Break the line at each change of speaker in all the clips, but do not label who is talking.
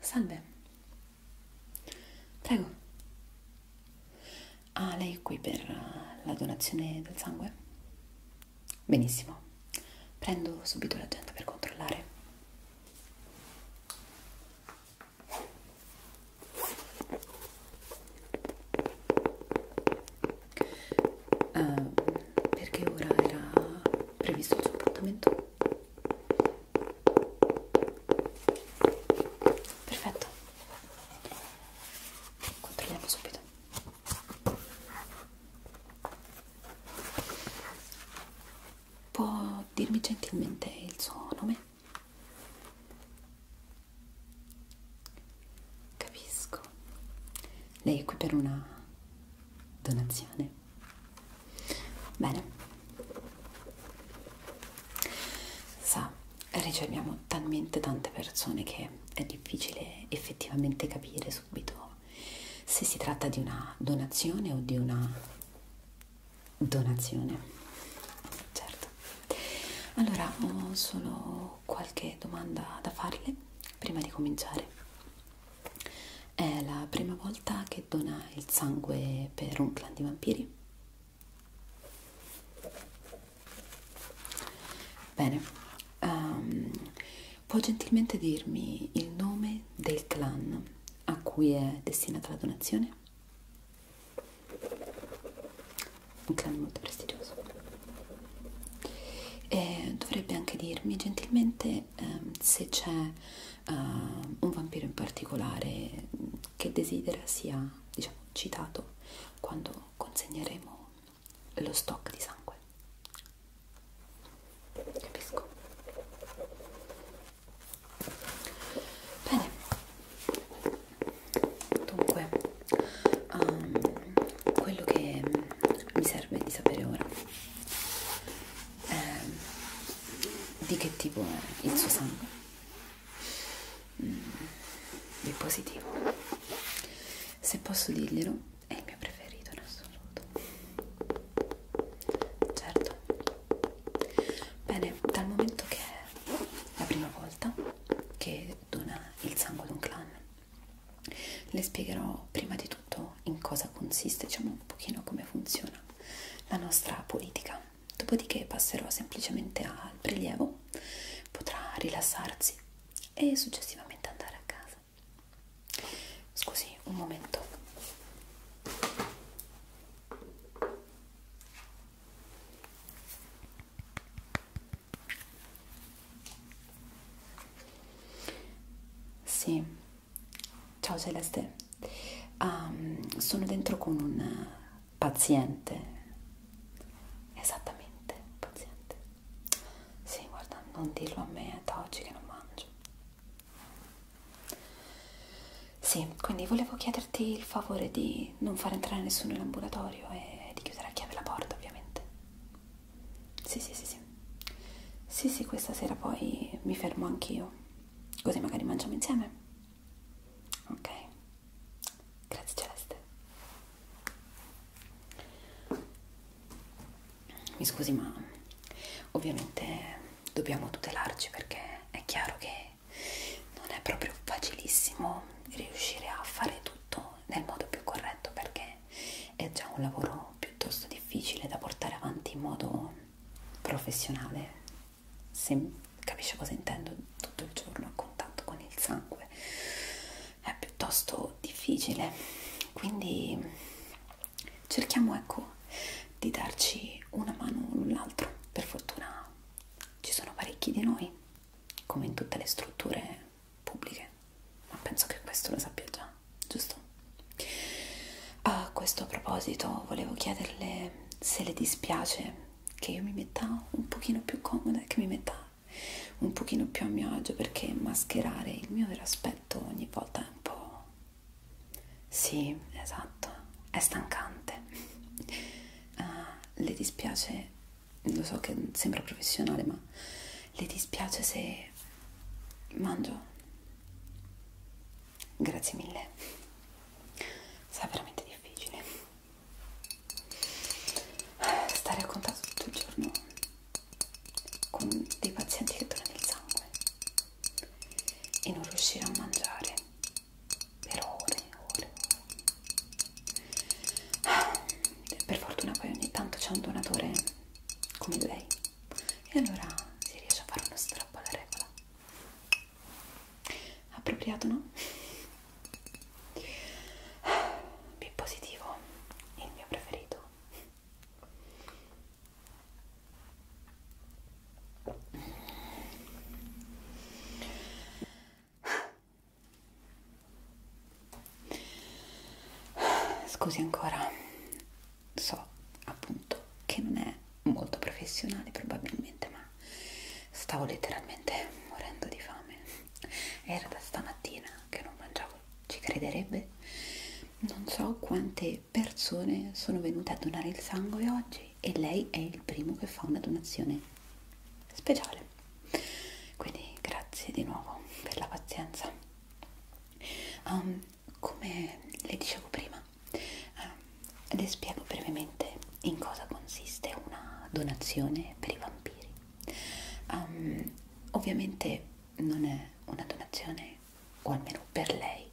Salve. Prego. Ah, lei è qui per la donazione del sangue? Benissimo. Prendo subito l'agenda per controllare. Uh, perché ora era previsto il suo appuntamento? Perfetto. Controlliamo subito. Può dirmi gentilmente il suo nome? Capisco. Lei è qui per una donazione. Bene. Sa, riceviamo talmente tante persone che è difficile effettivamente capire subito se si tratta di una donazione o di una donazione. Certo. Allora, ho solo qualche domanda da farle prima di cominciare. È la prima volta che dona il sangue per un clan di vampiri? Bene, um, può gentilmente dirmi il nome del clan a cui è destinata la donazione? Un clan molto prestigioso. E dovrebbe anche dirmi gentilmente um, se c'è uh, un vampiro in particolare che desidera sia diciamo, citato quando consegneremo lo stock di sangue. Capisco. Bene. Dunque, um, quello che mi serve di sapere ora eh, di che tipo è il suo sangue mm, di positivo se posso dirglielo è il mio preferito in assoluto certo bene dal momento che è la prima volta che dona il sangue ad un clan le spiegherò prima di tutto soprattutto in cosa consiste, diciamo un pochino come funziona la nostra politica. Dopodiché passerò semplicemente al prelievo, potrà rilassarsi e successivamente andare a casa. Scusi, un momento. Sì, Ciao Celeste, um, sono dentro con un paziente. Esattamente, paziente. Sì, guarda, non dirlo a me, è da oggi che non mangio. Sì, quindi volevo chiederti il favore di non far entrare nessuno in ambulatorio e di chiudere a chiave la porta, ovviamente. Sì, sì, sì, sì. Sì, sì, questa sera poi mi fermo anch'io. Così magari mangiamo insieme. Ok. Grazie Celeste. Mi scusi, ma ovviamente dobbiamo tutelarci perché è chiaro che non è proprio facilissimo riuscire a fare tutto nel modo più corretto perché è già un lavoro piuttosto difficile da portare avanti in modo professionale, se capisce cosa intendo, tutto il giorno a contatto con il sangue è piuttosto difficile, quindi cerchiamo ecco di darci una mano l'un l'altro, per fortuna ci sono parecchi di noi, come in tutte le strutture pubbliche, ma penso che questo lo sappia già giusto? A questo proposito volevo chiederle se le dispiace che io mi metta un pochino più comoda, che mi metta un pochino più a mio agio perché mascherare il mio vero aspetto ogni volta è un po'... Sì, esatto, è stancante. Uh, le dispiace, lo so che sembra professionale, ma le dispiace se mangio Grazie mille. Sarà veramente difficile stare a contatto tutto il giorno con dei pazienti che tornano il sangue e non riuscire a mangiare per ore e ore. Per fortuna poi ogni tanto c'è un donatore come lei e allora si riesce a fare uno strappo alla regola appropriato no? B positivo il mio preferito Scusi ancora, so appunto che non è molto professionale probabilmente ma stavo letteralmente morendo di fame era da stamattina che non mangiavo ci crederebbe non so quante persone sono venute a donare il sangue oggi e lei è il primo che fa una donazione speciale quindi grazie di nuovo per la pazienza um, come le dicevo prima eh, le spiego brevemente in cosa consiste una donazione per i vampiri. Um, ovviamente non è una donazione, o almeno per lei,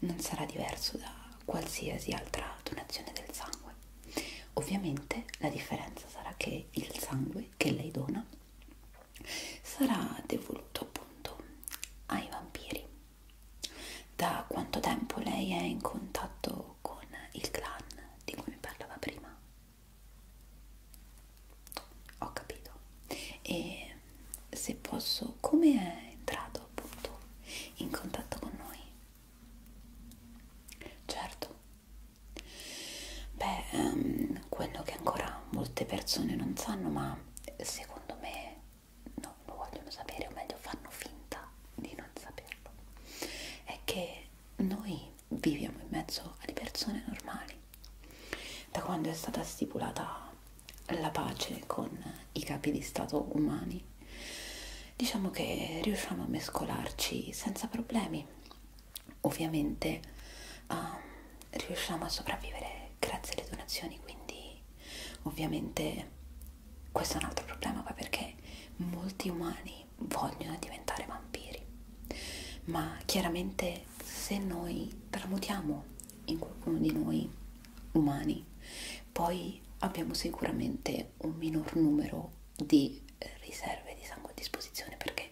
non sarà diverso da qualsiasi altra donazione del sangue. Ovviamente la differenza sarà che il sangue che lei dona sarà devoluto appunto ai vampiri da quanto tempo lei è in contatto con il clan di cui mi parlava prima? Ho capito. E se posso, come è entrato appunto in contatto con noi? Certo. Beh, um, quello che ancora molte persone non sanno, ma secondo me non lo vogliono sapere, o meglio fanno finta di non saperlo, è che noi viviamo in mezzo alle persone normali. Da quando è stata stipulata la pace con i capi di Stato umani, diciamo che riusciamo a mescolarci senza problemi. Ovviamente uh, riusciamo a sopravvivere grazie alle donazioni, quindi Ovviamente questo è un altro problema perché molti umani vogliono diventare vampiri, ma chiaramente se noi tramutiamo in qualcuno di noi umani, poi abbiamo sicuramente un minor numero di riserve di sangue a disposizione perché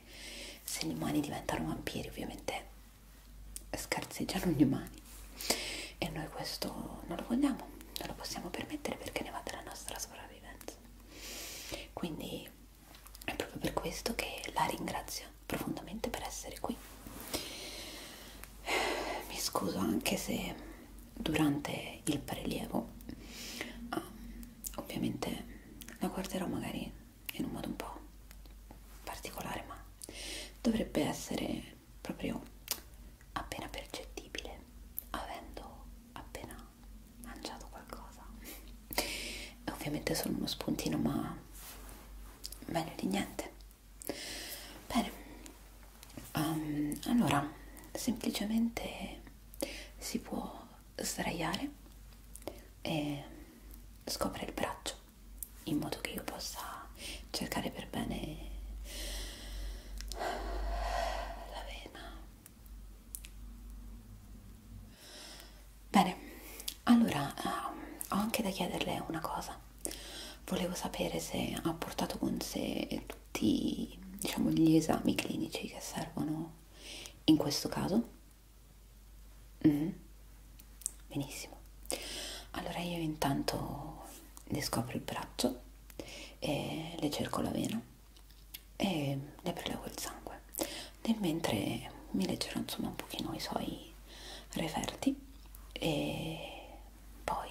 se gli umani diventano vampiri ovviamente scarseggiano gli umani e noi questo non lo vogliamo, non lo possiamo permettere perché ne va della nostra sopravvivenza. Quindi è proprio per questo che la ringrazio profondamente per essere qui. Mi scuso anche se durante il prelievo ah, ovviamente la guarderò magari in un modo un po' particolare, ma dovrebbe essere proprio appena percettibile avendo appena mangiato qualcosa è ovviamente solo uno spuntino ma meglio di niente bene um, allora semplicemente si può sdraiare e scopre il braccio in modo che io possa cercare per bene la vena. Bene, allora eh, ho anche da chiederle una cosa. Volevo sapere se ha portato con sé tutti diciamo, gli esami clinici che servono in questo caso. Mm benissimo allora io intanto le scopro il braccio e le cerco la vena e le prelevo il sangue nel mentre mi leggerò insomma un pochino i suoi referti e poi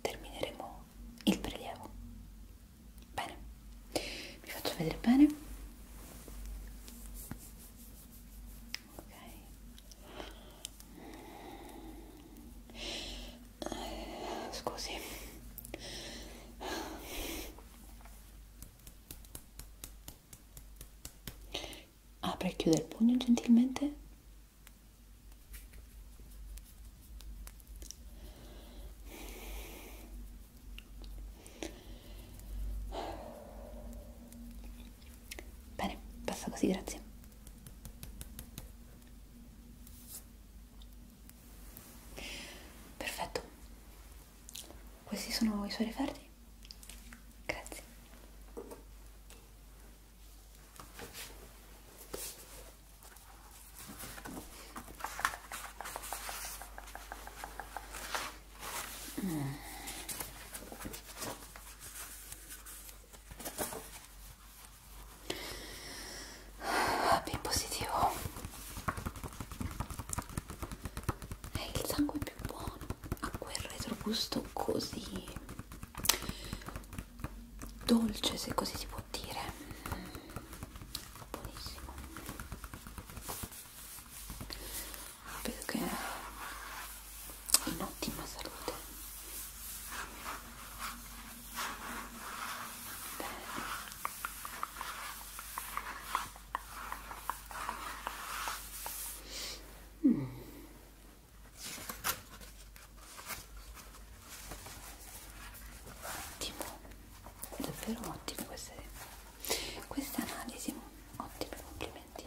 termineremo il prelievo bene vi faccio vedere bene ok eh, scusi apre e chiude il pugno gentilmente Bene, basta così, grazie. Perfetto. Questi sono i suoi referti? Grazie. Mm. Ah, B positivo è il sangue più buono ha quel retrogusto così dolce se così si può dire buonissimo vedo che in ottima salute Bene. Mm. Ottimo, davvero ottime queste, queste analisi, ottimi complimenti.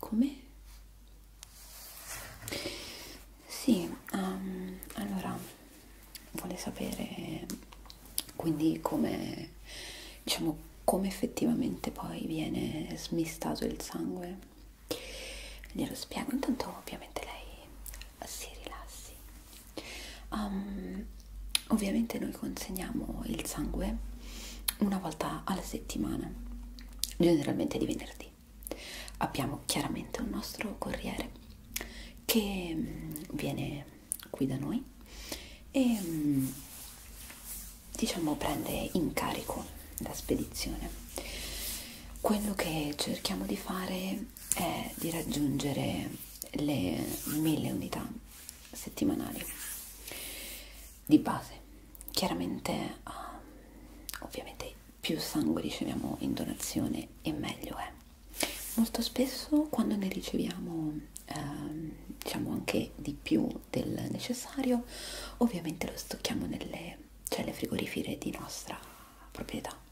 Come? Sì, um, allora vuole sapere quindi come diciamo come effettivamente poi viene smistato il sangue glielo spiego intanto ovviamente lei si rilassi um, ovviamente noi consegniamo il sangue una volta alla settimana generalmente di venerdì abbiamo chiaramente un nostro corriere che mm, viene qui da noi e mm, diciamo prende in carico la spedizione quello che cerchiamo di fare è di raggiungere le 1000 unità settimanali di base. Chiaramente, uh, ovviamente, più sangue riceviamo in donazione e meglio è. Molto spesso quando ne riceviamo eh, diciamo anche di più del necessario, ovviamente lo stocchiamo nelle celle cioè frigorifere di nostra proprietà.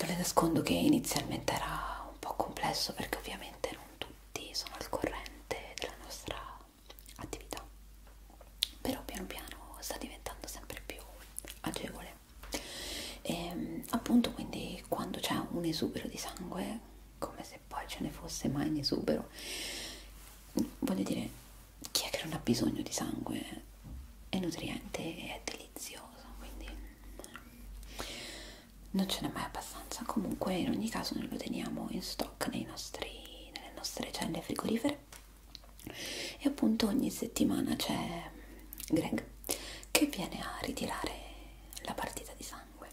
Non le nascondo che inizialmente era un po' complesso perché ovviamente non tutti sono al corrente della nostra attività, però piano piano sta diventando sempre più agevole. E, ehm, appunto quindi quando c'è un esubero di sangue, come se poi ce ne fosse mai in esubero, voglio dire chi è che non ha bisogno di sangue? È nutriente e è delizioso, quindi non ce n'è mai abbastanza. Comunque in ogni caso noi lo teniamo in stock nei nostri, nelle nostre celle frigorifere e appunto ogni settimana c'è Greg che viene a ritirare la partita di sangue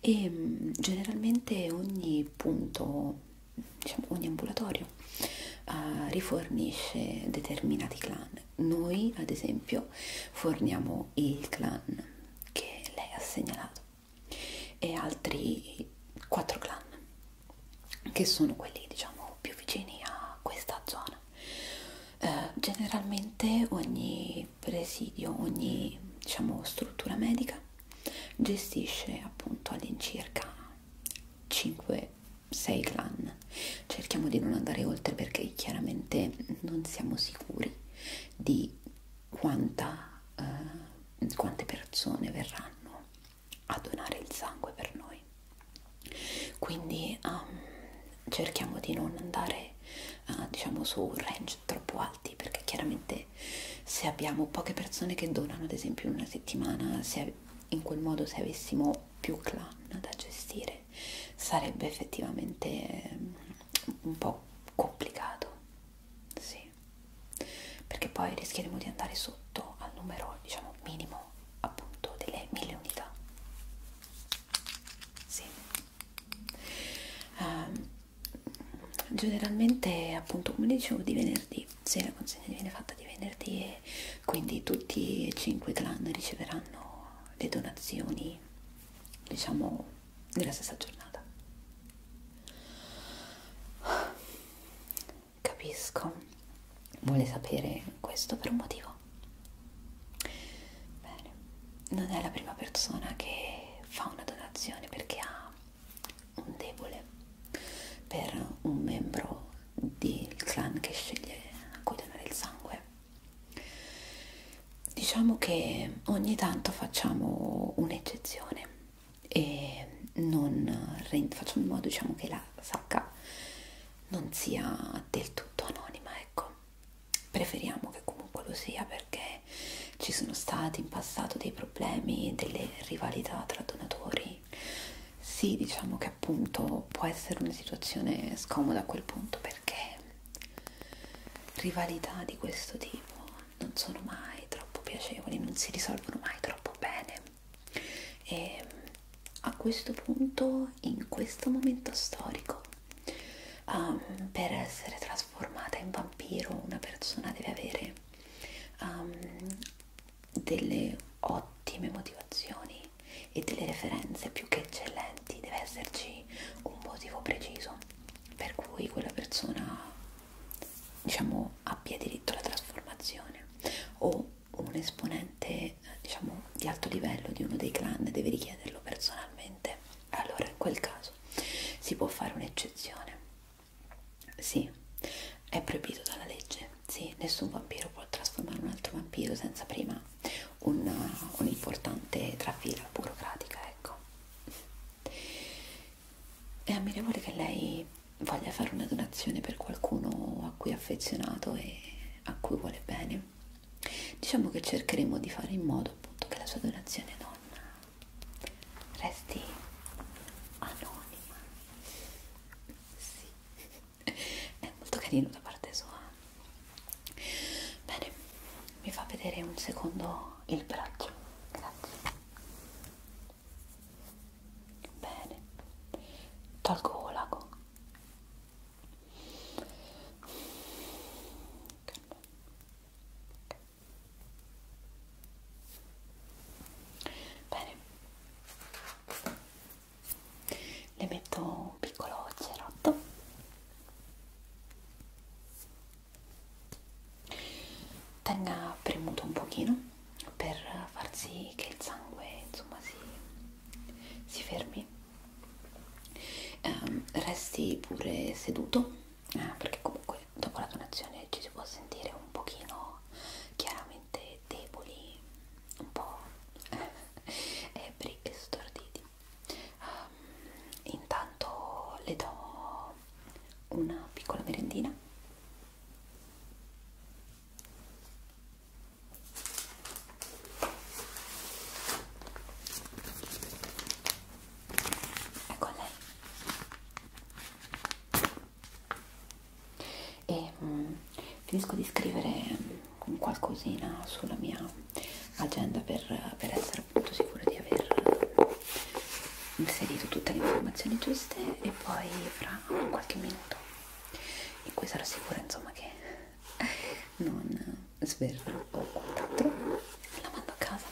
e mm, generalmente ogni punto diciamo, ogni ambulatorio uh, rifornisce determinati clan. Noi, ad esempio, forniamo il clan che lei ha segnalato e altri quattro clan che sono quelli diciamo più vicini a questa zona eh, generalmente ogni presidio ogni diciamo struttura medica gestisce appunto all'incirca 5 sei clan. Cerchiamo di non andare oltre perché chiaramente non siamo sicuri di quanta, eh, quante persone verranno a donare il sangue per noi. Quindi um, cerchiamo di non andare uh, diciamo su range troppo alti perché chiaramente se abbiamo poche persone che donano ad esempio in una settimana, se in quel modo se avessimo più clan da gestire sarebbe effettivamente mm, un po' complicato sì perché poi rischieremo di andare sotto al numero diciamo minimo appunto delle mille unità sì um, generalmente appunto come dicevo di venerdì se la consegna viene fatta di venerdì e quindi tutti e cinque i clan riceveranno le donazioni diciamo nella stessa giornata capisco vuole sapere questo per un motivo bene non è la prima persona che fa una donazione perché ha un debole per un membro del clan che sceglie a cui donare il sangue. Diciamo che ogni tanto facciamo un'eccezione e non facciamo in modo diciamo, che la sacca non sia del tutto anonima, ecco. Preferiamo che comunque lo sia perché ci sono stati in passato dei problemi, delle rivalità tra donatori sì, diciamo che appunto può essere una situazione scomoda a quel punto perché rivalità di questo tipo non sono mai troppo piacevoli, non si risolvono mai troppo bene. E a questo punto, in questo momento storico, um, per essere trasformata in vampiro, una persona deve avere um, delle ottime motivazioni e delle referenze più che eccellenti, deve esserci un motivo preciso per cui quella persona diciamo abbia diritto alla trasformazione o un esponente diciamo di alto livello di uno dei clan deve richiederlo personalmente allora in quel caso si può fare un'eccezione sì è proibito dalla legge sì, nessun vampiro può trasformare un altro vampiro senza prima uh, un'importante un trafila burocratica, ecco. È ammirevole che lei voglia fare una donazione per qualcuno a cui è affezionato e a cui vuole bene. Diciamo che cercheremo di fare in modo appunto che la sua donazione non resti anonima. Sì è molto carino da parte sua bene mi fa vedere un secondo il braccio grazie bene tolgo l'ago Bene, le metto un piccolo cerotto tenga premuto un pochino per far sì che il sangue insomma si, si fermi um, resti pure seduto eh, perché comunque dopo la donazione ci si può sentire un pochino chiaramente veramente deboli, un po' ebri e storditi. Um, intanto le do una piccola merendina. Ecco lei e mh, mm, finisco di scrivere mh, mm, qualcosina sulla mia agenda per, per essere appunto sicura di aver inserito tutte le informazioni giuste e poi fra qualche minuto in cui sarò sicura insomma che non sverrò o quant'altro la mando a casa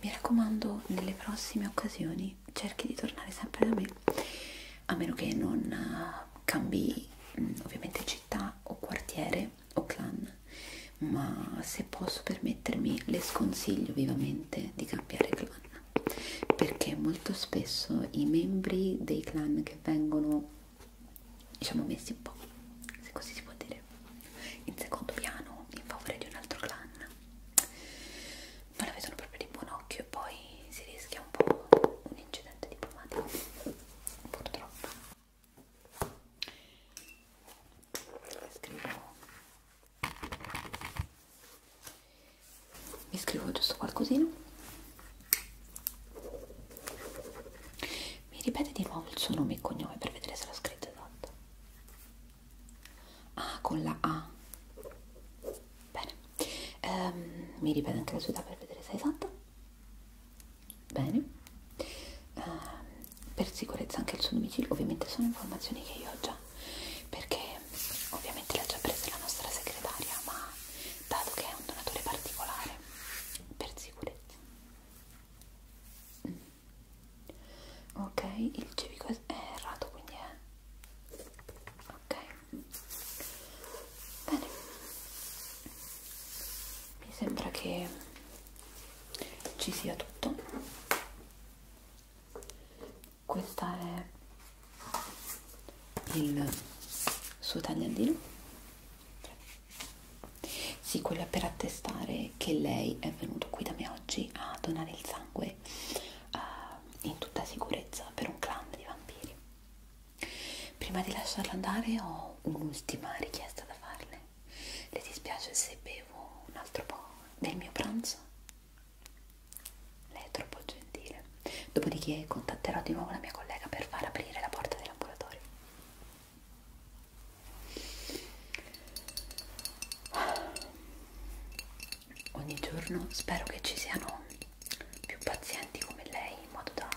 mi raccomando nelle prossime occasioni cerchi di tornare sempre da me a meno che non città, cambi mm, ovviamente città o quartiere o clan, ma se posso permettermi le sconsiglio vivamente di cambiare clan perché molto spesso i membri dei clan che
vengono diciamo messi un po' se così si può dire in secondo piano in favore di un altro clan non la vedono proprio di buon occhio e poi si rischia sia un po'
un incidente diplomatico, purtroppo. Scrivo. Mi scrivo giusto qualcosina. Mi ripete di nuovo il suo nome e cognome per vedere se l'ho scritto esatto. Ah, con la A. Bene, um, mi ripete anche la sua età per vedere se è esatta. Bene, um, per sicurezza anche il suo domicilio, ovviamente sono informazioni che io ho già, perché ovviamente le ha già prese la nostra segretaria, ma dato che è un donatore particolare, per sicurezza. Mm. Ok, il civico è errato, quindi è... Ok, Bene, mi sembra che ci sia tutto. Questa è il suo tagliandino. Sì, quella per attestare che lei è venuto qui da me oggi a donare il sangue uh, in tutta sicurezza per un clan di vampiri. Prima di lasciarlo andare ho un'ultima richiesta da farle. Le dispiace se bevo un altro po' del mio pranzo? Lei è troppo gentile. Dopodiché contatterò di nuovo la mia collega per far aprire la porta del laboratorio. Ogni giorno spero che ci siano più pazienti come lei in modo da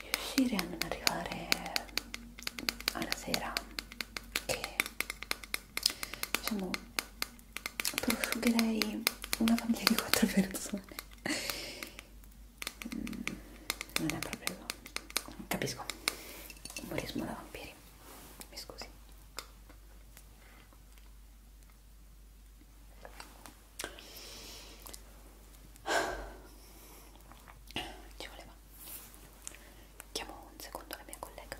riuscire a non arrivare alla sera che diciamo prosciugherei una famiglia di quattro persone mm, non è proprio capisco umorismo da vampiri mi scusi ci voleva. Chiamo un secondo la mia collega.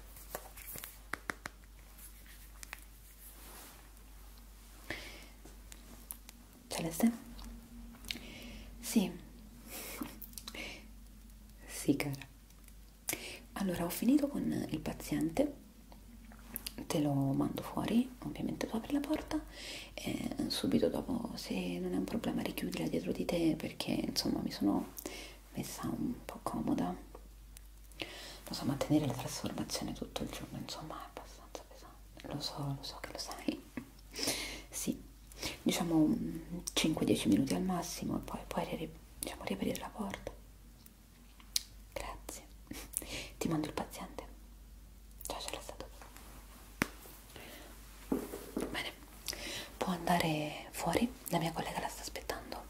Celeste? Sì. Sì, cara. Allora, ho finito con il paziente te lo mando fuori, ovviamente tu apri la porta e subito dopo se non è un problema richiudila dietro di te perché insomma mi sono messa un po' comoda. Lo so, mantenere la trasformazione tutto il giorno insomma è abbastanza pesante, lo so, lo so che lo sai. sì, diciamo 5-10 mm, minuti al massimo e poi puoi diciamo, riaprire la porta Grazie. Ti mando il paziente. Ciao, ce l'ho stato. Bene, può andare fuori, la mia collega la sta aspettando.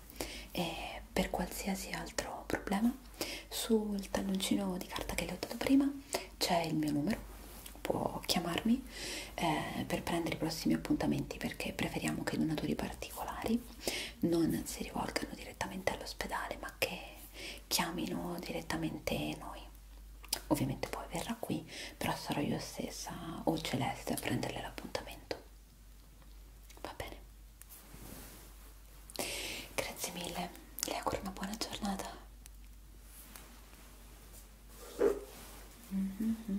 E per qualsiasi altro problema, sul talloncino di carta che le ho dato prima c'è il mio numero. Può chiamarmi eh, per prendere i prossimi appuntamenti perché preferiamo che i donatori particolari non si rivolgano direttamente all'ospedale ma che chiamino direttamente noi. Ovviamente poi verrà qui, però sarò io stessa o Celeste a prenderle l'appuntamento. Va bene. Grazie mille, le auguro una buona giornata.
Mm-hmm.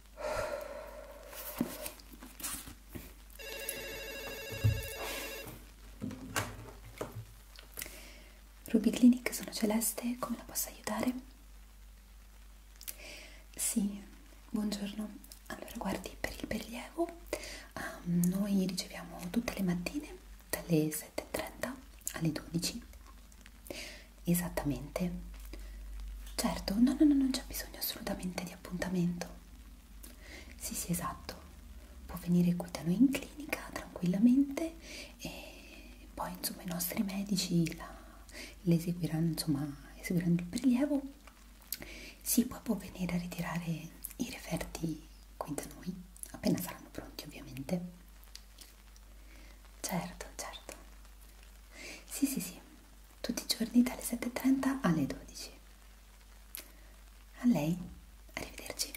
Ruby Clinic sono celeste, come la posso aiutare? Sì, buongiorno. Allora, guardi, per il prelievo um, noi riceviamo tutte le mattine dalle 7.30 alle 12 Esattamente. Certo, no, no, no, non c'è bisogno assolutamente di appuntamento. Sì, sì, esatto. Può venire qui da noi in clinica tranquillamente e poi insomma i nostri medici la, le eseguiranno, insomma, eseguiranno il prelievo. Sì, poi può venire a ritirare i referti qui da noi, appena saranno pronti ovviamente. Certo, certo. Sì, sì, sì tutti i giorni dalle 7.30 alle 12. A lei, arrivederci.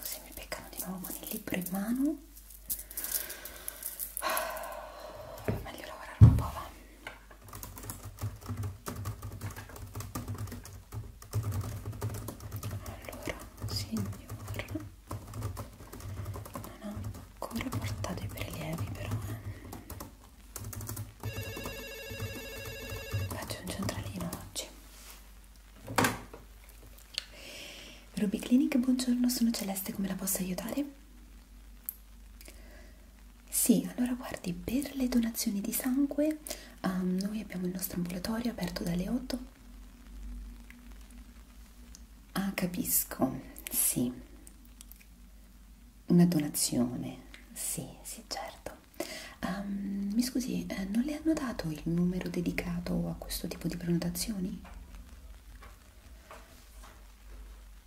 Se mi peccano di nuovo con il libro in mano, meglio lavorare un po', va. Allora, signora non ho ancora portato i prelievi però eh. faccio un centralino oggi Ruby Clinic buongiorno sono Celeste come la posso aiutare? Sì, allora guardi, per le donazioni di sangue um, noi abbiamo il nostro ambulatorio aperto dalle 8 Ah, capisco, sì. Una donazione, sì, sì, certo. Um, mi scusi, eh, non le hanno dato il numero dedicato a questo tipo di prenotazioni?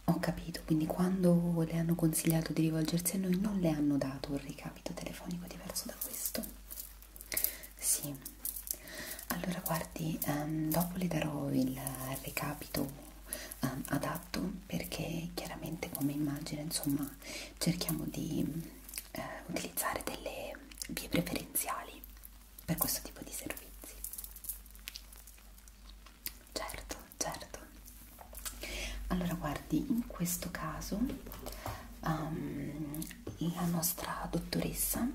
Ho capito, quindi quando le hanno consigliato di rivolgersi a noi non le hanno dato un ricapito telefonico diverso da questo. Sì, allora guardi, um, dopo le darò il recapito um, adatto perché chiaramente come immagine insomma cerchiamo di uh, utilizzare delle vie preferenziali per questo tipo di servizi. Certo, certo. Allora guardi, in questo caso um, la nostra dottoressa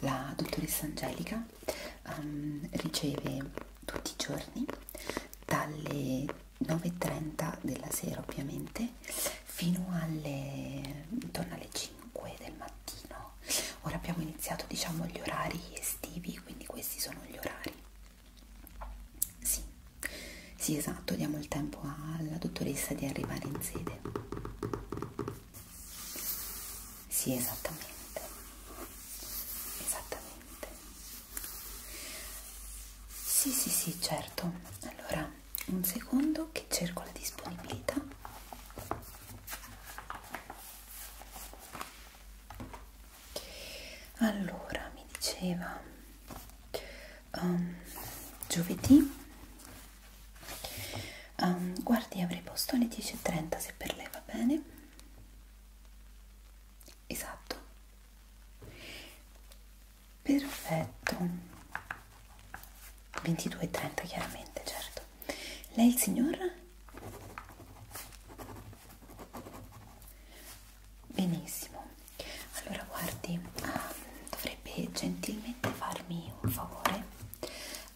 la dottoressa Angelica um, riceve tutti i giorni dalle 9.30 della sera ovviamente fino alle intorno alle 5 del mattino. Ora abbiamo iniziato diciamo gli orari estivi, quindi questi sono gli orari. Sì, sì esatto, diamo il tempo alla dottoressa di arrivare in sede. Sì, esattamente, esattamente. Sì, sì, sì, certo. Allora, un secondo che cerco la disponibilità. Allora, mi diceva um, giovedì Um, guardi, avrei posto alle 10.30 se per lei va bene. Esatto. Perfetto. 22.30 chiaramente, certo. Lei il signor? Benissimo. Allora guardi, ah, dovrebbe gentilmente farmi un favore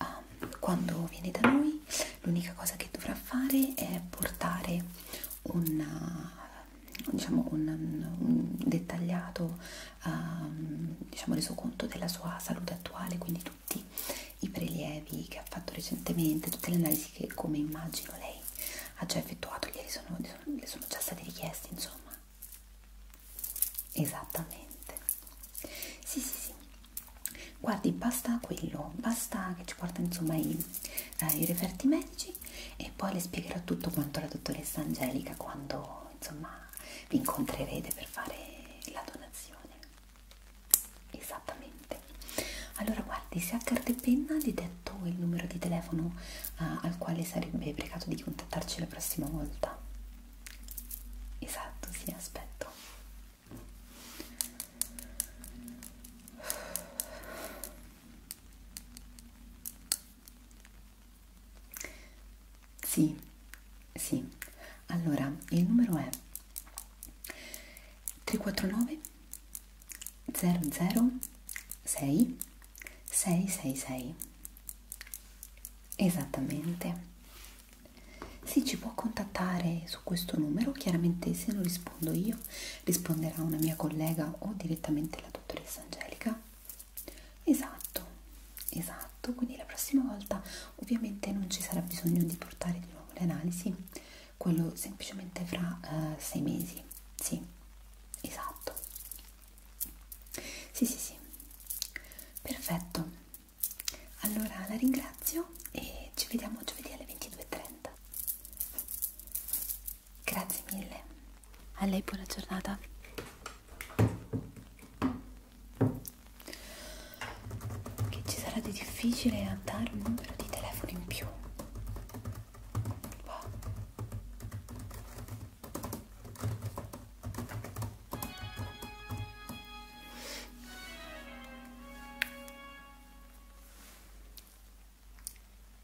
um, quando viene da noi l'unica cosa che dovrà fare è portare una, eh, diciamo un, un dettagliato um, diciamo resoconto della sua salute attuale, quindi tutti i prelievi che ha fatto recentemente, tutte le analisi che come immagino lei ha già effettuato, ieri sono, le sono già state richieste insomma esattamente sì sì sì guardi basta quello basta che ci porta insomma i, eh, i referti medici e poi le spiegherò tutto quanto la dottoressa Angelica quando insomma vi incontrerete per fare la donazione esattamente allora guardi se a carta e penna vi detto il numero di telefono eh, al quale sarebbe pregato di contattarci la prossima volta Esatto, sì, aspetto. Sì, sì. Allora, il numero è 349 00 6 666. Esattamente. Sì, ci può contattare su questo numero, chiaramente se non rispondo io risponderà una mia collega o direttamente la dottoressa Angelica. Esatto, esatto, quindi la prossima volta ovviamente non ci sarà bisogno di portare di nuovo le analisi, quello semplicemente fra uh, sei mesi, sì, esatto. Sì, sì, sì, perfetto. Allora la ringrazio e ci vediamo giovedì alle 22.30. Grazie mille. A lei buona giornata. Che ci sarà di difficile a dare un numero di telefono in più. Wow.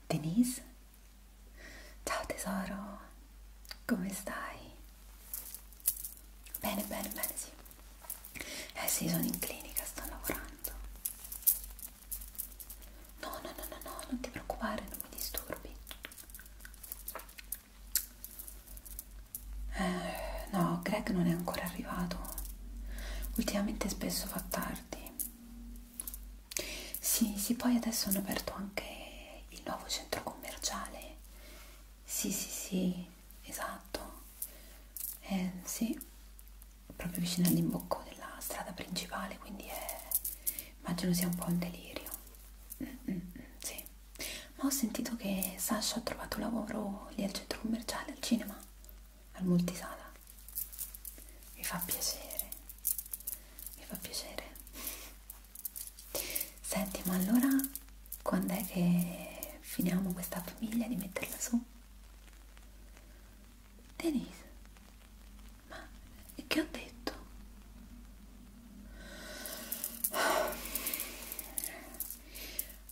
Denise? Ciao tesoro, come stai? Bene, bene, bene, sì. Eh sì, sono in clinica, sto lavorando. No, no, no, no, no, non ti preoccupare, non mi disturbi. Eh, no, Greg non è ancora arrivato. Ultimamente spesso fa tardi. Sì, sì, poi adesso hanno aperto anche il nuovo centro commerciale. Sì, sì, sì, esatto. Eh, sì, proprio vicino all'imbocco della strada principale, quindi è... immagino sia un po' un delirio. Mm, mm, mm, sì. Ma ho sentito che Sasha ha trovato lavoro lì al centro commerciale, al cinema, al multisala. Mi fa piacere, mi fa piacere. Senti, ma allora quando è che finiamo questa famiglia di metterla su? Denise, ma che ho detto?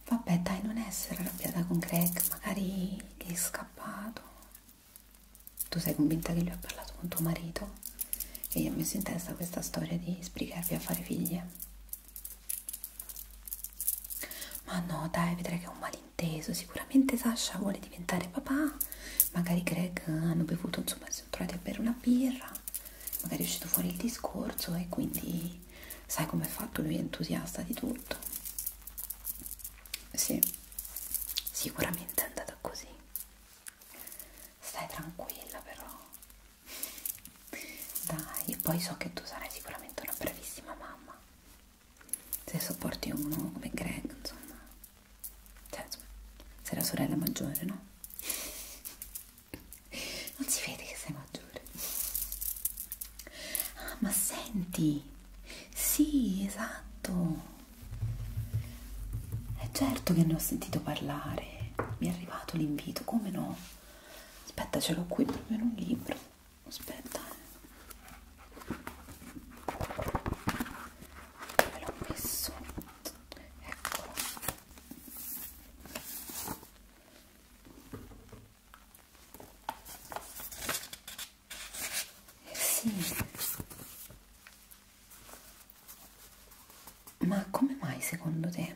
Vabbè, dai, non essere arrabbiata con Greg, magari gli è scappato. Tu sei convinta che lui ha parlato con tuo marito e gli ha messo in testa questa storia di sbrigarvi a fare figlie? Ma no, dai, vedrai che è un malinteso. Sicuramente Sasha vuole diventare papà. Magari Greg eh, hanno bevuto, insomma, si sono trovati a bere una birra, magari è uscito fuori il discorso e quindi sai com'è fatto, lui è entusiasta di tutto. Sì, sicuramente è andata così. Stai tranquilla però. Dai, poi so che tu sarai sicuramente una bravissima mamma. Se sopporti uno come Greg, insomma. Cioè, insomma, sei la sorella maggiore, no? non si vede che sei maggiore ah ma senti sì esatto è certo che ne ho sentito parlare mi è arrivato l'invito come no aspetta ce l'ho qui proprio in un libro aspetta dove eh. l'ho messo eccolo sì. Ma come mai secondo te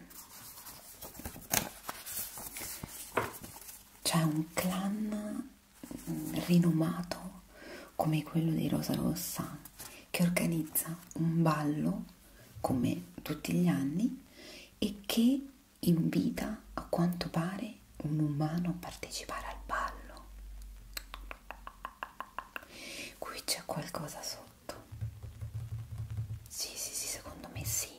c'è un clan mm, rinomato come quello di Rosa Rossa che organizza un ballo come tutti gli anni e che invita a quanto pare un umano a partecipare al ballo. Qui c'è qualcosa sotto. Sì, sì, sì, secondo me sì.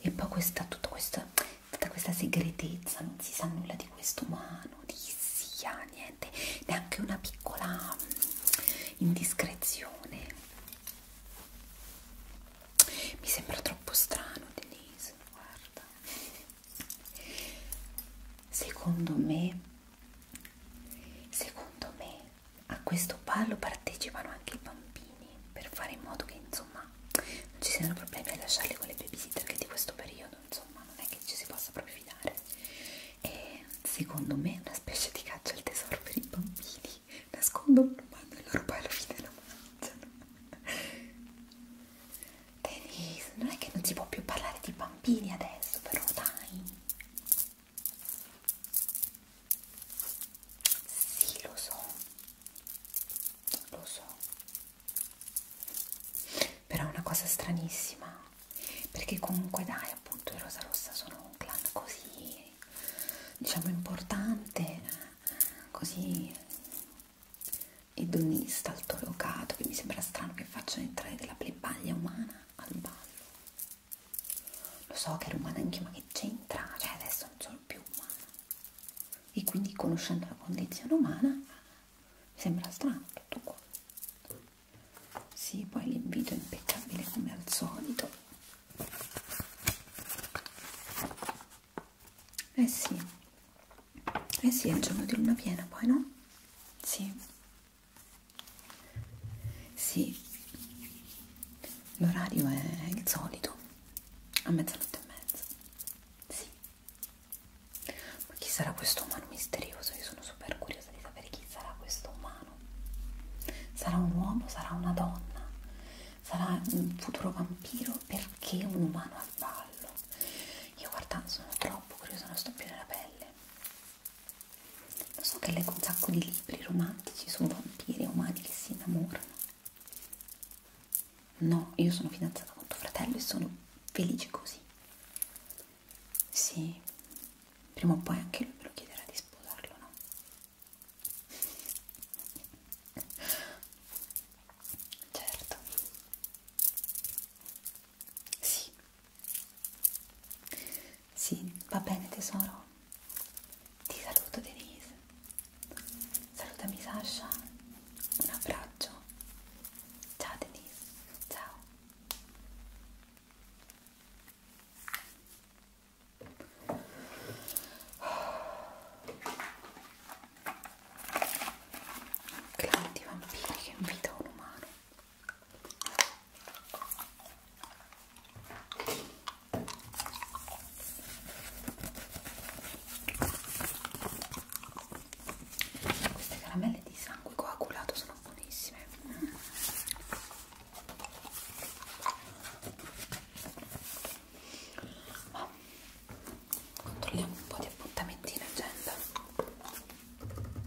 E poi questa, tutta questa, tutta questa segretezza, non si sa nulla di questo umano, di sia, niente, neanche una piccola mm, indiscrezione. Mi sembra troppo strano, Denise, guarda. Secondo me, secondo me, a questo ballo partecipano anche i bambini per fare in modo che, insomma, non ci siano problemi a lasciarli con le babysitter che di questo periodo, insomma, non è che ci si possa proprio fidare. E secondo me è una specie di caccia al tesoro per i bambini così nascondo un bando e loro poi alla fine lo mangiano Denise, non è che non si può più parlare di bambini adesso però dai sì lo so lo so però è una cosa stranissima perché comunque dai appunto i Rosa Rossa sono un clan così diciamo importante, così edonista, altolocato, che mi sembra strano che facciano entrare della plebaglia umana al ballo. Lo so che era umana anche, ma che c'entra? Cioè adesso non sono più umana. E quindi conoscendo la condizione umana mi sembra strano tutto qua. Sì, poi l'invito è impeccabile come al solito. Eh sì, eh sì, è il giorno di luna piena poi, no? Sì. Sì. L'orario è il solito, a mezzanotte e mezza. Sì. Ma chi sarà questo umano misterioso? Io sono super curiosa di sapere chi sarà questo umano italiano. Sarà un uomo, sarà una donna, sarà un futuro vampiro perché un umano al ballo. Io guarda, sono troppo curiosa, non sto più nella pelle. Lo so che leggo un sacco di libri romantici su vampiri umani che si innamorano. No, io sono fidanzata con tuo fratello e sono felice così. Sì, prima o poi anche lui me lo chiederà di sposarlo, no? Certo. Sì. Sì, va bene tesoro. Ti saluto Denise. Salutami Sasha. Un abbraccio. Ciao Denise. Ciao. Grandi vampiri che invita un umano. Queste caramelle di sangue coagulato sono buonissime. Mm. Ma controlliamo un po' di appuntamenti in agenda. Allora.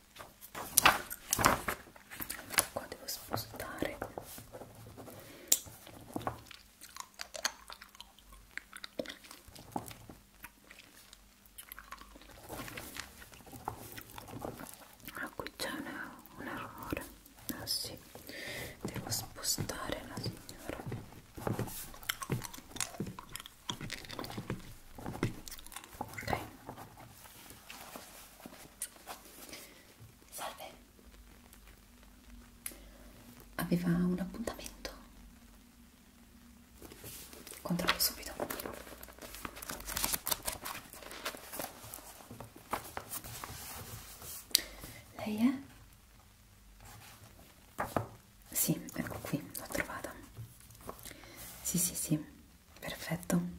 qua devo spostare ah qui c'è un errore ah sì devo spostare la signora ok Salve. Aveva un appuntamento? Controllo subito. Lei è? Sì, ecco qui, l'ho trovata. Sì, sì, sì. Perfetto, mi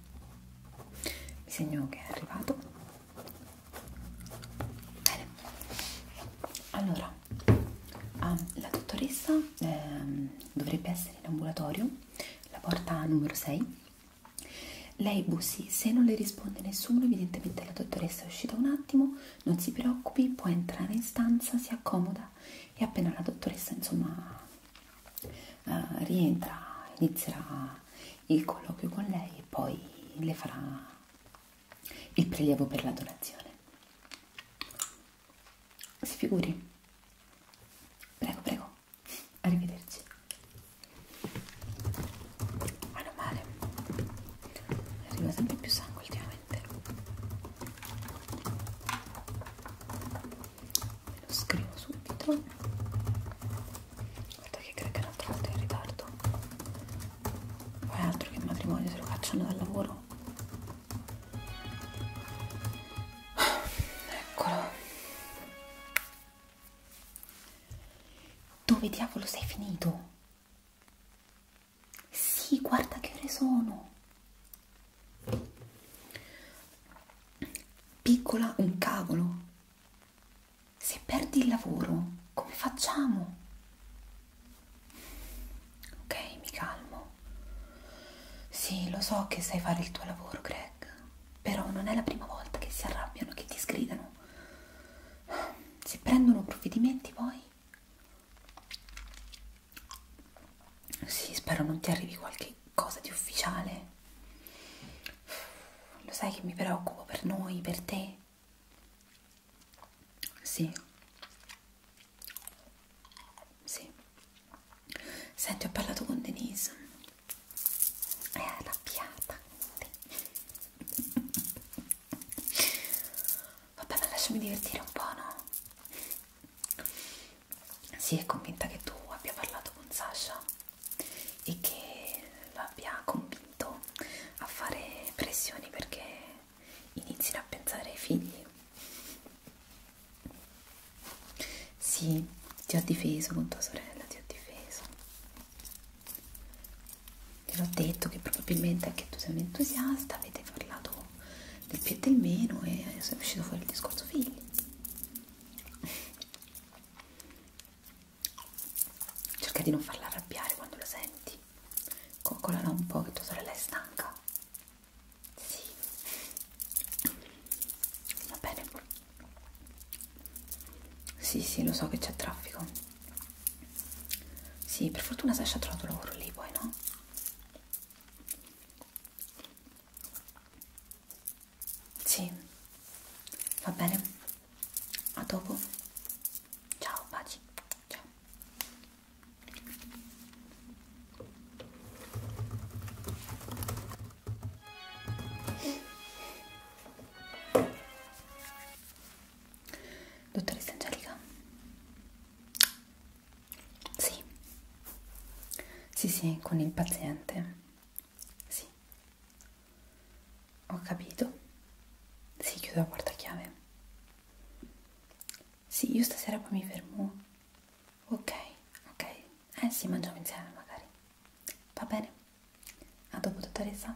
segno che è arrivato. Bene, allora ah, la dottoressa eh, dovrebbe essere in ambulatorio, la porta numero 6. Lei bussi, se non le risponde nessuno, evidentemente la dottoressa è uscita un attimo, non si preoccupi, può entrare in stanza, si accomoda e appena la dottoressa insomma uh, rientra, inizierà il colloquio con lei e poi le farà il prelievo per la donazione. Si figuri. Prego, prego. Arrivederci. Meno male. Arriva sempre più sangue ultimamente. Ve lo scrivo subito. Guarda che credo che è un'altra volta in ritardo. Poi altro che il matrimonio se lo facciano dal lavoro. Eccolo. Dove diavolo sei finito? Sì, guarda che ore sono. Piccola un cavolo. Se perdi il lavoro, come facciamo? Ok, mi calmo. Sì, lo so che sai fare il tuo lavoro, Greg, però non è la prima volta che si arrabbiano, che ti sgridano. Se prendono provvedimenti poi sì, spero non ti arrivi qualche cosa di ufficiale. Lo sai che mi preoccupo per noi, per te. Sì. Sì. Senti, ho parlato con Denise. È arrabbiata. Vabbè, ma lasciami divertire un po', no? si è convinta che tu abbia parlato con Sasha e che l'abbia convinto a fare pressioni perché inizino a pensare ai figli. Sì, ti ho difeso con tua sorella, ti ho difeso. Te l'ho detto che probabilmente anche tu sei un entusiasta, avete parlato del più e del meno e adesso è uscito fuori il discorso figli. Cerca di non farla arrabbiare quando la senti. Coccolala un po' che tua sorella è stanca. Sì. Va bene. Sì, sì, lo so che c'è traffico. Sì, per fortuna Sasha ha trovato lavoro lì poi, no? Sì, va bene. A dopo. Ciao, baci. Ciao. Dottoressa Angelica? Sì. Sì, sì, con il paziente. Sì. Ho capito. Sì, chiudo la portachiave. Sì, io stasera poi mi fermo. Ok, ok. Eh sì, mangiamo insieme magari. Va bene. A dopo, dottoressa.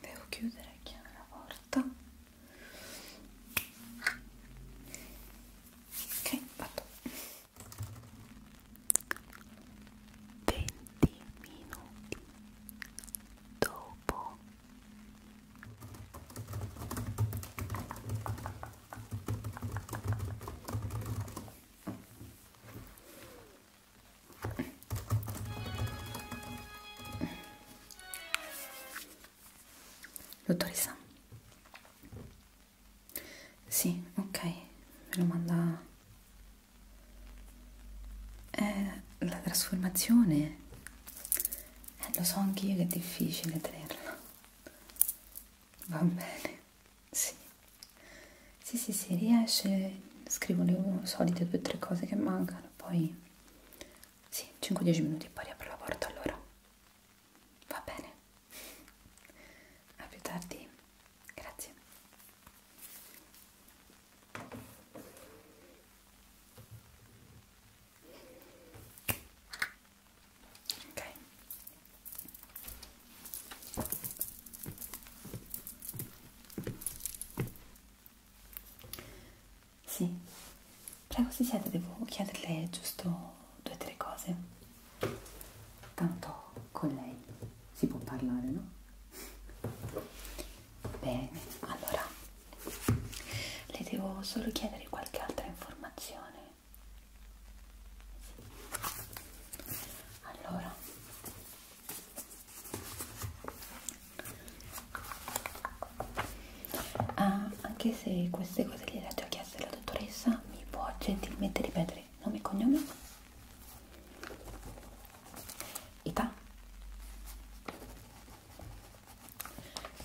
Devo chiudere, chiamare la porta ok vado 20 minuti dopo Dottoressa? Sì, ok, me lo manda... Eh, la trasformazione... Eh, lo so anch'io che è difficile tenerla. Va bene, sì. Sì, sì, sì, riesce. Scrivo le solite due o tre cose che mancano, poi... Sì, 5-10 minuti e poi riapro la porta allora. Va bene, a più tardi, grazie. Ok. Sì, Prego, si siede, devo chiederle giusto due o tre cose. Tanto con lei si può parlare, no? Bene, allora le devo solo chiedere qualche altra informazione. Allora, Ah, anche se queste cose le ha già chieste la dottoressa, mi può gentilmente ripetere nome e cognome? Età?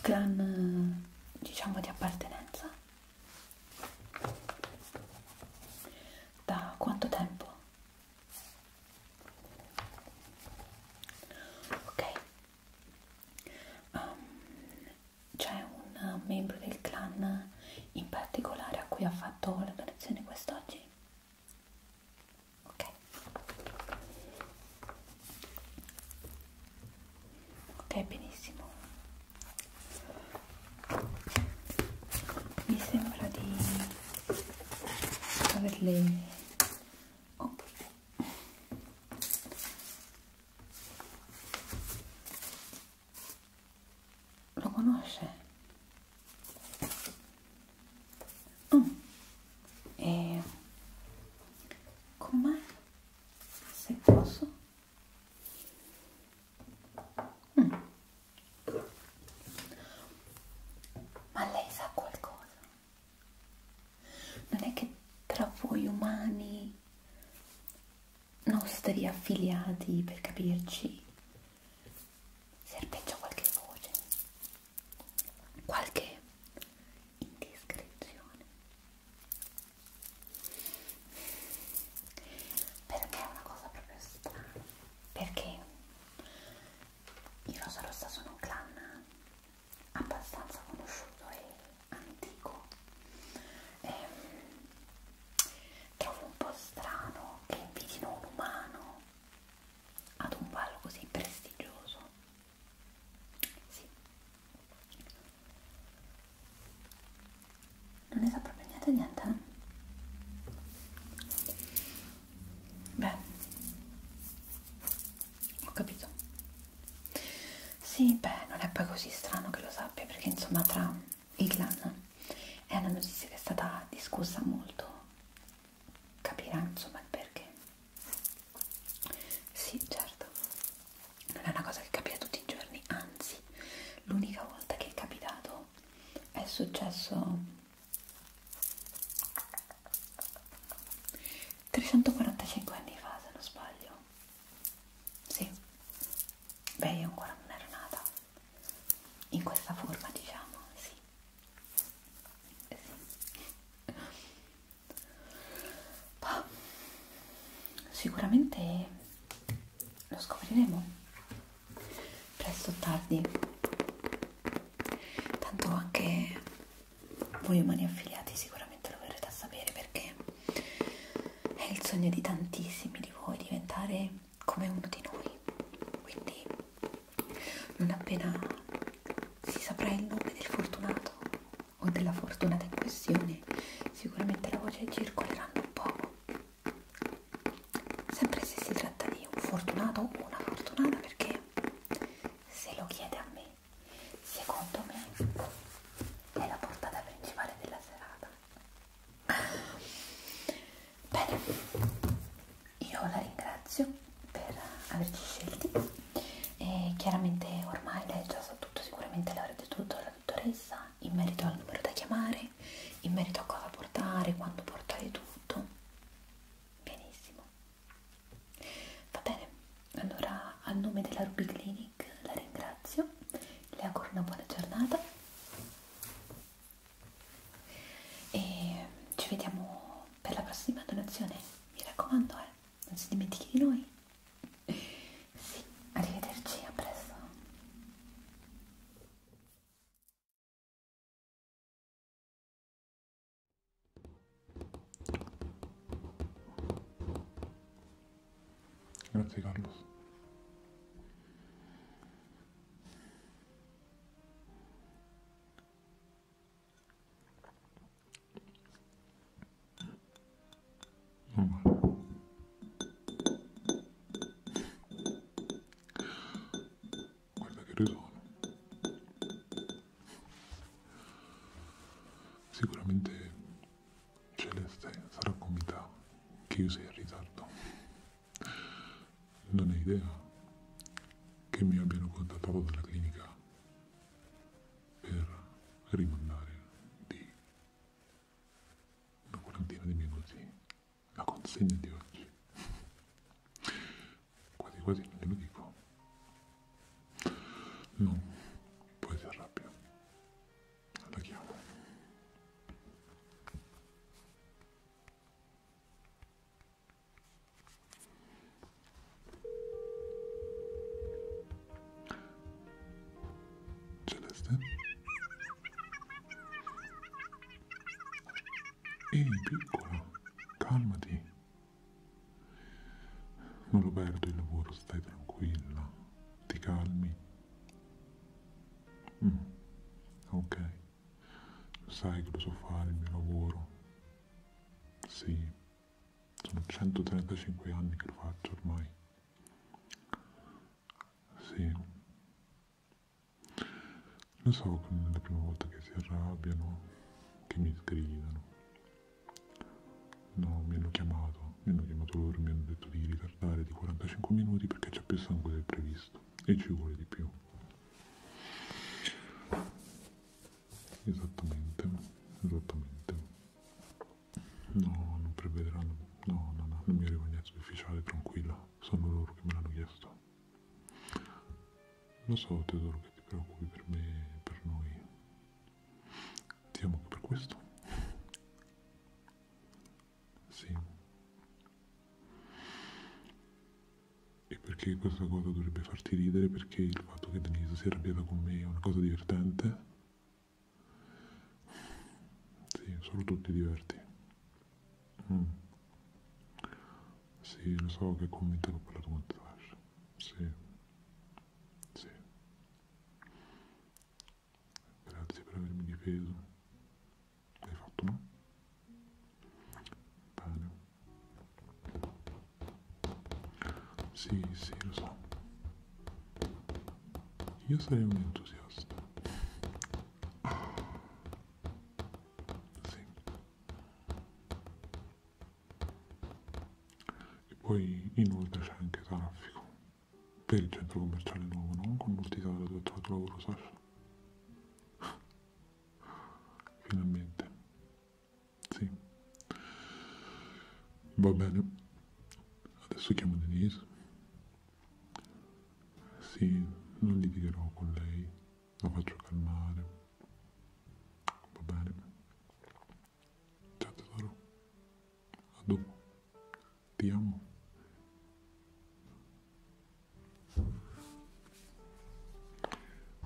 Clan, diciamo, di appartenenza? Da quanto tempo? Ok, um, c'è un membro del clan in particolare a cui ha fatto la donazione quest'oggi? Ok. Ok, benissimo. Mi sembra di averle... Oh. Lo conosce? Oh. E com'è? Se posso? Mm. Ma lei sa qualcosa? Non è che tra voi umani nostri affiliati per capirci serpeggia qualche voce qualche indiscrezione per me è una cosa proprio strana perché i Rosa Rossa sono un clan abbastanza conosciuto e antico e, ehm, trovo un po' strano che invidino un umano ad un ballo così prestigioso sì non ne sa proprio niente niente eh? beh ho capito sì, beh, non è poi così strano che lo sappia, perché insomma tra il clan è una notizia che è stata discussa molto, capirà insomma il perché. Sì, certo, non è una cosa che capita tutti i giorni, anzi, l'unica volta che è capitato è successo 345 anni fa, se non sbaglio sì, beh io ancora non ero nata in questa forma diciamo, sì. sì. Bah, sicuramente lo scopriremo presto o tardi. Tanto anche voi umani affiliati sicuramente lo verrete a sapere perché è il sogno di tantissimi di voi diventare come uno di noi quindi non appena si saprà il nome del fortunato o della fortunata in questione sicuramente la voce circoleranno un poco sempre se si tratta di un fortunato o una fortunata perché se lo chiede a me secondo me è la portata principale della serata Bene, io la ringrazio per averci scelti e chiaramente ormai lei già sa tutto, sicuramente l'avrà detto tutto alla dottoressa in merito al numero da chiamare, in merito a cosa portare, quando portare tutto. Benissimo. Va bene, allora a nome della Ruby Clinic Nick, la ringrazio, le auguro una buona giornata e ci vediamo per la prossima donazione, mi raccomando, eh, non si dimentichi di noi. Sì, arrivederci, a presto.
Gracias, Carlos. Guarda que ridono. Seguramente Celeste sarà convinta che io sia in ritardo. Non hai idea che mi abbiano contattato dalla clinica per rimandare di una quarantina di minuti la consegna di oggi. Quasi quasi non glielo dico. No, poi si arrabbia. Allarghiamo. Celeste. Ehi, piccola, calmati. Non lo perdo il lavoro, stai tranquilla. Ti calmi. Mm. Ok, sai che lo so fare il mio lavoro. Sì, sono 135 anni che lo faccio ormai. Sì. Lo so che non è la prima volta che si arrabbiano, che mi sgridano. No, mi hanno chiamato, mi hanno chiamato loro, mi hanno detto di ritirare parlare di 45 minuti perché c'è più sangue del previsto e ci vuole di più esattamente esattamente no non prevederanno no no no non mi arriva niente di ufficiale tranquilla sono loro che me l'hanno chiesto lo so Teodoro che ti preoccupi per me e per noi ti amo anche per questo sì. E perché questa cosa dovrebbe farti ridere? Perché il fatto che Denise sia arrabbiata con me è una cosa divertente? Sì, solo tu ti diverti. Mm. Sì, lo so che con me te l'ho parlato con Tasha. Sì. Sì. Grazie per avermi difeso. Hai fatto no? Bene. Sì, sì, lo so. Io sarei un entusiasta. Sì. E poi inoltre c'è anche traffico per il centro commerciale nuovo, non con l'orticola dove ho trovato lavoro, Sasha. Finalmente. Sì. Va bene. Adesso chiamo Denise. Sì, non litigherò con lei. La faccio calmare. Va bene. Ciao tesoro. A dopo. Ti amo.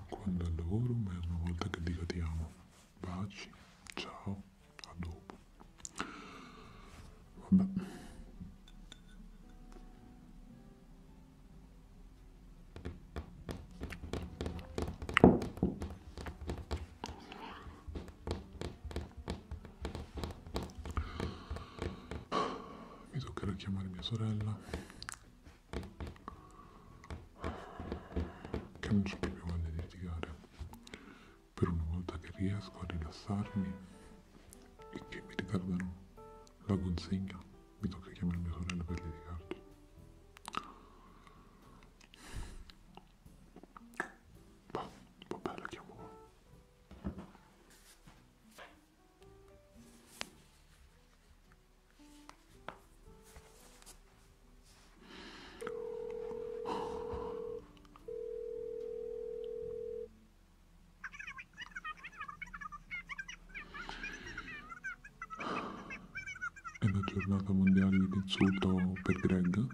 Quando è al lavoro, ma è una volta che dico ti amo. Baci, ciao, a dopo. Vabbè. Mi toccherà chiamare mia sorella. Che non c'è proprio voglia di litigare. Per una volta che riesco a rilassarmi e che mi ritardano la consegna, mi tocca chiamare mia sorella per litigarci. Bah, vabbè, boh, la chiamo qua. È la giornata mondiale di insulto per Greg?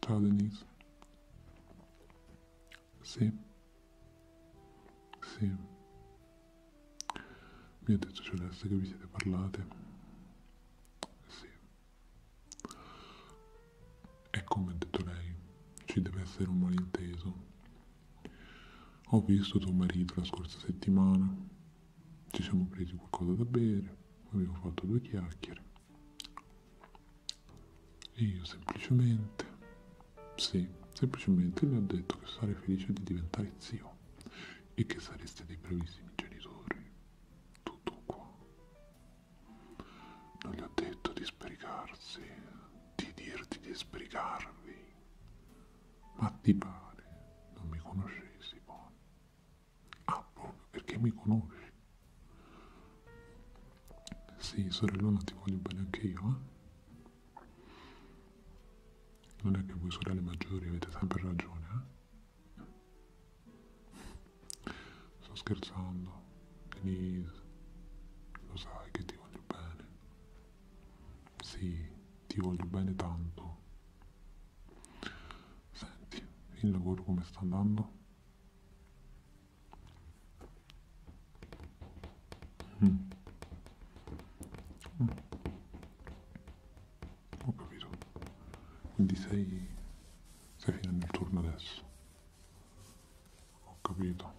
Ciao Denise. Sì, sì, mi ha detto Celeste che vi siete parlate. Sì. E come ha detto lei, ci deve essere un malinteso. Ho visto tuo marito la scorsa settimana, ci siamo presi qualcosa da bere, abbiamo fatto due chiacchiere. E io semplicemente, sì, semplicemente le ho detto che sarei felice di diventare zio e che sareste dei bravissimi genitori. Tutto qua. Non gli ho detto di sbrigarsi, di dirti di sbrigarvi. Ma ti pare, non mi conoscessi, poi. Apple, ah, oh, perché mi conosci? Sì, sorellona, ti voglio bene anche io, eh? Non è che voi sorelle maggiori avete sempre ragione, eh? Sto scherzando, Denise, lo sai che ti voglio bene. Sì, ti voglio bene tanto. Senti, il lavoro come sta andando? Mm. Mm. Ho capito. Quindi sei... sei fino al turno adesso. Ho capito.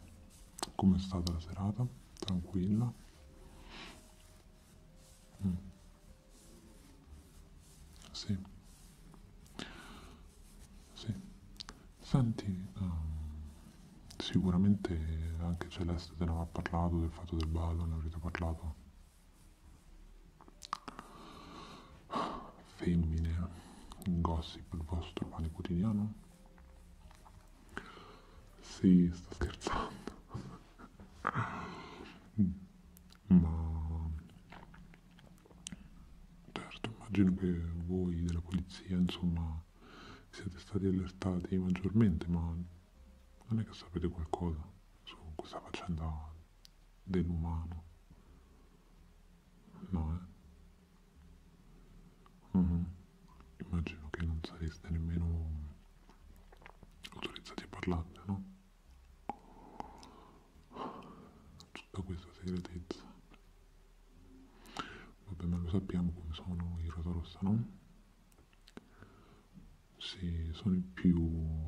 Com'è stata la serata? Tranquilla? Mm. Sì. Sì. Senti, um, sicuramente anche Celeste te ne aveva parlato del fatto del ballo, ne avrete parlato. Femmine, gossip, il vostro pane quotidiano? Sì, sto scherzando. Mm. Ma Certo, immagino che voi della polizia, insomma, siete stati allertati maggiormente, ma non è che sapete qualcosa su questa faccenda dell'umano. No, eh? Mm-hmm. Immagino che non sareste nemmeno autorizzati a parlarne, no? tutta questa segretezza. Vabbè, ma lo sappiamo come sono i Rosorossa, no? Se sono i più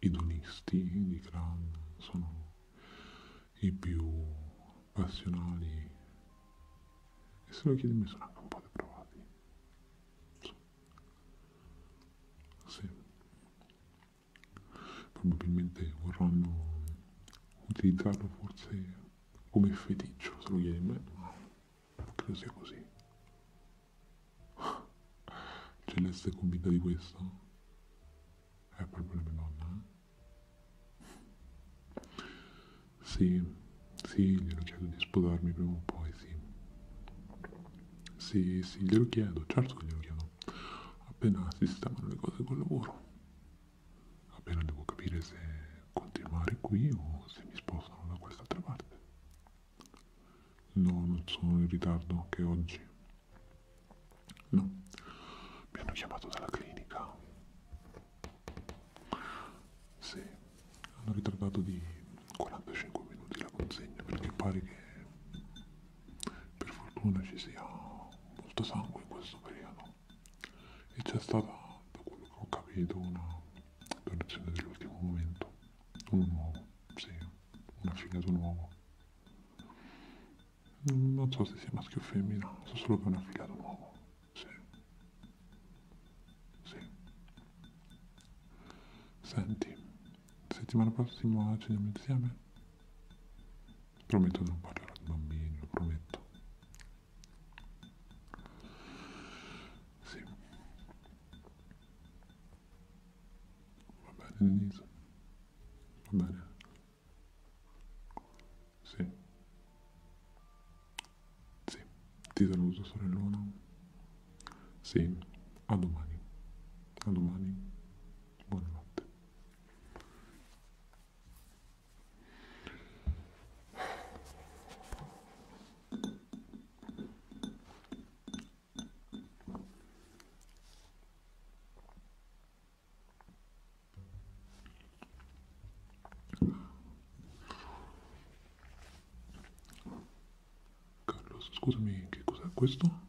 idonisti di clan, sono i più passionali. E se lo chiedi mi sono anche un po' deprovati. Sì probabilmente vorranno utilizzarlo forse come feticcio, se lo chiedi a me, credo sia così. Celeste è convinta di questo? È proprio la mia nonna, eh? Sì, sì, glielo chiedo di sposarmi prima o poi, sì. Sì, sì, glielo chiedo, certo che glielo chiedo appena sistemano le cose col lavoro appena devo capire se continuare qui o se mi spostano da quest'altra parte no non sono in ritardo che oggi no mi hanno chiamato dalla clinica sì hanno ritardato di 45 minuti la consegna perché pare che per fortuna ci sia molto sangue in questo periodo e c'è stata, da quello che ho capito, una donazione dell'ultimo momento, uno nuovo, sì, un affiliato nuovo. Non so se sia maschio o femmina, so solo che è un affiliato nuovo, sì. Sì. Senti, settimana prossima ceniamo insieme? Prometto che non parlerò di bambini, lo prometto. Sì. Va bene, Denise. Va bene. Sì. Sì. Ti saluto, sorellona. Sì. A domani. A domani. Buonanotte. Carlos, scusami, che cos'è questo?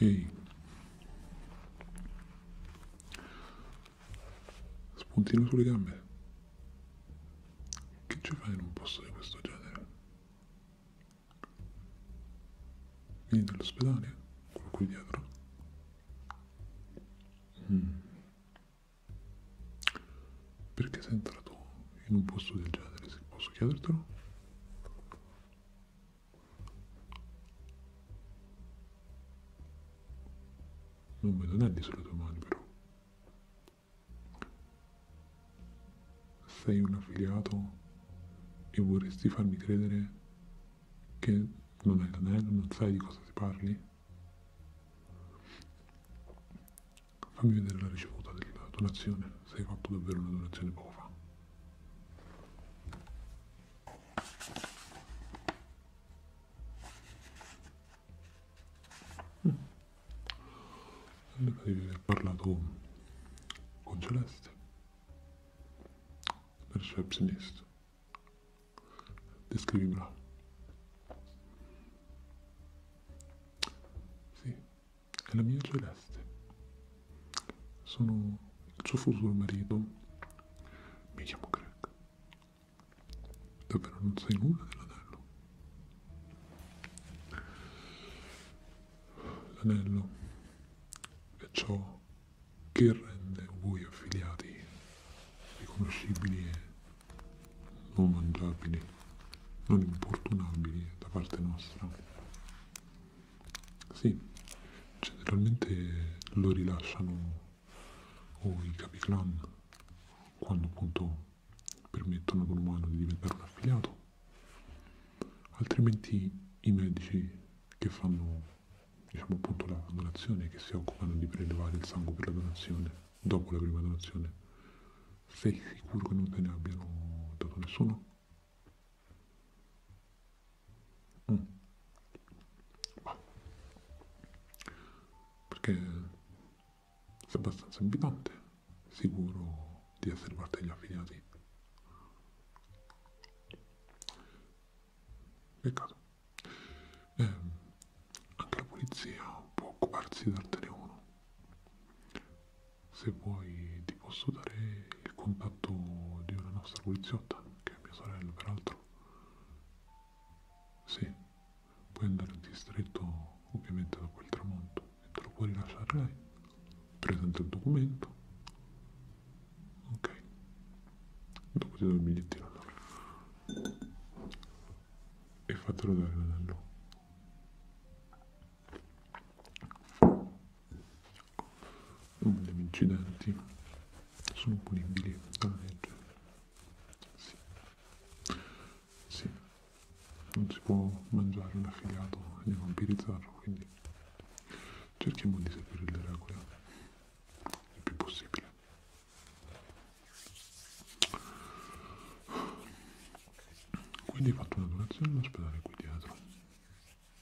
Ehi. Spuntino sulle gambe. Che ci fai in un posto di questo genere? Vieni dall'ospedale? Quello qui dietro? Mm. Perché sei entrato in un posto del genere, se posso chiedertelo? Non me lo dà sulle tue mani però. Sei un affiliato e vorresti farmi credere che non hai l'anello, non sai di cosa si parli? Fammi vedere la ricevuta della donazione, se hai fatto davvero una donazione poco fa. Sembra di aver parlato con Celeste, receptionist. Descrivimela. Sì, è la mia celeste. Sono il suo futuro marito. Mi chiamo Greg. Davvero non sai nulla dell'anello. L'anello è ciò che rende voi affiliati riconoscibili e non mangiabili, non importunabili da parte nostra. Sì, generalmente lo rilasciano o i capi clan quando appunto permettono ad un umano di diventare un affiliato, altrimenti i medici che fanno diciamo appunto la donazione, che si occupano di prelevare il sangue per la donazione, dopo la prima donazione, sei sicuro che non te ne abbiano dato nessuno? Mm. Perché sei abbastanza invitante, sicuro di essere parte degli affiliati. Peccato. Eh, anche la polizia può occuparsi del telefono. Se vuoi ti posso dare il contatto di una nostra poliziotta, che è mia sorella peraltro. Sì, puoi andare in distretto ovviamente dopo il tramonto e te lo puoi rilasciare lei. Presenta il documento. Ok. Dopo ti do il bigliettino allora. E fatelo dare l'anello come gli incidenti sono punibili dalla ah, legge. Sì. sì, non si può mangiare un affiliato e vampirizzarlo, quindi cerchiamo di seguire le regole il più possibile. Quindi ho fatto una donazione all'ospedale qui dietro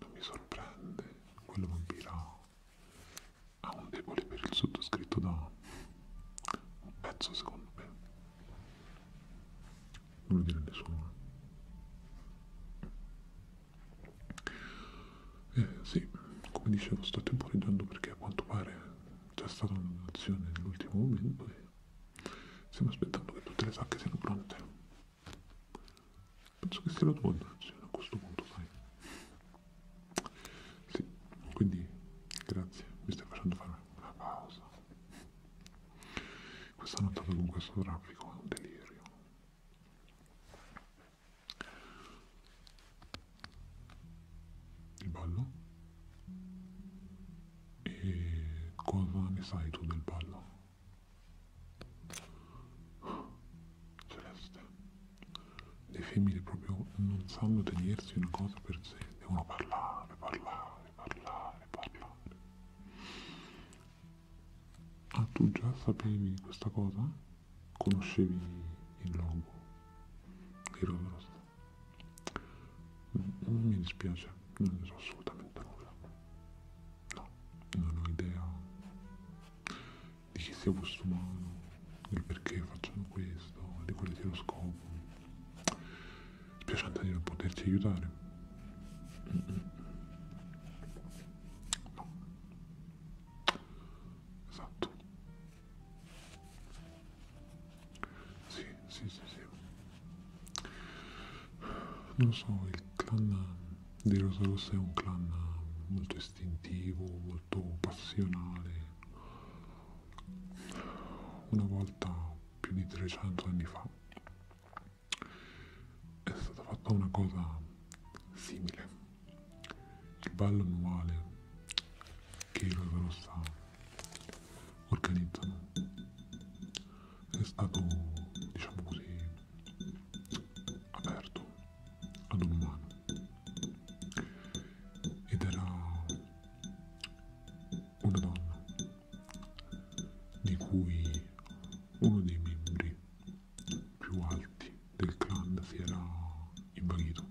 non mi sorprende, quello vampiro ha un debole per il sottoscritto da un pezzo secondo me. Non lo dire nessuno. Eh sì, come dicevo sto temporeggiando perché a quanto pare c'è stata una donazione nell'ultimo momento e stiamo aspettando che tutte le sacche siano pronte penso che sia la tua andazione a questo punto sai sì quindi grazie mi stai facendo fare una pausa questa nottata con questo traffico è un delirio il ballo e cosa ne sai tu del ballo Celeste, le femmine proprio non sanno tenersi una cosa per sé, devono parlare, parlare, parlare, parlare. Ah, tu già sapevi questa cosa? Conoscevi il logo di Roverost? Mi dispiace, non ne so assolutamente nulla. No, non ho idea di chi sia quest'umano, del perché facciano questo, di quale sia lo scopo. Spiacente di non poterti aiutare. No. Esatto. Sì, sì, sì, sì. Non so, il clan di Rosa Rossa è un clan molto istintivo, molto passionale. Una volta, più di 300 anni fa, è stata fatta una cosa simile. Il ballo annuale che i Rosa Rossa organizzano è stato, diciamo così, aperto ad un umano ed era una donna di cui uno dei membri più alti del clan si era invaghito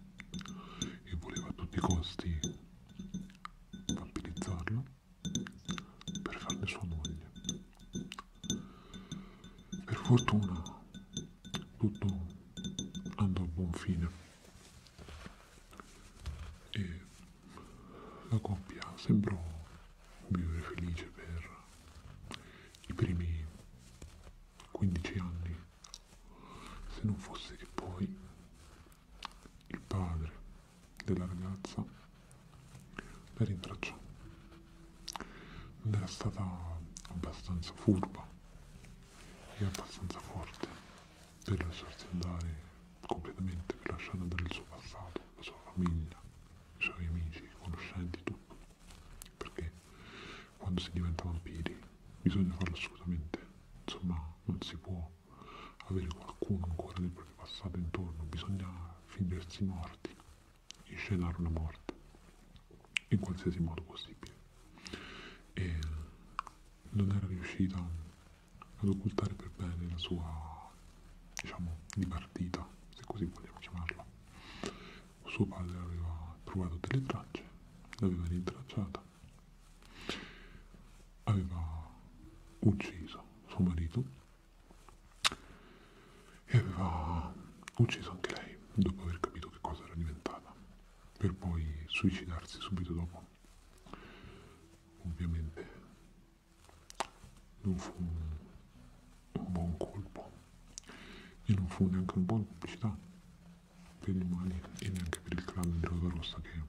e voleva a tutti i costi vampirizzarlo per farne sua moglie per fortuna tutto andò a buon fine e la coppia sembrò vivere felice per i primi 15 anni, se non fosse che poi il padre della ragazza la rintracciò ed era stata abbastanza furba e abbastanza forte per lasciarsi andare completamente, per lasciare andare il suo passato, la sua famiglia, i suoi amici, i conoscenti, tutto. Perché quando si diventa vampiri bisogna farlo assolutamente, insomma non si può avere qualcuno ancora del proprio passato intorno, bisogna finirsi morti di scenare una morte, in qualsiasi modo possibile. E non era riuscita ad occultare per bene la sua, diciamo, dipartita, se così vogliamo chiamarla. Suo padre aveva trovato delle tracce, l'aveva rintracciata, aveva ucciso suo marito e aveva ucciso anche lei dopo aver capito che cosa era diventata per poi suicidarsi subito dopo ovviamente non fu un buon colpo e non fu neanche una buona pubblicità per i mali e neanche per il clan di Rosa Rossa che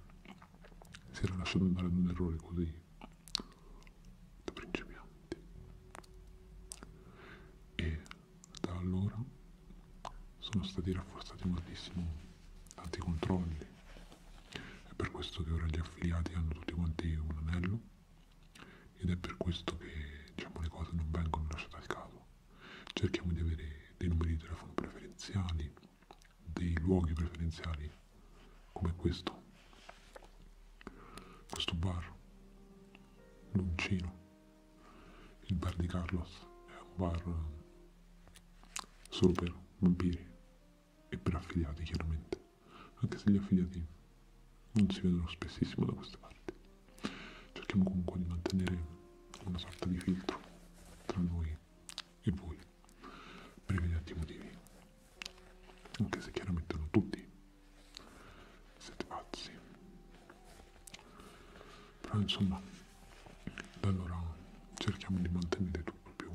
si era lasciato andare ad un errore così
da principiante avanti.
E da allora sono stati rafforzati moltissimo tanti controlli. È per questo che ora gli affiliati hanno tutti quanti un anello ed è per questo che diciamo, le cose non vengono lasciate al caso. Cerchiamo di avere dei numeri di telefono preferenziali, dei luoghi preferenziali come questo, questo bar Luncino. Il bar di Carlos è un bar eh, solo per vampiri e per affiliati chiaramente, anche se gli affiliati non si vedono spessissimo da queste parti. Cerchiamo comunque di mantenere una sorta di filtro tra noi e voi per evidenti motivi, anche se chiaramente non tutti siete pazzi. Però insomma, da allora cerchiamo di mantenere tutto più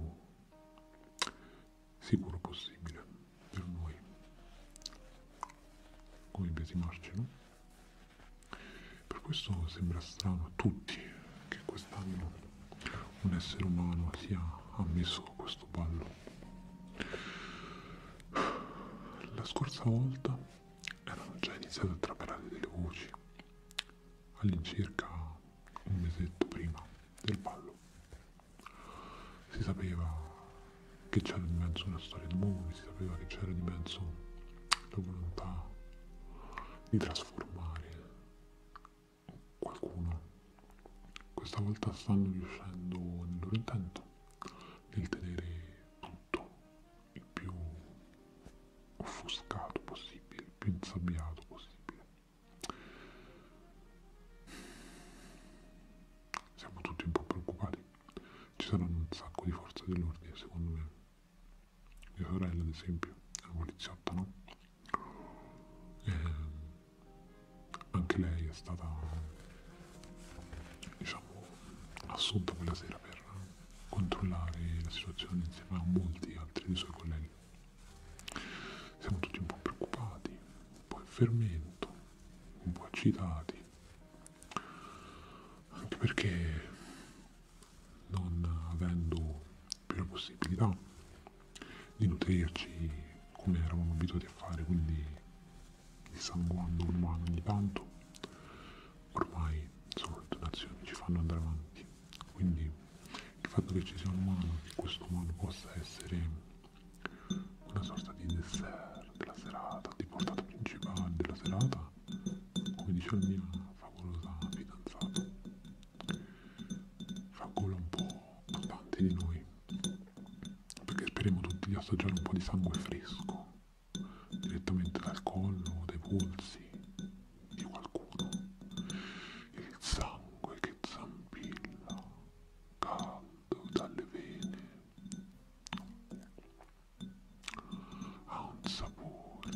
sicuro possibile per noi, come biasimarci, no? Per questo sembra strano a tutti che quest'anno un essere umano sia ammesso a questo ballo la scorsa volta erano già iniziate a trapelare delle voci, all'incirca un mesetto prima del ballo. Si sapeva che c'era di mezzo una storia d'amore, si sapeva che c'era di mezzo la volontà di trasformare qualcuno. Questa volta stanno riuscendo nel loro intento nel tenere tutto il più offuscato possibile, il più insabbiato possibile. Siamo tutti un po' preoccupati. Ci saranno un sacco di forze dell'ordine, secondo me. Mia sorella, ad esempio, è una poliziotta, no? Ehm, e anche lei è stata diciamo assunta quella sera per controllare la situazione insieme a molti altri dei suoi colleghi. Siamo tutti un po' preoccupati, un po' in fermento, un po' agitati, anche perché non avendo più la possibilità di nutrirci come eravamo abituati a fare, quindi di San quanto ormai ogni tanto ormai solo le donazioni ci fanno andare avanti quindi il fatto che ci sia un umano che questo umano possa essere una sorta di dessert della serata di portata principale della serata come dice il mio favolosa fidanzata fa gola un po' a tanti di noi perché speriamo tutti di assaggiare un po' di sangue fresco direttamente dal collo o dai polsi di qualcuno. Il sangue che zampilla, caldo dalle vene, ha un sapore,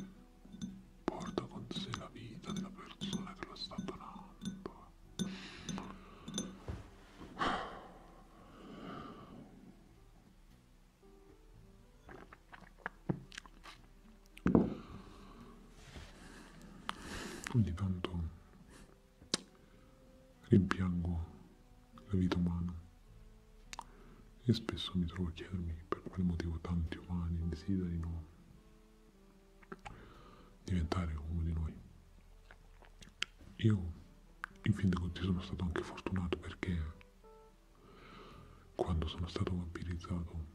porta con sé la vita della persona che lo sta donando. Ogni tanto rimpiango la vita umana e spesso mi trovo a chiedermi per quale motivo tanti umani desiderino diventare uno di noi. Io, in fin dei conti, sono stato anche fortunato perché quando sono stato vampirizzato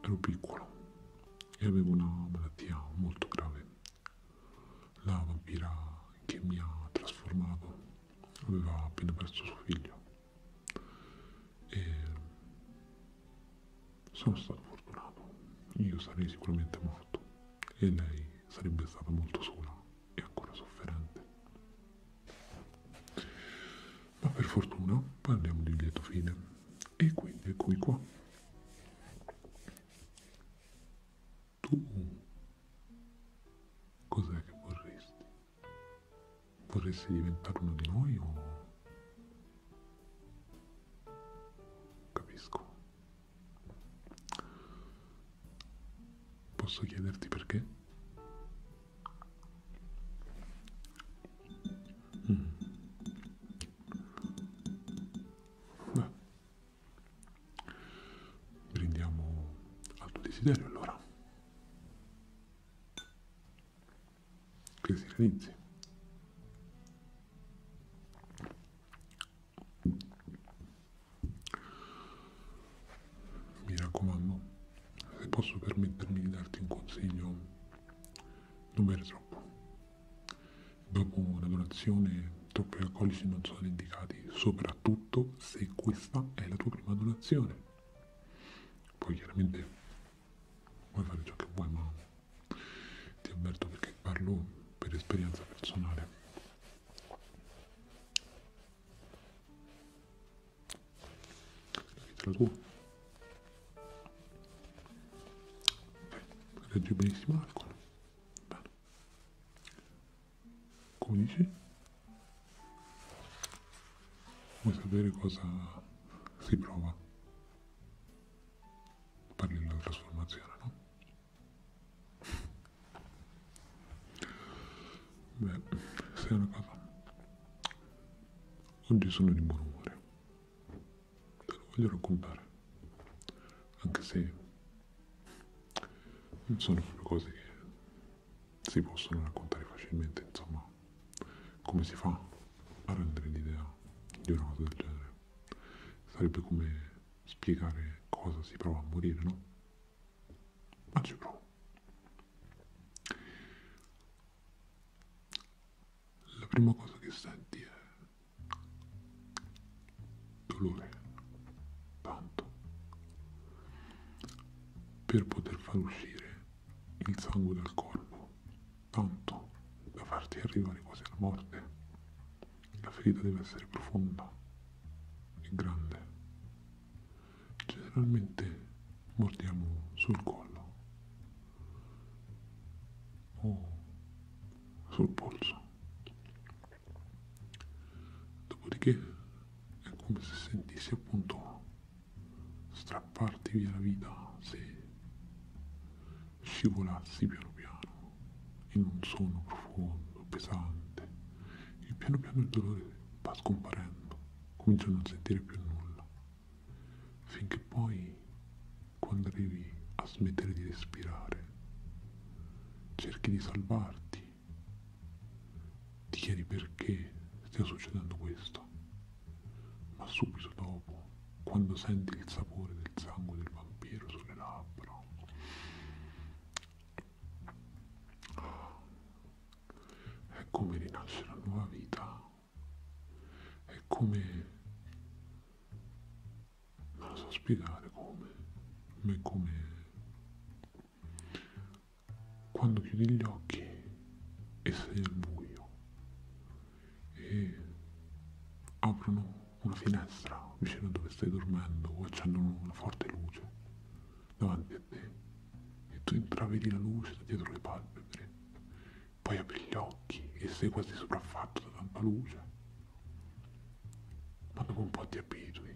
ero piccolo e avevo una malattia molto grave. La vampira che mi ha trasformato aveva appena perso suo figlio e sono stato fortunato. Io sarei sicuramente morto e lei sarebbe stata molto sola e ancora sofferente. Ma per fortuna parliamo di un lieto fine e quindi eccomi qua. Tu cos'è che vorresti? Vorresti diventare uno di noi o... Capisco, Posso chiederti perché? Mm. Beh. Brindiamo al tuo desiderio allora. Che si realizzi. Mi raccomando, se posso permettermi di darti un consiglio, non bere troppo. Dopo una donazione troppi alcolici non sono indicati, soprattutto se questa è la tua prima donazione. Poi chiaramente puoi fare ciò che vuoi, ma ti avverto perché parlo per esperienza personale. Capitolo 2. Regge benissimo l'alcol. Bene. Come dici? Vuoi sapere cosa si prova? Parli della trasformazione, no? Beh, sei una cosa. Oggi sono di buon umore. Te lo voglio raccontare. Anche se non sono proprio cose che si possono raccontare facilmente, insomma. Come si fa a rendere l'idea di una cosa del genere? Sarebbe come spiegare cosa si prova a morire, no?
ma giuro. La prima
cosa che senti è dolore, tanto, per poter far uscire il sangue dal corpo, tanto da farti arrivare quasi alla morte. La ferita deve essere profonda e grande. Generalmente mordiamo sul collo o sul polso. Dopodiché è come se sentissi appunto strapparti via la vita se scivolassi piano piano in un sonno profondo, pesante, e piano piano il dolore va scomparendo, comincio a non sentire più nulla, finché poi, quando arrivi a smettere di respirare, cerchi di salvarti, ti chiedi perché stia succedendo questo, ma subito dopo, quando senti il sapore del sangue del vampiro sulle labbra, è come rinasce la nuova vita. È come... non lo so spiegare come. Ma è come... Quando chiudi gli occhi e sei al buio e aprono una finestra vicino a dove stai dormendo o accendono una forte luce davanti a te e tu intravedi la luce da dietro le palpebre, poi apri gli occhi e sei quasi sopraffatto da tanta luce, ma dopo un po' ti abitui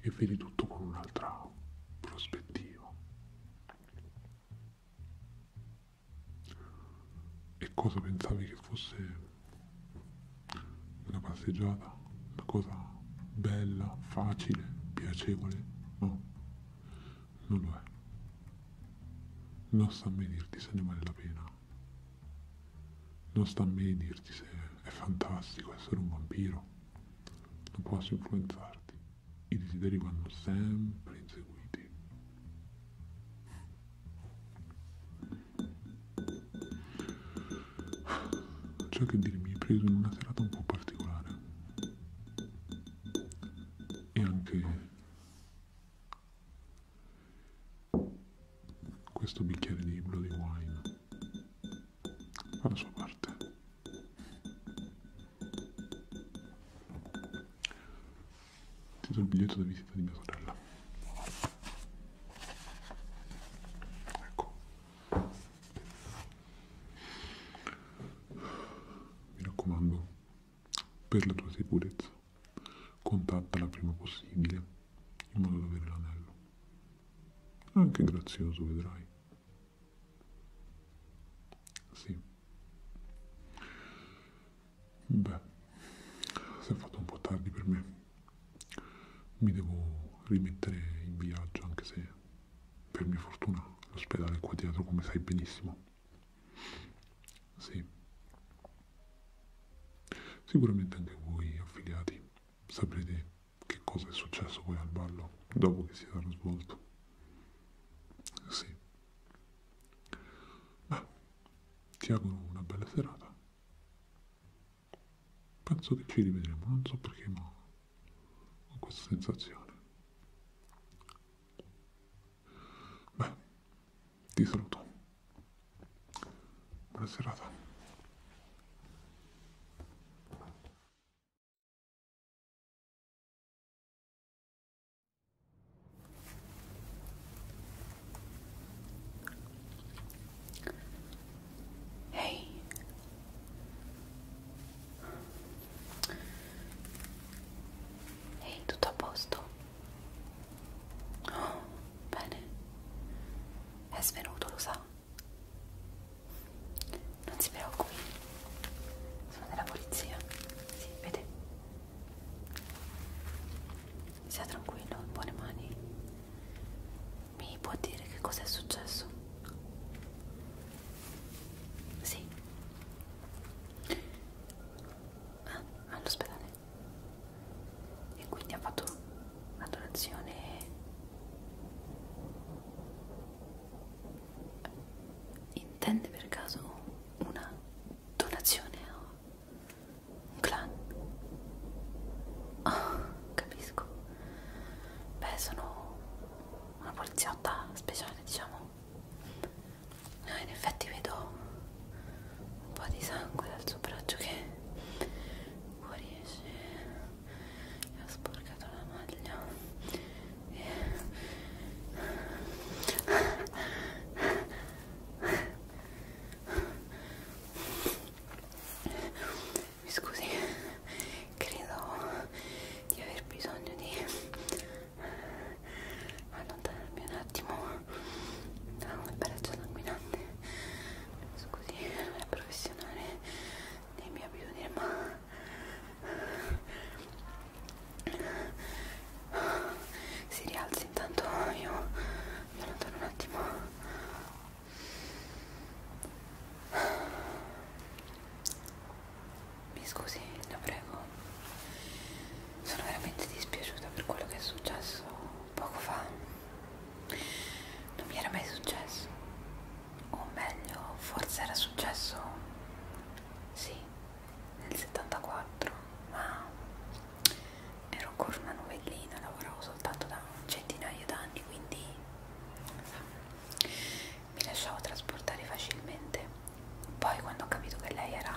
e vedi tutto con un'altra prospettiva. E cosa pensavi che fosse una passeggiata, una cosa bella, facile, piacevole, no, non lo è. Non sta a me dirti se ne vale la pena. Non sta a me dirti se è fantastico essere un vampiro. Non posso influenzarti. I desideri vanno sempre inseguiti. Ciò che dire mi è preso in una serata un po' particolare e anche questo bicchiere di Bloody Wine fa la sua parte. Ti do il biglietto da visita di mia sorella. Ecco, mi raccomando, per la tua sicurezza, contattala prima possibile, in modo da avere l'anello. È anche grazioso, vedrai. Sì. Beh, si è fatto un po' tardi per me mi devo rimettere in viaggio anche se per mia fortuna l'ospedale è qua dietro come sai benissimo sì sicuramente anche voi affiliati saprete che cosa è successo poi al ballo dopo che si sarà svolto sì beh ti auguro una bella serata penso che ci rivedremo, non so perché, ma ho questa sensazione. Beh, ti saluto.
Buona serata.
Ehi, hey. hey, tutto a posto? Oh, bene, è svenuto, lo sa? Non si preoccupi, sono della polizia, si vede? Sia tranquillo, in buone mani. Mi può dire che cosa è successo? Sì. Ah, all'ospedale. E quindi ha fatto una donazione intende per caso una donazione a un clan? Oh, capisco beh sono una poliziotta speciale diciamo no, in effetti vedo un po' di sangue dal suo braccio che fuoriesce e ha sporcato la maglia e mi scusi credo di aver bisogno di allontanarmi un attimo da un pareggio sanguinante scusi non è professionale nei miei abitudini ma si rialzi intanto io mi allontano un attimo mi scusi, la prego. Sono veramente dispiaciuta per quello che è successo poco fa. Non mi era mai successo. O meglio, forse era successo. Sì, nel 74, ma ero ancora una novellina, lavoravo soltanto da centinaia d'anni, quindi mi lasciavo trasportare facilmente poi quando ho capito che lei era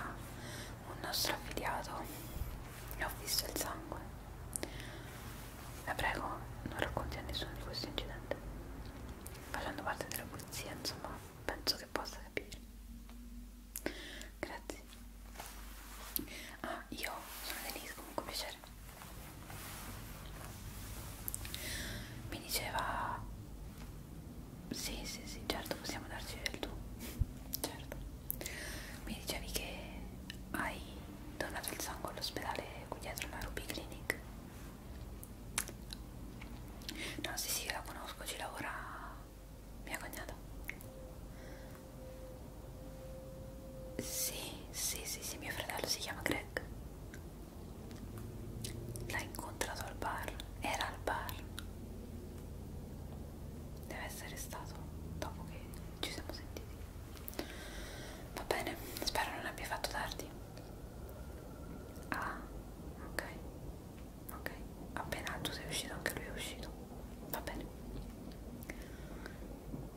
un nostro affiliato e ho visto il sangue la prego non racconti a nessuno di questo incidente facendo parte della polizia insomma penso che possa capire grazie ah io sono Denise comunque piacere essere mi diceva sì sì sì certo possiamo darci del tu certo mi dicevi che hai donato il sangue all'ospedale qui dietro la Ruby Clinic no sì sì la conosco ci lavora mia cognata sì sì sì sì mio fratello si chiama Greg Jack l'ha incontrato al bar, era al bar deve essere stato dopo che ci siamo sentiti va bene, spero non abbia fatto tardi ah, ok ok, appena tu sei uscito anche lui è uscito va bene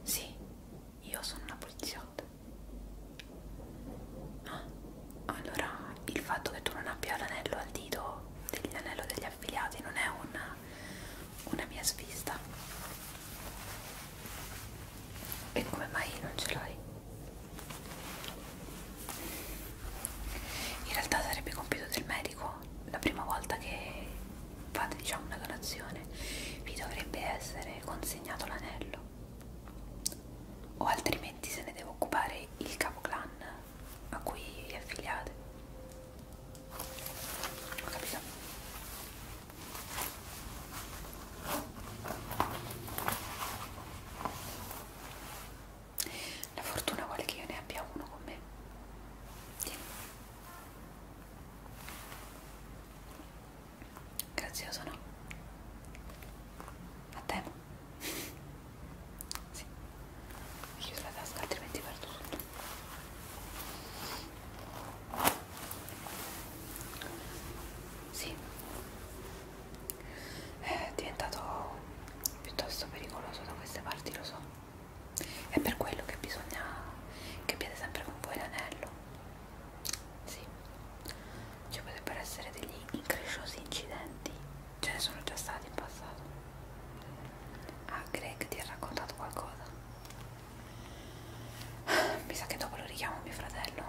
sì, io sono una poliziotta background ah, allora il fatto che tu non abbia l'anello al dito dell'anello degli affiliati non è una, una mia svista e come mai non ce l'hai? in realtà sarebbe compito del medico la prima volta che fate diciamo una donazione vi dovrebbe essere consigliato assegnato l'anello o altrimenti se ne deve occupare il capoclan a cui è affiliate ho capito la fortuna vuole che io ne abbia uno con me Tieni. Grazioso, no? A te? sì. Mi chiuso la tasca, altrimenti perdo tutto. Sì. È diventato piuttosto pericoloso da queste parti, lo so. È per quello che bisogna che abbiate sempre con voi l'anello sì, ci potrebbero essere degli incresciosi incidenti, ce ne sono già stati in passato. Ah, Greg ti ha raccontato qualcosa? Mi sa che dopo lo richiamo mio fratello,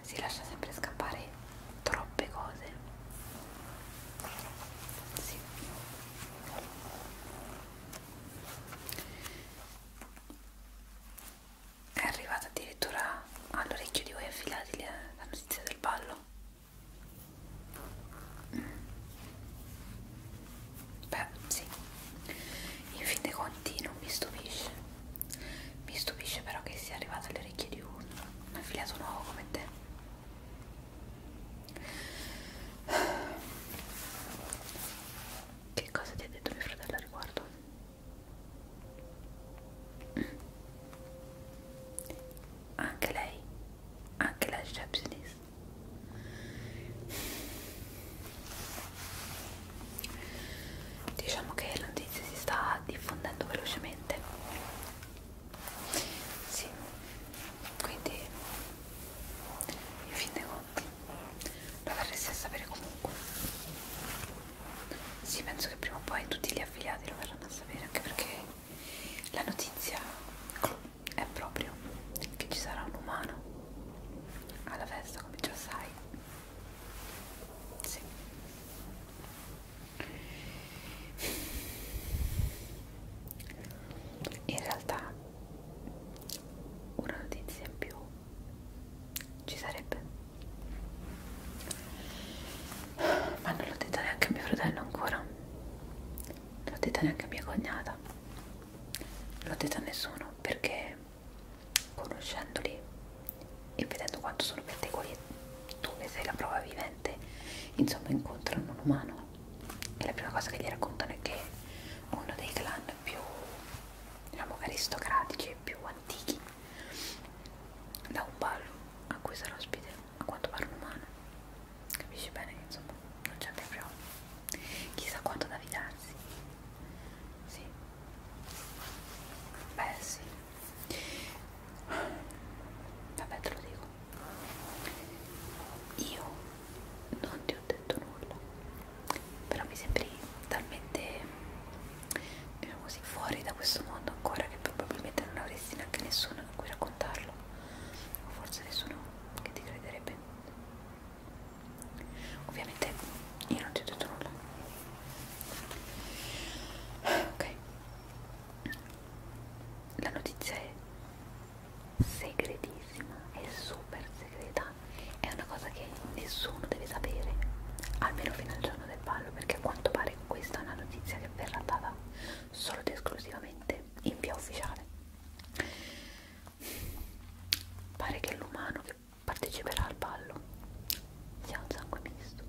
si lascia sempre scappare troppe cose. Sì è arrivata addirittura all'orecchio di voi affilati la notizia del ballo mm. beh sì in fin dei conti non mi stupisce mi stupisce però che sia arrivato alle orecchie di un affiliato nuovo come te che cosa ti ha detto mio fratello al riguardo? Anche lei, anche la receptionist. Diciamo che la notizia si sta diffondendo velocemente. Sì, quindi, in fin dei conti lo verresti a sapere comunque sì penso che prima o poi tutti gli affiliati lo verranno a sapere anche perché la notizia è proprio che ci sarà un umano alla festa come già sai sì in realtà una notizia in più ci sarebbe ma non l'ho detta neanche a mio fratello ancora non l'ho detta neanche a mia cognata non l'ho detta a nessuno perché conoscendoli e vedendo quanto sono pettegoli tu ne sei la prova vivente insomma incontrano un umano e la prima cosa che gli raccontano è che uno dei clan più diciamo aristocratici e più antichi da un ballo a cui sarà ospite a quanto pare un umano capisci bene che insomma non c'è proprio chissà quanto da fidarsi sì beh sì vabbè te lo dico io non ti ho detto nulla però mi sembri talmente diciamo così fuori da questo mondo ancora che probabilmente non avresti neanche nessuno a cui raccontarlo o forse nessuno che ti crederebbe ovviamente io non ti ho detto nulla ok la notizia è segretissima è super segreta è una cosa che nessuno deve sapere, almeno fino al giorno del ballo, perché a quanto pare questa è una notizia che verrà data solo ed esclusivamente in via ufficiale. Pare che l'umano che parteciperà al ballo sia un sangue misto.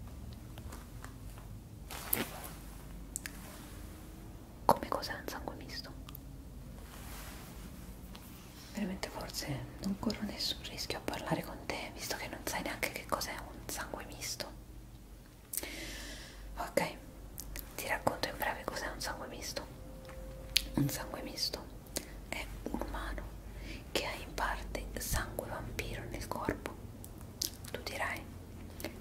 Come cos'è un sangue misto? veramente forse non corro nessun rischio a parlare con te visto che non sai neanche che cos'è un sangue misto ok ti racconto in breve cos'è un sangue misto un sangue misto è un umano che ha in parte sangue vampiro nel corpo tu dirai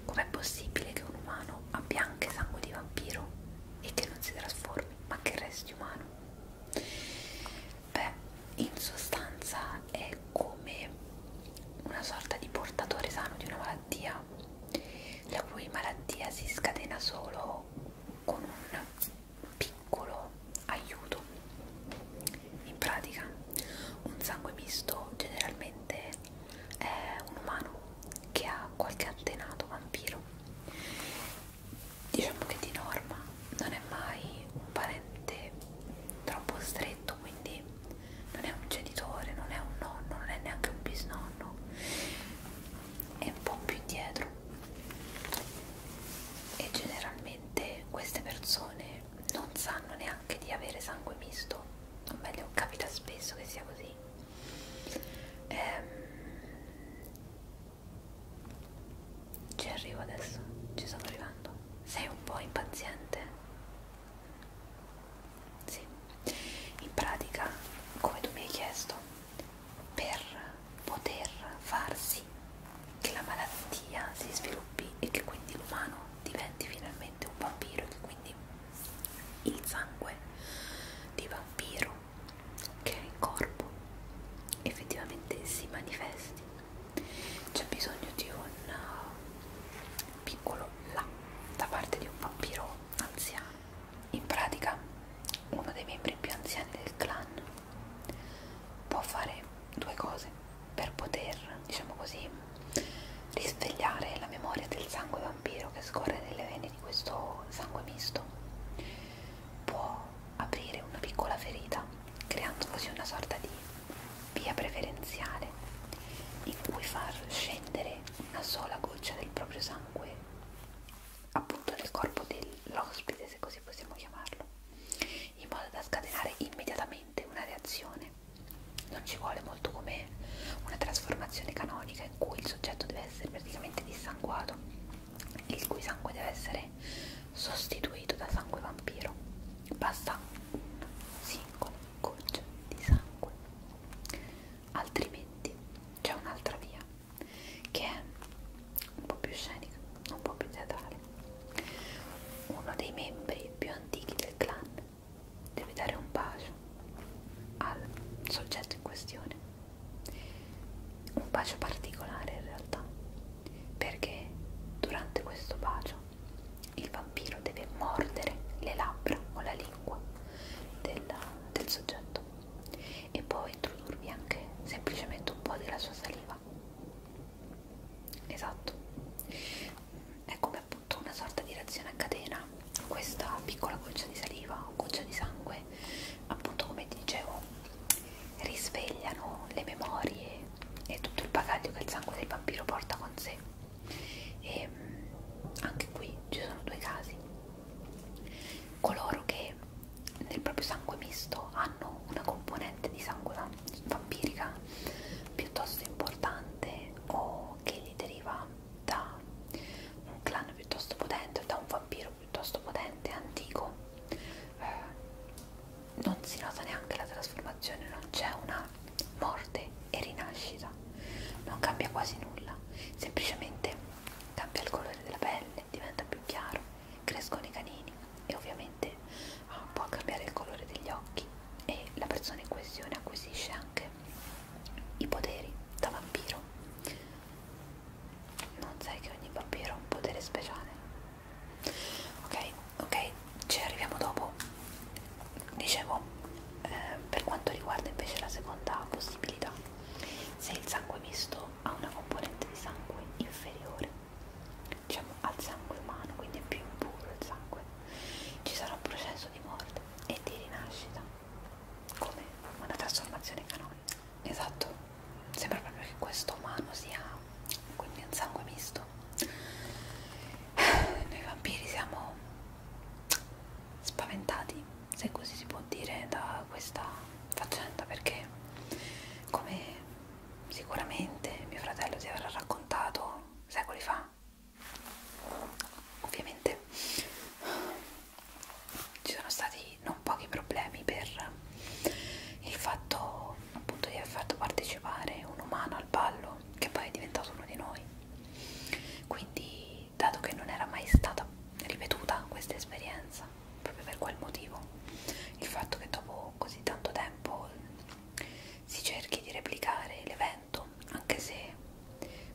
com'è possibile che un umano abbia anche sangue di vampiro e che non si trasformi ma che resti umano Beh, in sostanza è come una sorta di portatore sano di una malattia, la cui malattia si scatena solo con un piccolo aiuto. In pratica, un sangue misto generalmente è un umano che ha qualche antenato vampiro diciamo che di norma non è mai un parente troppo stretto quindi non è un genitore, non è un nonno, non è neanche un bisnonno è un po' più indietro e generalmente queste persone non sanno neanche di avere sangue misto o meglio capita spesso che sia così ehm, ci arrivo adesso, ci sono arrivando. Sei un po' impaziente? Sì. In pratica, come tu mi hai chiesto, per poter far sì che la malattia si sviluppi e che quindi l'umano diventi finalmente un vampiro e che quindi il sangue di vampiro che è il corpo effettivamente si manifesti c'è bisogno di un uh, piccolo là da parte di un vampiro anziano in pratica uno dei membri più anziani del clan può fare due cose per poter diciamo così risvegliare la memoria del sangue vampiro che scorre nelle vene di questo sangue misto può aprire una piccola ferita creando così una sorta di via preferenziale in cui far scendere una sola goccia del proprio sangue appunto nel corpo dell'ospite, se così possiamo chiamarlo, in modo da scatenare immediatamente una reazione. Non ci vuole molto come una trasformazione canonica in cui il soggetto deve essere praticamente dissanguato il cui sangue deve essere sostituito da sangue vampiro basta un singolo goccia di sangue altrimenti c'è un'altra via che è un po' più scenica un po' più teatrale uno dei membri più antichi del clan deve dare un bacio al soggetto in questione un bacio particolare in realtà perché durante questo bacio il vampiro deve mordere le labbra o la lingua della, del soggetto e può introdurvi anche semplicemente un po' della sua saliva. Esatto, è come appunto una sorta di reazione a catena, questa piccola goccia di saliva o goccia di sangue, appunto come dicevo risvegliano le memorie e tutto il bagaglio che il sangue del vampiro porta con sé e ehm, anche qui ci sono due casi coloro che nel proprio sangue misto hanno una componente di sangue vampirica piuttosto importante o che gli deriva da un clan piuttosto potente o da un vampiro piuttosto potente antico eh, non si nota neanche la trasformazione, non c'è una morte e rinascita, non cambia quasi nulla, semplicemente cambia il colore della pelle, diventa più chiaro, crescono i canini e ovviamente ah, può cambiare il colore degli occhi e la persona in questione acquisisce anche i poteri da vampiro. Non sai che ogni vampiro ha un potere speciale? ok ok ci arriviamo dopo dicevo eh, per quanto riguarda invece la seconda possibilità se il sangue misto ha una componente di sangue inferiore diciamo al sangue umano quindi è più impuro il sangue ci sarà un processo di morte e di rinascita come una trasformazione canonica esatto sembra proprio che questo umano sia quindi un sangue misto noi vampiri siamo spaventati se così si può dire da questa faccenda perché come sicuramente mio fratello ti avrà raccontato secoli fa ovviamente ci sono stati non pochi problemi per il fatto appunto di aver fatto partecipare un umano al ballo che poi è diventato uno di noi quindi dato che non era mai stata ripetuta questa esperienza proprio per quel motivo il fatto che dopo così tanto tempo si cerchi di replicare l'evento anche se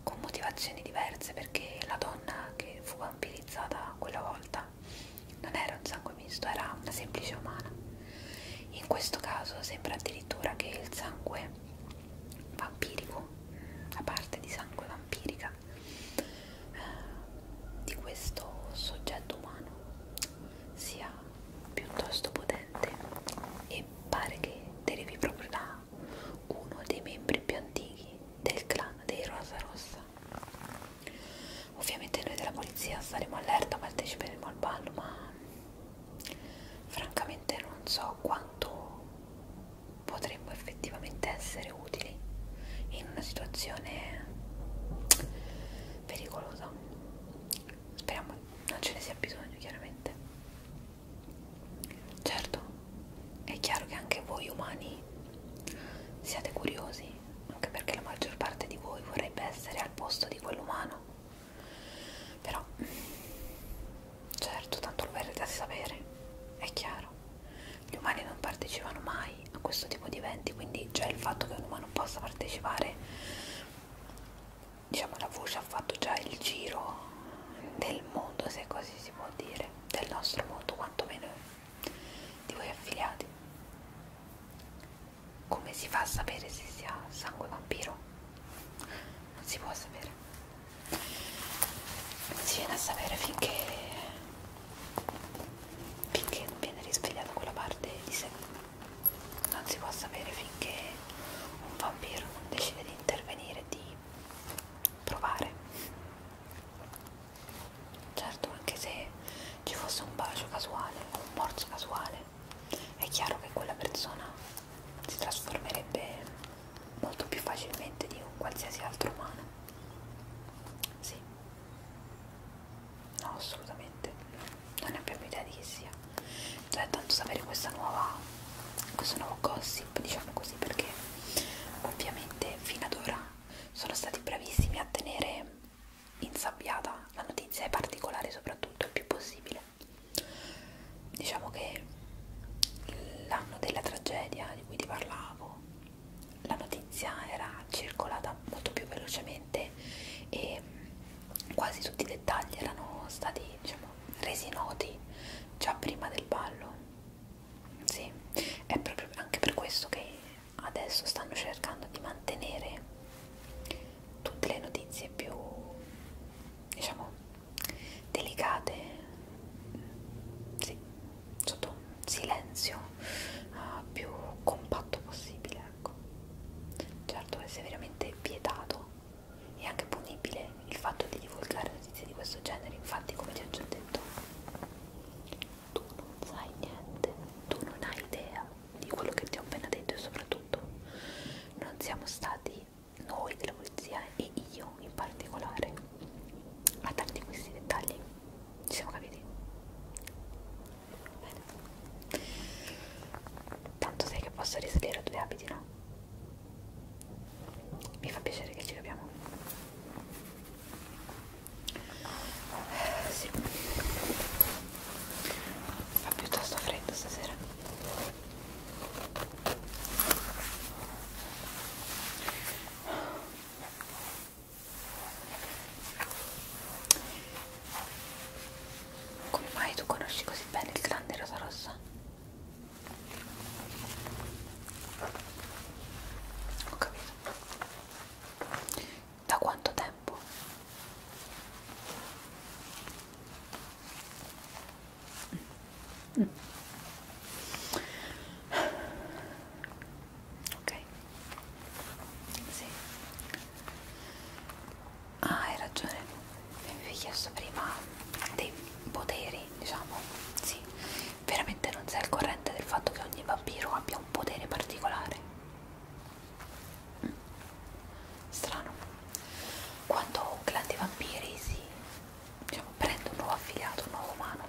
con motivazioni diverse perché la donna che fu vampirizzata quella volta umana non era un sangue misto, era una semplice umana. In questo caso sembra addirittura che il sangue vampirico, la parte di sangue vampirica eh, di questo soggetto umano sia piuttosto potente e pare che derivi proprio da uno dei membri più antichi del clan dei Rosa Rossa Ovviamente noi della polizia saremo allerta, parteciperemo al ballo, ma francamente non so quanto potremmo effettivamente essere utili in una situazione pericolosa. Speriamo non ce ne sia bisogno, chiaramente. Certo, è chiaro che anche voi umani siate curiosi anche perché la maggior parte di voi vorrebbe essere al posto di quell'umano però certo tanto lo verrete a sapere è chiaro gli umani non partecipano mai a questo tipo di eventi quindi già il fatto che un umano possa partecipare diciamo la voce ha fatto già il giro del mondo se così si può dire del nostro mondo quantomeno di voi affiliati come si fa a sapere se sia sangue vampiro? Non si può sapere. Non si viene a sapere finché, finché non viene risvegliata quella parte di sé. Non si può sapere finché un vampiro non decide di intervenire, di provare. Certo, anche se ci fosse un bacio casuale o un morso casuale, è chiaro che quella persona si trasformerebbe molto più facilmente di un qualsiasi altro umano. Sì, no, assolutamente, non ne abbiamo idea di chi sia. Cioè, tanto sapere questa nuova, questo nuovo gossip, diciamo così, perché ovviamente fino ad ora sono stati bravissimi a tenere insabbiata, la notizia è particolare soprattutto il più possibile. Diciamo che l'anno della tragedia di cui ti parlavo, la notizia era circolata molto più velocemente e quasi tutti i dettagli erano stati diciamo, resi noti già prima del ballo. Sì, è proprio anche per questo che adesso stanno cercando di mantenere tutte le notizie più diciamo delicate sì, sotto un silenzio uh, più compatto possibile ecco certo deve essere veramente vietato e anche punibile il fatto di divulgare notizie di questo genere infatti come ti ho già detto tu non sai niente tu non hai idea di quello che ti ho appena detto e soprattutto non siamo stati noi della polizia e io in particolare a darti questi dettagli ci siamo capiti? bene tanto sai che posso risalire a due abiti no? mi fa piacere che ci capiamo sì fa piuttosto freddo stasera come mai tu conosci così bene il grande rosa rossa? Ho capito da quanto tempo? Mm. Ok, sì. Ah, hai ragione. Mi avevi chiesto prima dei poteri, diciamo. Sì, veramente non sei al corrente del fatto che ogni vampiro abbia un potere particolare strano quando un clan di vampiri si diciamo, prende un nuovo affiliato, un nuovo umano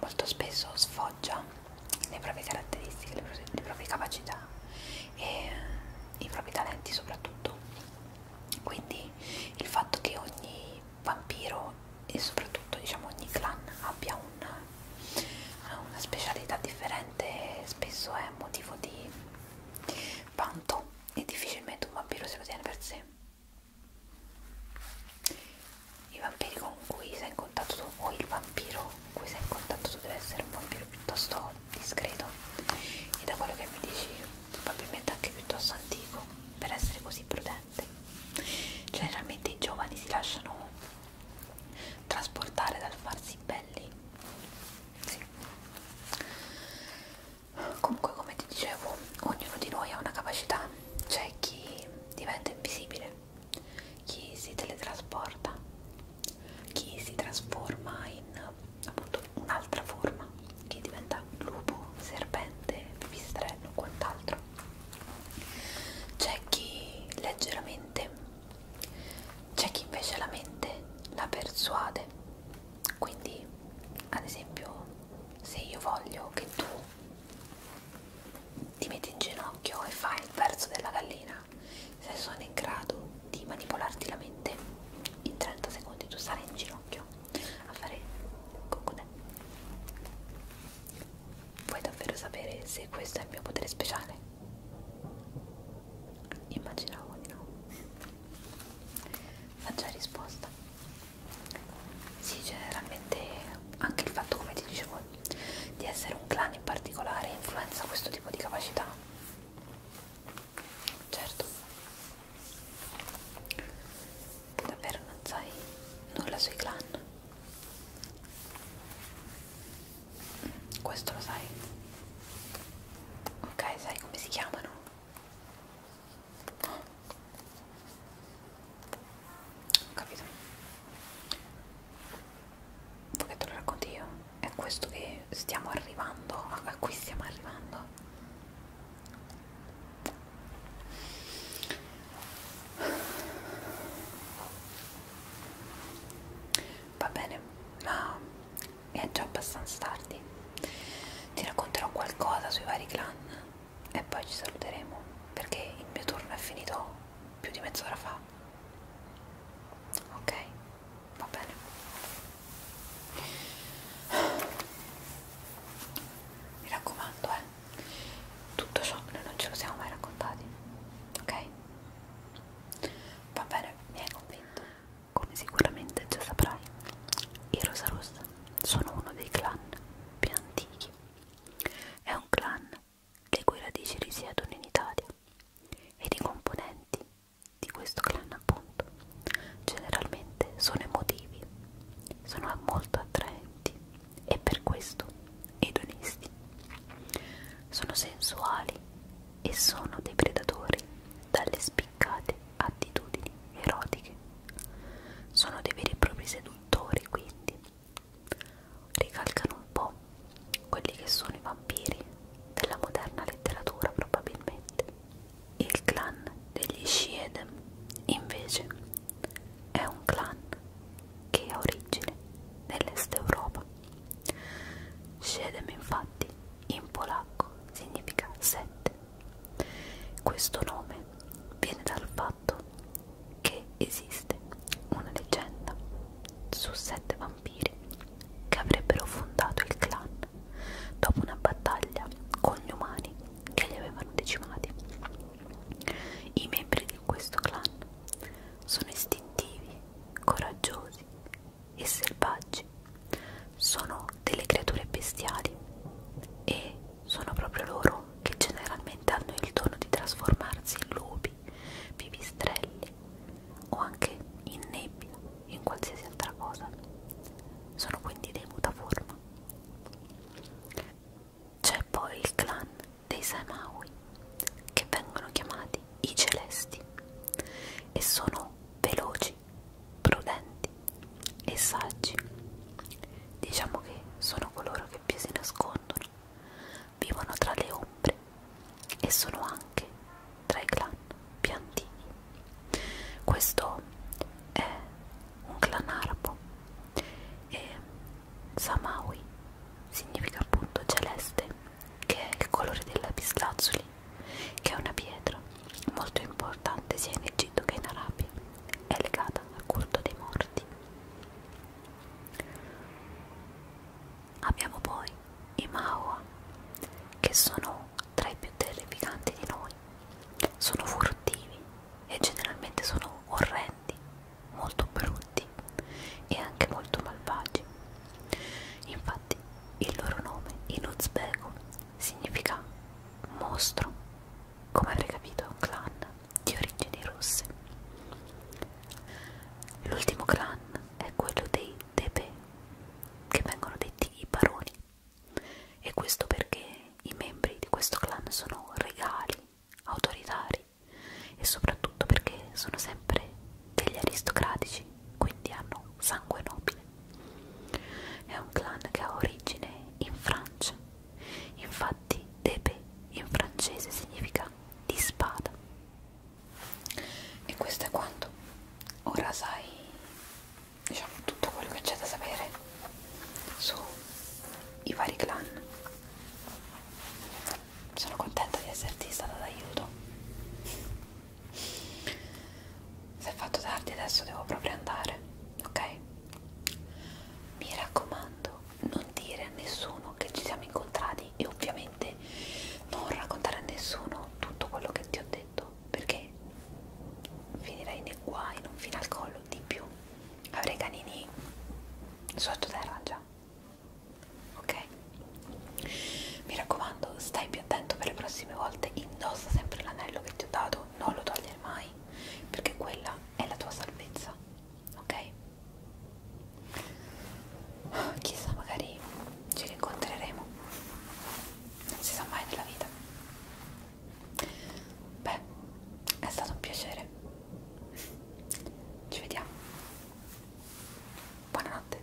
molto spesso sfoggia le proprie caratteristiche, le proprie, le proprie capacità e i propri talenti soprattutto quindi il fatto che ogni vampiro e soprattutto diciamo ogni clan abbia un una specialità differente spesso è motivo di vanto e difficilmente un vampiro se lo tiene per sé i vampiri con cui sei in contatto tu o il vampiro
con cui sei in contatto tu deve essere un vampiro piuttosto discreto e da quello che mi dici
probabilmente anche piuttosto antico per essere così prudente generalmente i giovani si lasciano trasportare dal farsi belli sì. comunque come ti dicevo ognuno di noi ha una capacità c'è chi diventa invisibile chi si teletrasporta chi si trasforma in appunto un'altra forma chi diventa lupo, serpente, pipistrello, quant'altro c'è chi leggermente c'è chi invece la mente la persuade quindi ad esempio se io voglio che tu ti metti in ginocchio e fai il verso della gallina se sono in grado di manipolarti la mente in 30 secondi tu sarai in ginocchio a fare cocodè vuoi davvero sapere se questo è il mio potere speciale? Immaginavo di no. Ma già risposta. Sì, generalmente cioè, anche il fatto, come ti dicevo, di essere un clan in particolare influenza questo tipo di capacità. Certo. Davvero non sai nulla sui clan? questo lo sai ok sai come si chiamano oh. Ho capito Vuoi che te lo racconti io? È questo che stiamo arrivando a cui stiamo arrivando Va bene, ma è già abbastanza tardi ti racconterò qualcosa sui vari clan e poi ci saluteremo perché il mio turno è finito più di mezz'ora fa ok va bene mi raccomando eh tutto ciò noi non ce lo siamo mai raccontati ok va bene miei compagni spento. Come sicuramente già saprai, i Rosa Rossa sono uno dei clan più antichi. È un clan le cui radici risiedono in Italia ed i componenti di questo clan appunto generalmente sono emotivi, sono molto attraenti e per questo edonisti. Sono sensuali e sono dei predatori dalle spiccate attitudini erotiche. Sono dei veri e propri seduttori, quindi ricalcano un po' quelli che sono i vampiri della moderna letteratura, probabilmente. Il clan degli Shiedem, invece, è un clan che ha origine nell'est Europa. Shiedem, infatti, in polacco significa sette. Questo nome viene dal fatto che esiste una leggenda su sette vampiri che avrebbero fondato il clan dopo una battaglia con gli umani che li avevano decimati. I membri di questo clan sono istintivi, coraggiosi, e selvaggi, sono delle creature bestiali e sono proprio loro che generalmente hanno il dono di trasformarsi in lupi, pipistrelli o anche in nebbia, in qualsiasi altra cosa. Sono quindi dei mutaforma. C'è poi il clan dei Samaui, che vengono chiamati chiamati i celesti e sono veloci, prudenti e saggi. Diciamo che sono coloro che più si nascondono, vivono tra le ombre e sono anche tra i clan più antichi. Questo è un clan arabo e Samawi significa appunto celeste che è il colore della pistazzoli, che è una pietra molto importante sia in Egitto che in Arabia, è legata al culto dei morti. Abbiamo poi i Maua, che sono tra i più terrificanti di noi, sono furtivi e generalmente sono orrendi, molto brutti e anche molto malvagi. Infatti, il loro nome in uzbeko significa mostro, come avrei capito, clan di origini russe. L'ultimo clan è quello dei Tepe, che vengono detti i baroni, e questo perché i membri di questo clan sono regali, autoritari e soprattutto perché sono sempre degli aristocratici, quindi hanno sangue nobile. È un clan che ha origine in Francia, infatti Tepe in francese significa di spada. E questo è quanto. Ora sai diciamo tutto quello che c'è da sapere sui vari clan. Sono contenta di esserti stata d'aiuto. Se è fatto tardi adesso devo proprio andare, ok? Mi raccomando, non dire a nessuno che ci siamo incontrati e ovviamente non raccontare a nessuno tutto quello che ti ho detto perché finirai nei guai, non fino al collo di più. Avrei canini sottoterra già, ok? Mi raccomando, stai più attento per le prossime volte, indossa sempre l'anello che ti ho dato, non lo togliere mai, perché quella è la tua salvezza, ok? Chissà, magari ci rincontreremo, non si sa mai nella vita. Beh, è stato un piacere. Ci
vediamo. Buonanotte.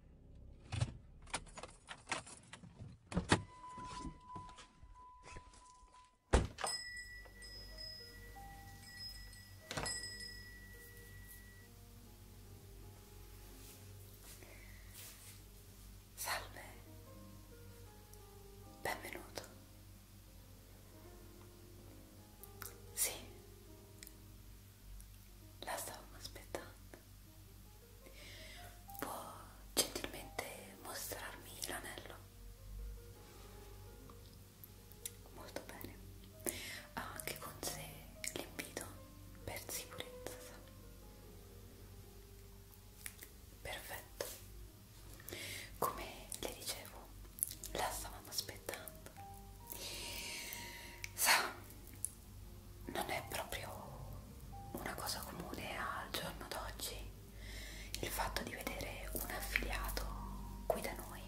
Salve, benvenuto. Sì, la stavamo aspettando può gentilmente mostrarmi l'anello molto bene ha ah, anche con sé l'invito per sicurezza perfetto come le dicevo la stavamo aspettando sa non è proprio una cosa comune al giorno d'oggi il fatto di vedere un affiliato qui da noi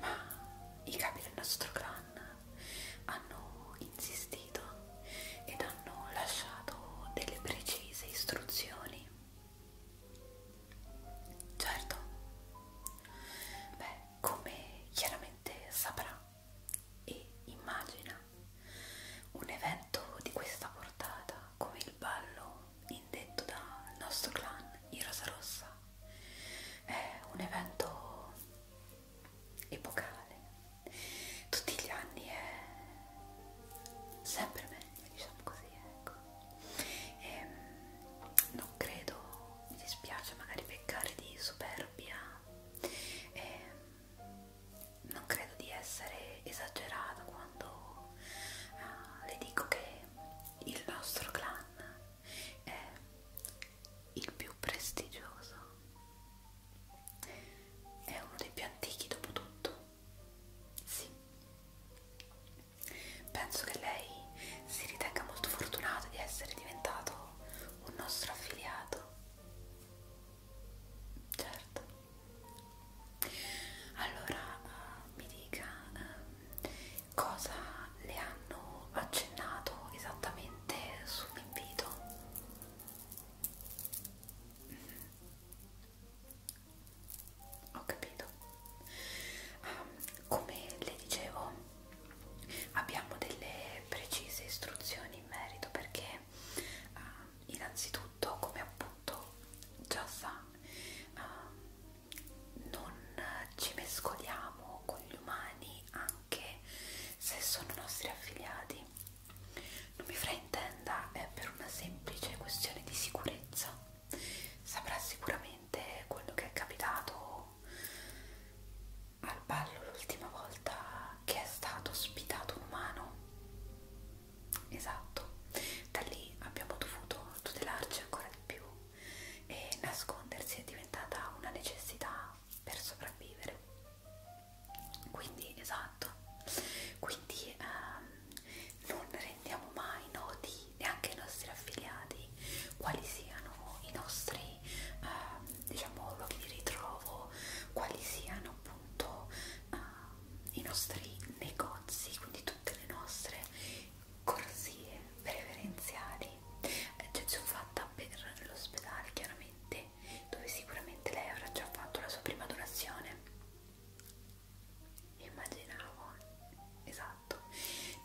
ma i capi del nostro clan hanno insistito ed hanno lasciato delle precise istruzioni certo beh come chiaramente sicuramente saprà e immagina un evento di questa portata come il ballo indetto dal nostro clan, i Rosa Rossa. È un evento epocale. Tutti gli anni è sempre meglio, diciamo così, ecco. E ehm, non credo mi dispiace magari peccare di superbia e ehm, non credo di essere esagerata quando uh, le dico che il nostro clan è il più prestigioso è uno dei più antichi dopo tutto sì penso che lei si ritenga molto fortunata di essere diventato un nostro affiliato certo allora uh, mi dica uh, cosa le hanno accennato esattamente sull'invito mm -hmm. ho capito um, come le dicevo abbiamo delle precise istruzioni in merito perché eh, innanzitutto come appunto già sa eh, non ci mescoliamo con gli umani anche se sono nostri affiliati non mi fraintenda è per una semplice questione di sicurezza saprà sicuramente quello che è capitato al ballo l'ultima volta che è stato ospitato un umano esatto da lì abbiamo dovuto tutelarci ancora di più e nascondersi è diventata una necessità per sopravvivere quindi esatto quindi ehm, non rendiamo mai noti neanche ai nostri affiliati quali siano i nostri eh, diciamo luoghi di ritrovo, quali siano appunto eh, i nostri negozi, quindi tutte le nostre corsie preferenziali, eccezione eh, fatta per l'ospedale chiaramente, dove sicuramente lei avrà già fatto la sua prima donazione. Immaginavo, esatto,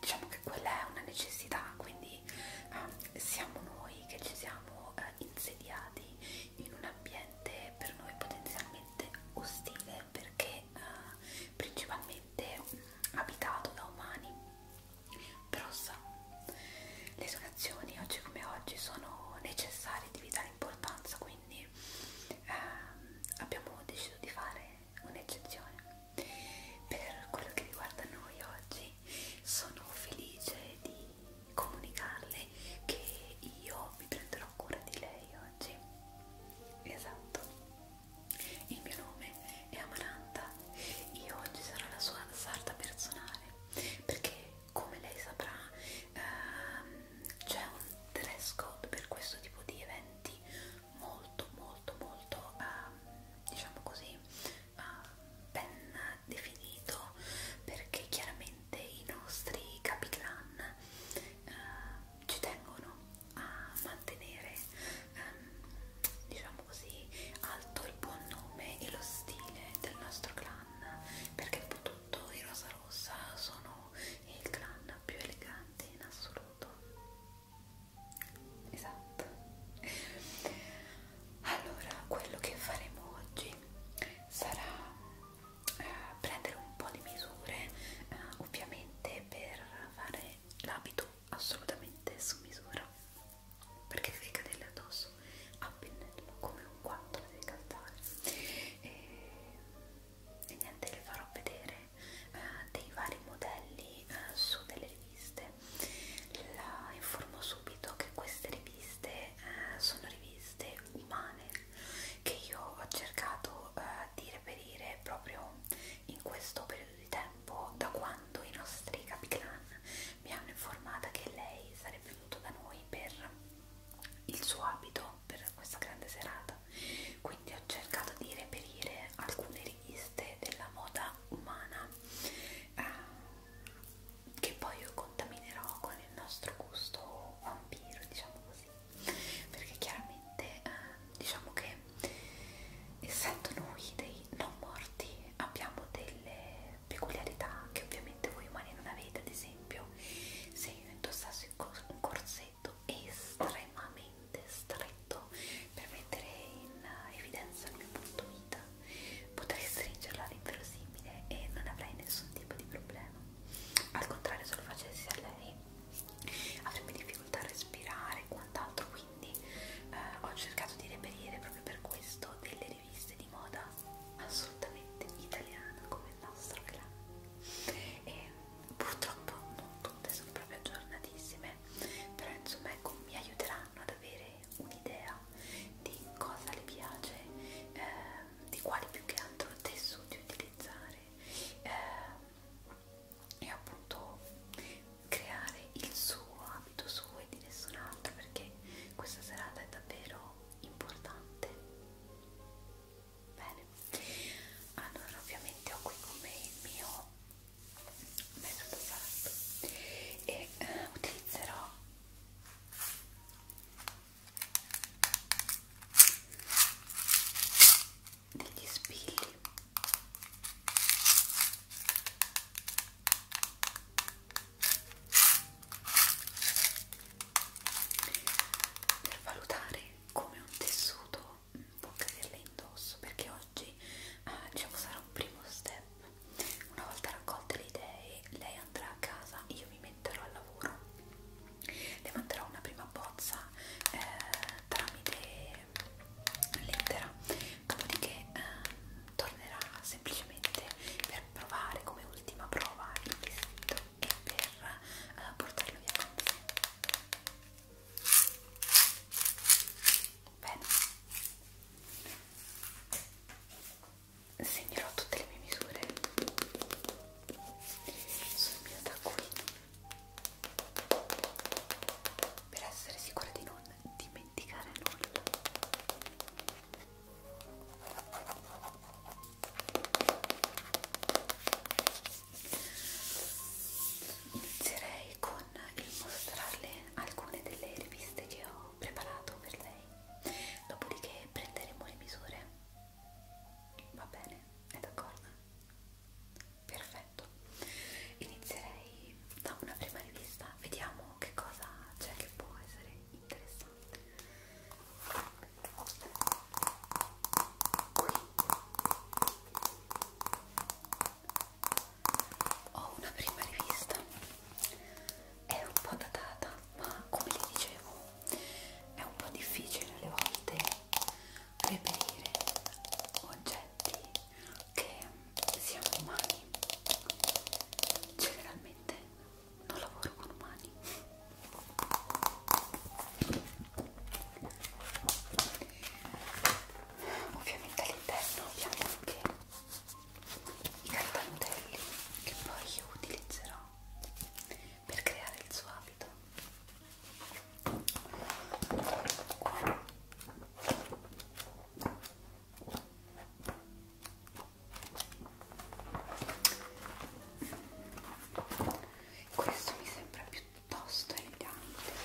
diciamo che quella è una necessità, quindi quindi eh, ah, siamo noi che ci siamo eh, insediati in un ambiente per noi potenzialmente ostile perché eh, principalmente mh, mm, abitato da umani però sa, le donazioni oggi come oggi sono necessarie di vitale importanza quindi eh, abbiamo deciso di fare un'eccezione per quello che riguarda noi oggi sono felice di comunicarle che io mi prenderò cura di lei oggi. Esatto. Il mio nome è Amaranta. Io oggi sarò la sua sarta personale perché come lei saprà ehm, c'è un dress code per questo tipo di eventi molto molto molto ehm, diciamo così uh, ben definito perché chiaramente i nostri capiclan uh, eh, ci tengono a mantenere um, diciamo così alto il buon nome e lo stile del nostro clan perché dopo tutto i Rosa Rossa sono il clan più elegante in assoluto esatto allora quello che faremo oggi sarà eh, prendere un po' di misure eh, ovviamente per fare l'abito assolutamente su misura perché deve cadere addosso a pennello come un guanto deve cantare e, e niente le farò vedere eh, dei vari modelli eh, su delle riviste la informo subito che queste riviste eh, sono riviste umane che io ho cercato eh, di reperire proprio in questo periodo di tempo da quando i nostri capiclan mi hanno informata che lei sarebbe venuta da noi per il suo abito per questa grande serata quindi ho cercato di reperire alcune riviste della moda umana eh, che poi io contaminerò con il nostro gusto vampiro, diciamo così, perché chiaramente eh, diciamo che essendo noi dei non morti abbiamo delle peculiarità che ovviamente voi umani non avete, ad esempio se io indossassi un corsetto estremamente stretto per mettere in evidenza il mio punto vita potrai stringerla all'inverosimile e non avrai nessun tipo di problema. Al contrario, se lo facessi a lei avrebbe difficoltà a respirare e quant'altro, quindi eh, ho cercato di reperire proprio per questo delle riviste di moda assolutamente italiana come il nostro clan. E purtroppo non tutte sono proprio aggiornatissime, però insomma ecco mi aiuterà aiuteranno ad avere un'idea di cosa le piace, eh, di quali più che altro tessuti utilizzare eh, e appunto creare il suo abito suo e di nessun altro perché questa serata è davvero importante. Bene, allora ovviamente ho qui con me il mio mezzo passato e eh, utilizzerò degli spilli per valutare come un tessuto può caderle indosso perché oggi eh, diciamo sarà un primo step una volta raccolte le idee, lei andrà a casa e io mi metterò al lavoro. Le manderò una prima bozza eh, tramite lettera, dopodiché eh, tornerà semplicemente per provare come ultima prova il vestito e per eh, portarlo via con sé. Bene, segnerò tutte le mie misure sul mio taccuino per essere sicura di non dimenticare nulla inizierei con il mostrarle alcune delle riviste che ho preparato per lei dopodiché prenderemo le misure va bene? è d'accordo? perfetto inizierei da una prima rivista vediamo che cosa c'è che può essere interessante qui ho una prima rivista è un po' datata ma come vi dicevo è un po' difficile alle volte reperire oggetti che siano umani generalmente non lavoro con umani ovviamente all'interno abbiamo anche i cartantelli che poi io utilizzerò per creare il suo abito questo mi sembra piuttosto elegante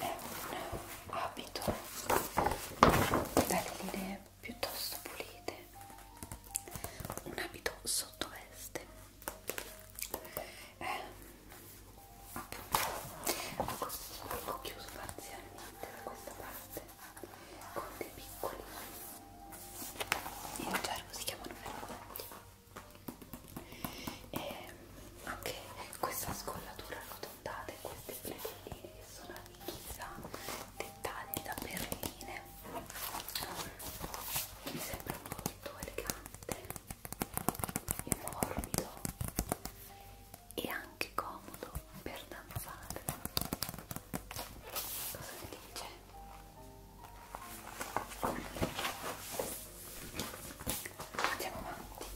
è un abito dalle linee piuttosto pulite un abito sottoveste eh, appunto ho chiuso parzialmente da questa parte con dei piccoli in gergo si chiamano veramente e anche questa scollatura arrotondata e queste plegatine che sono chissà dettagli da perline mi sembra molto elegante e morbido e anche comodo per danzare cosa ne dice? Andiamo avanti.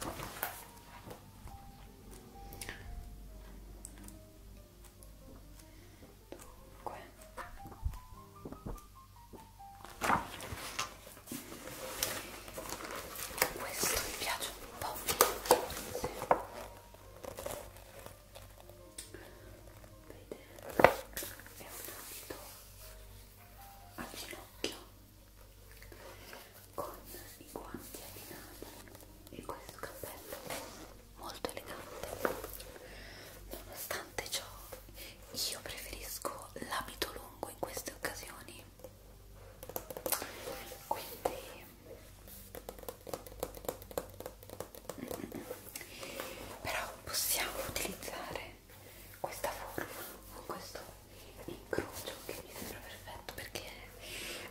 Dunque. Questo mi piace un po'. Sì. Vedete, è un abito al ginocchio con i guanti abbinati e questo cappello molto elegante. Nonostante ciò, io preferisco l'abito lungo in queste occasioni. Quindi però possiamo utilizzare questa forma con questo incrocio che mi sembra perfetto perché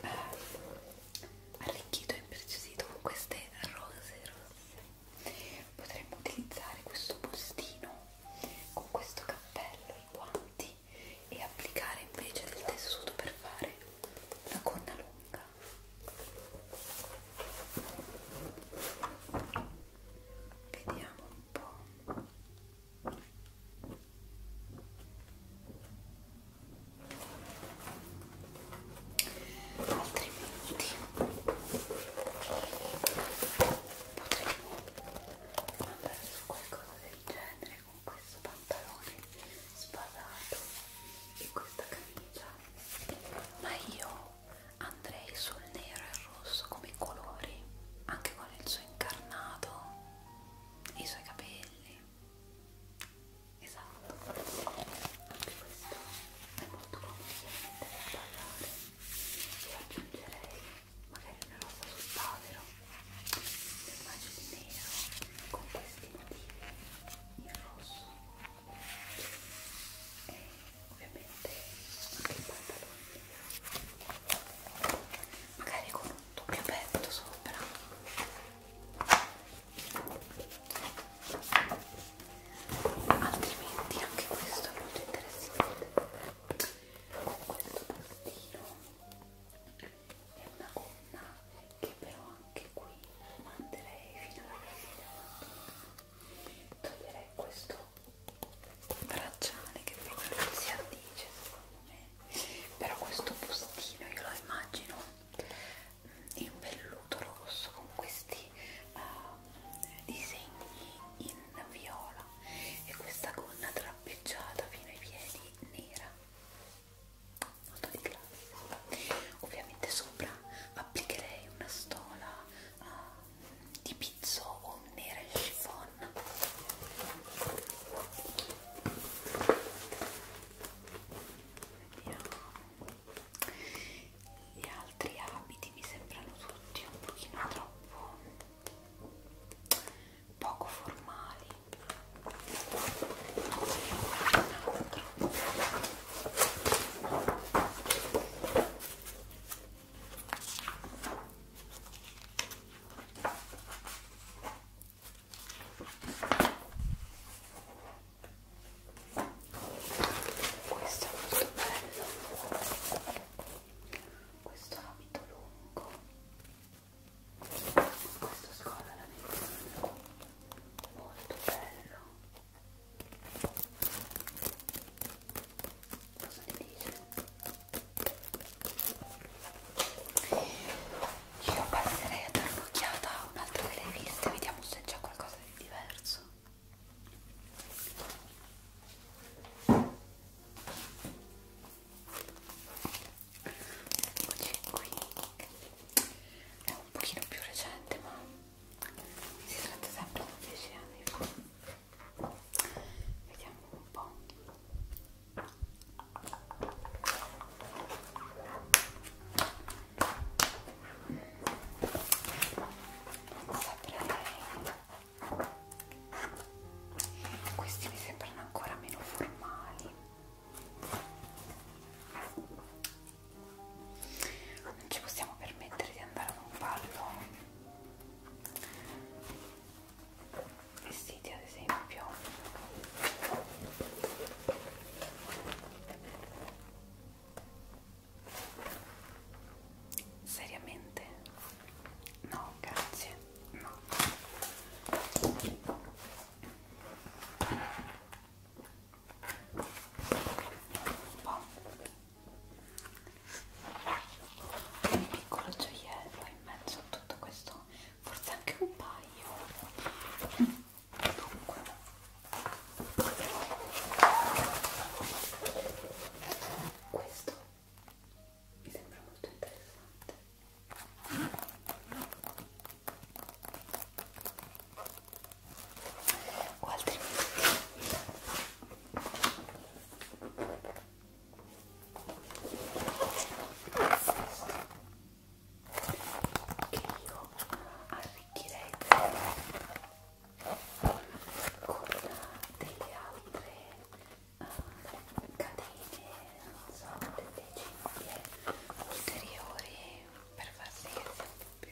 è eh, arricchito e imprecisito con queste rose rosse potremmo utilizzare questo bustino con questo cappello i guanti e applicare invece del tessuto per fare la gonna lunga bocca vediamo un po' altrimenti potremmo andare su qualcosa del genere con questo pantalone sbasato e questa camicia ma io andrei sul nero e il rosso come colori anche con il suo incarnato i suoi capelli esatto anche questo è molto conveniente da tagliare e aggiungerei magari una rosa sul pavero le immagini nero con questi motivi in rosso e ovviamente anche i pantaloni magari con un doppio petto sopra altrimenti anche questo è molto interessante questo bustino è una gonna che però anche qui manderei fino alla fine toglierei questo bracciale che proprio non si addice secondo me però questo bustino io lo immagino in velluto rosso con questi uh, disegni in viola e questa gonna trappeggiata fino ai piedi nera molto di classe Ovviamente sopra applicherei una stola uh, di pizzo o nera in chiffon. Vediamo. Gli altri abiti mi sembrano tutti un pochino troppo poco formali. Un altro. Questo è molto bello, questo abito lungo, questo scollo molto bello Cosa ne dice? Io passerei a dare un'occhiata a un'altra delle riviste, vediamo se c'è qualcosa di diverso. Eccoci qui. È un pochino più recente ma si tratta sempre di 10 anni fa vediamo un po' non saprei questi mi sembrano ancora meno formali non ci possiamo permettere di andare a un ballo vestiti ad esempio seriamente no grazie no un po' un piccolo gioiello in mezzo a tutto questo forse anche un paio dunque questo mi sembra molto interessante o altrimenti che io arricchirei con delle altre uh, catene, non so, delle cinghie ulteriori per far vedere un po' più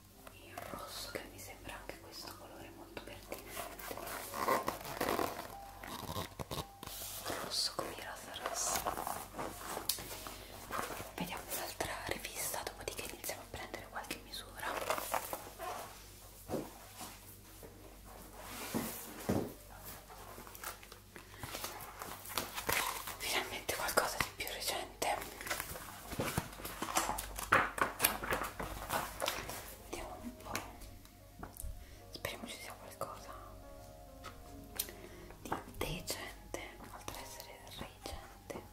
il rosso che mi sembra anche questo colore molto pertinente rosso con il rosa rosso vediamo un'altra rivista dopodiché iniziamo a prendere qualche misura finalmente qualcosa di più recente Vediamo un po'. Speriamo ci sia qualcosa di decente, oltre ad essere reggente.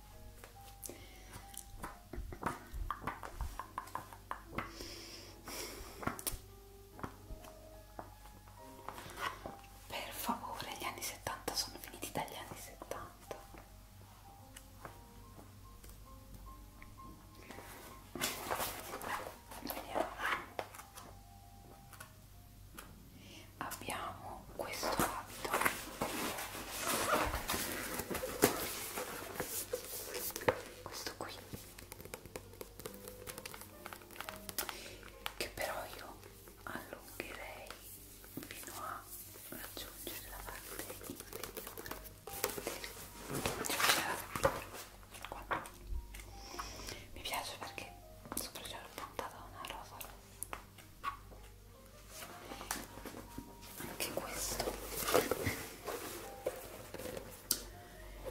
Per favore, gli anni 70 sono finiti dagli anni 70. Vediamo. Abbiamo questo abito questo qui che però io allungherei fino a raggiungere la parte inferiore qua. mi piace perché sopra c'è puntata una rosa anche questo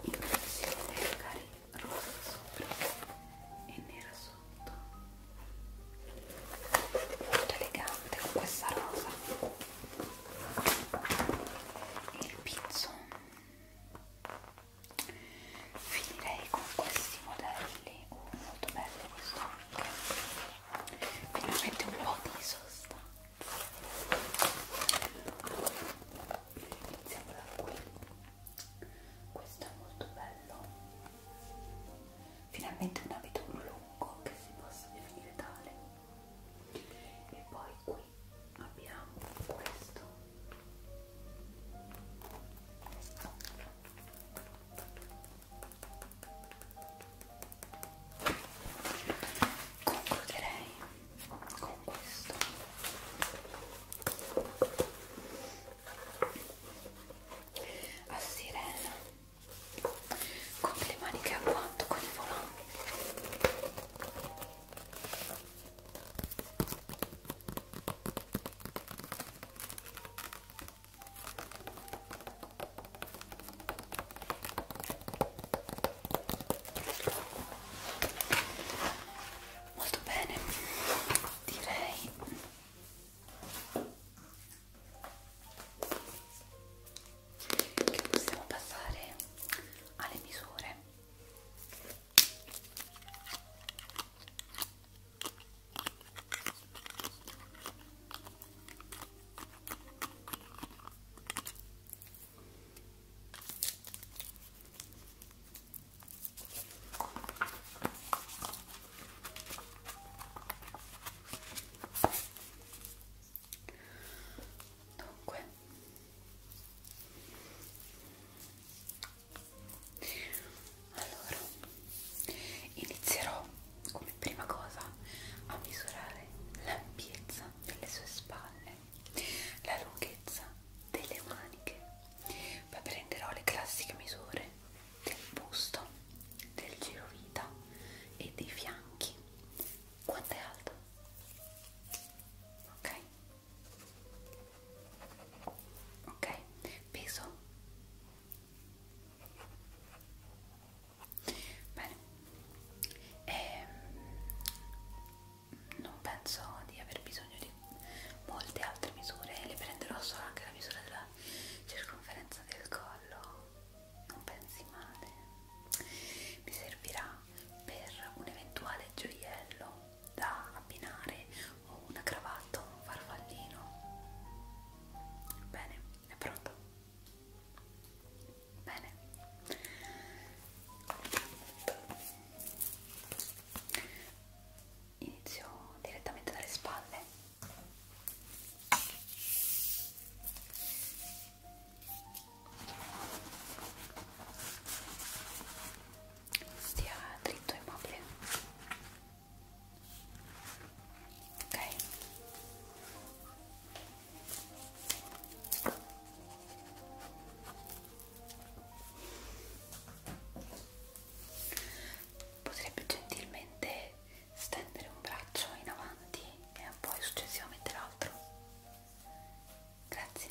inclusione magari rosa sopra e nera sotto molto elegante con questa rosa il pizzo finirei con questi modelli oh, molto belli questo anche finalmente un po' di sostanza iniziamo da qui questo è molto bello finalmente un abito lungo che si possa definire tale e poi qui abbiamo questo concluderei con questo a sirena con le maniche a quanto con il volante molto bene direi che possiamo passare alle misure dunque allora inizierò come prima cosa a misurare l'ampiezza delle sue spalle la lunghezza delle maniche poi prenderò le classiche misure del busto del girovita e dei fianchi quanto è alta ok ok peso bene e ehm, non penso di aver bisogno di molte altre misure le prenderò solo anche la misura della circonferenza del collo non pensi male mi servirà per un eventuale gioiello da abbinare o una cravatta o un farfallino bene, è pronto? bene inizio direttamente dalle spalle stia dritto ai mobili ok potrebbe gentilmente stendere un braccio in avanti e poi successivamente l'altro Grazie.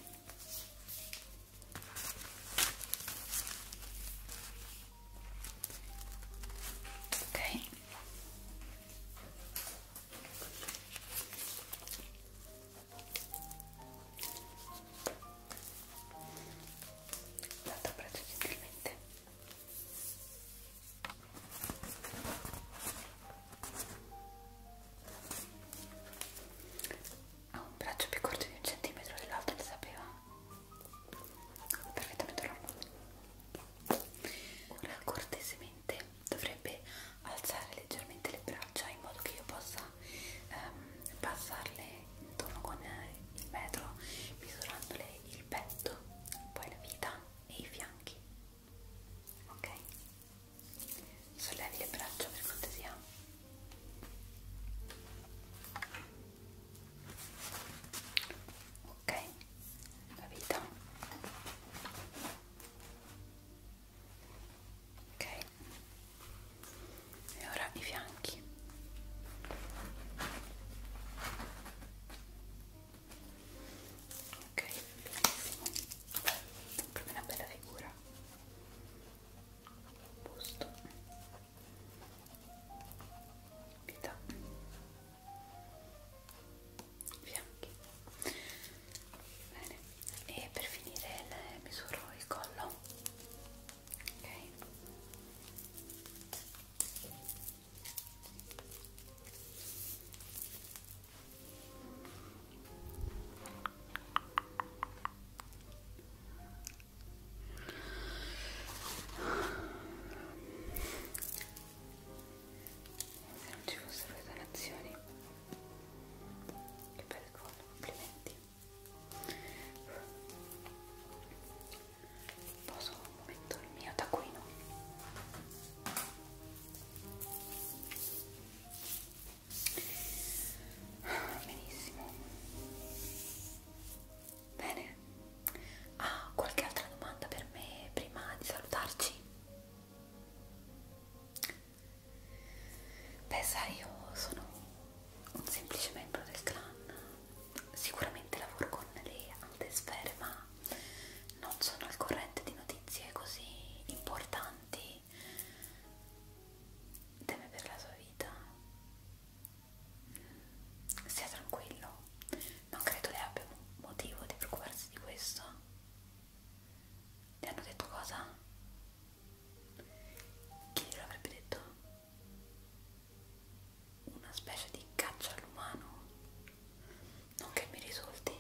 Ok. Tanto abbraccio gentilmente ha un braccio più corto di un centimetro dell'altro lo sapeva perfettamente normale ora cortesemente dovrebbe alzare leggermente le braccia in modo che io possa ehm, passarle intorno con eh, il metro misurandole il petto poi la vita e i fianchi ok sollevi le braccia per cortesia ok la vita ok e ora i fianchi ok benissimo proprio una bella figura posto vita fianchi bene e per finire le misuro il collo ok se non ci fossero le donazioni, che bel gol, complimenti. Posso un momento il mio taccuino? Ah, benissimo. Bene. Ah, qualche altra domanda per me prima di salutarci? Beh, sai, io sono un semplice membro del clan. Sicuramente lavoro con le alte sfere, ma non sono al corrente di notizie così importanti teme per la sua vita stia tranquillo non credo lei abbia motivo di preoccuparsi di questo le hanno detto cosa? chi glielo avrebbe detto? una specie di caccia all'umano non che mi risulti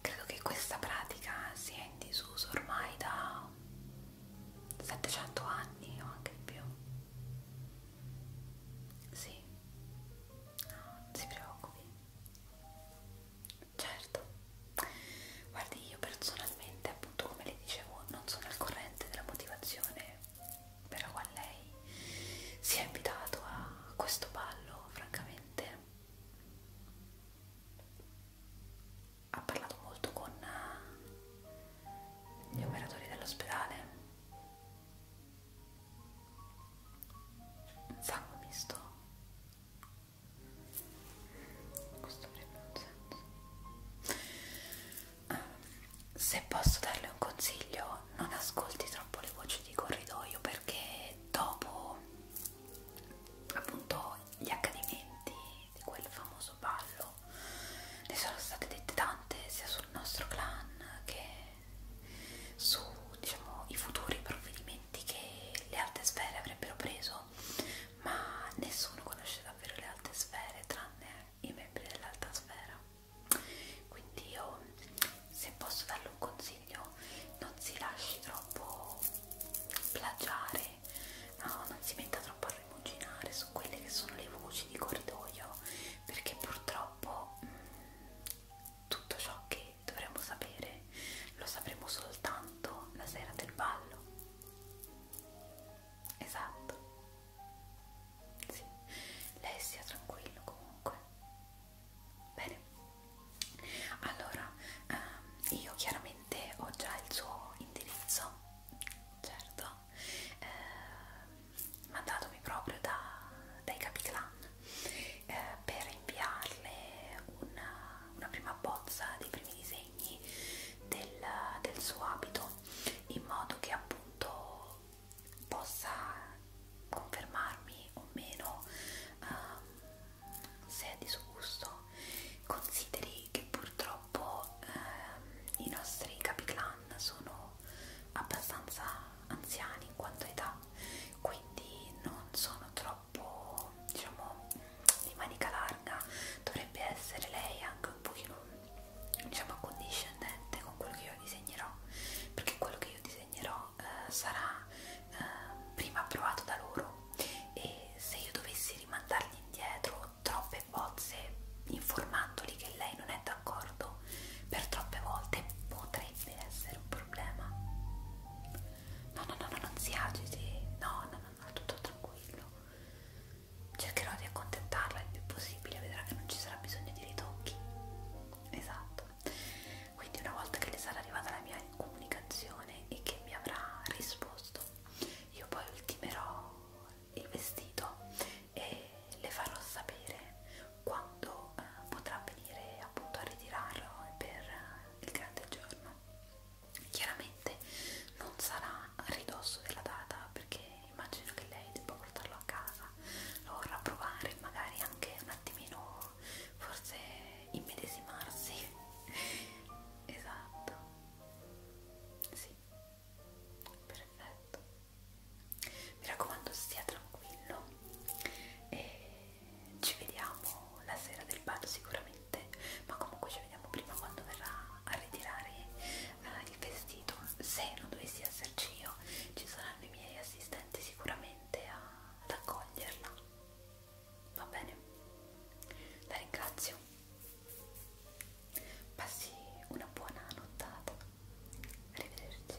credo che questa pratica sia in disuso ormai da 700 anni o anche più sì no, non si preoccupi certo guardi io personalmente appunto come le dicevo non sono al corrente della motivazione per la quale lei si è invitato a questo ballo francamente niente ha parlato molto con eh, gli operatori dell'ospedale un sangue misto questo avrebbe un senso ah, se posso darle un consiglio non ascolti troppo le voci di corridoio perché dopo appunto gli accadimenti di quel famoso ballo ne sono state dette tante sia sul nostro clan che su diciamo i futuri provvedimenti che le alte sfere avrebbero preso ma nessuno conosce davvero le alte sfere tranne i membri dell'alta sfera quindi io se posso darle un consiglio meglio non si lasci troppo plagiare no, non si metta troppo a rimuginare su quelle che sono le voci di corridoio perché purtroppo mh, mm, tutto ciò che dovremmo sapere lo sapremo soltanto la sera del ballo esatto sì. lei sia tranquillo comunque Bene, allora ehm, io chiaramente ho già il suo indirizzo, certo, eh, mandatomi proprio da, dai capiclan eh, per inviarle una, una prima bozza dei primi disegni del, del suo abito in modo che appunto possa confermarmi o meno um, se è disgusto consideri che purtroppo um, i nostri capi clan sono abbastanza anziani in quanto età quindi non sono troppo diciamo di manica larga dovrebbe essere lei anche un pochino diciamo condiscendente con quello che io disegnerò perché quello che io disegnerò eh, sarà eh, prima approvato da loro e se io dovessi rimandargli indietro troppe bozze informandoli che lei non è d'accordo per troppe volte potrebbe essere un problema no no no, no non si agiti no no no, no tutto tranquillo cercherò di accontentarla il più possibile vedrà che non ci sarà bisogno di ritocchi esatto quindi una volta che le sarà arrivata la mia comunicazione e che mi avrà risposto io poi ultimerò il vestito e le farò sapere quando eh, potrà venire appunto a ritirarlo per eh, il grande giorno chiaramente non sarà a ridosso della data perché immagino che lei debba portarlo a casa lo vorrà provare magari anche un attimino forse immedesimarsi esatto sì perfetto mi raccomando stia tranquillo e ci vediamo la sera del ballo sicuramente ma comunque ci vediamo prima quando verrà a ritirare eh, il vestito se non dovessi esserci io ci saranno i miei assistenti sicuramente a, ad accoglierla va bene la ringrazio passi una buona nottata arrivederci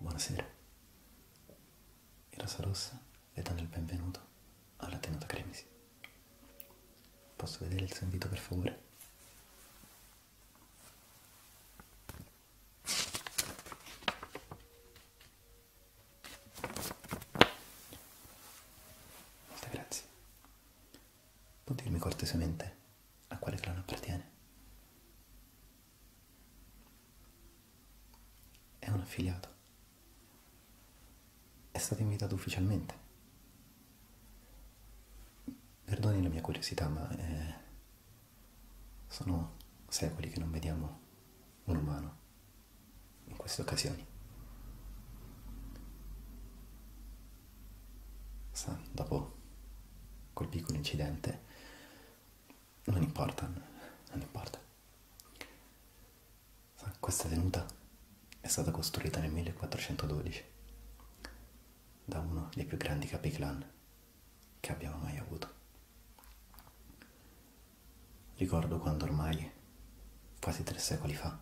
Buonasera. In Rosa Rossa le danno il benvenuto alla tenuta Cremisi. Posso vedere il suo invito per favore? Molte grazie. Può dirmi cortesemente a quale clan appartiene. È un affiliato. È stato invitato ufficialmente. Perdoni la mia curiosità, ma eh, sono secoli che non vediamo un umano in queste occasioni sa, dopo quel piccolo incidente non importa, non importa. Sa, questa tenuta è stata costruita nel 1412 da uno dei più grandi capiclan che abbiamo mai avuto. Ricordo quando ormai, quasi tre secoli fa,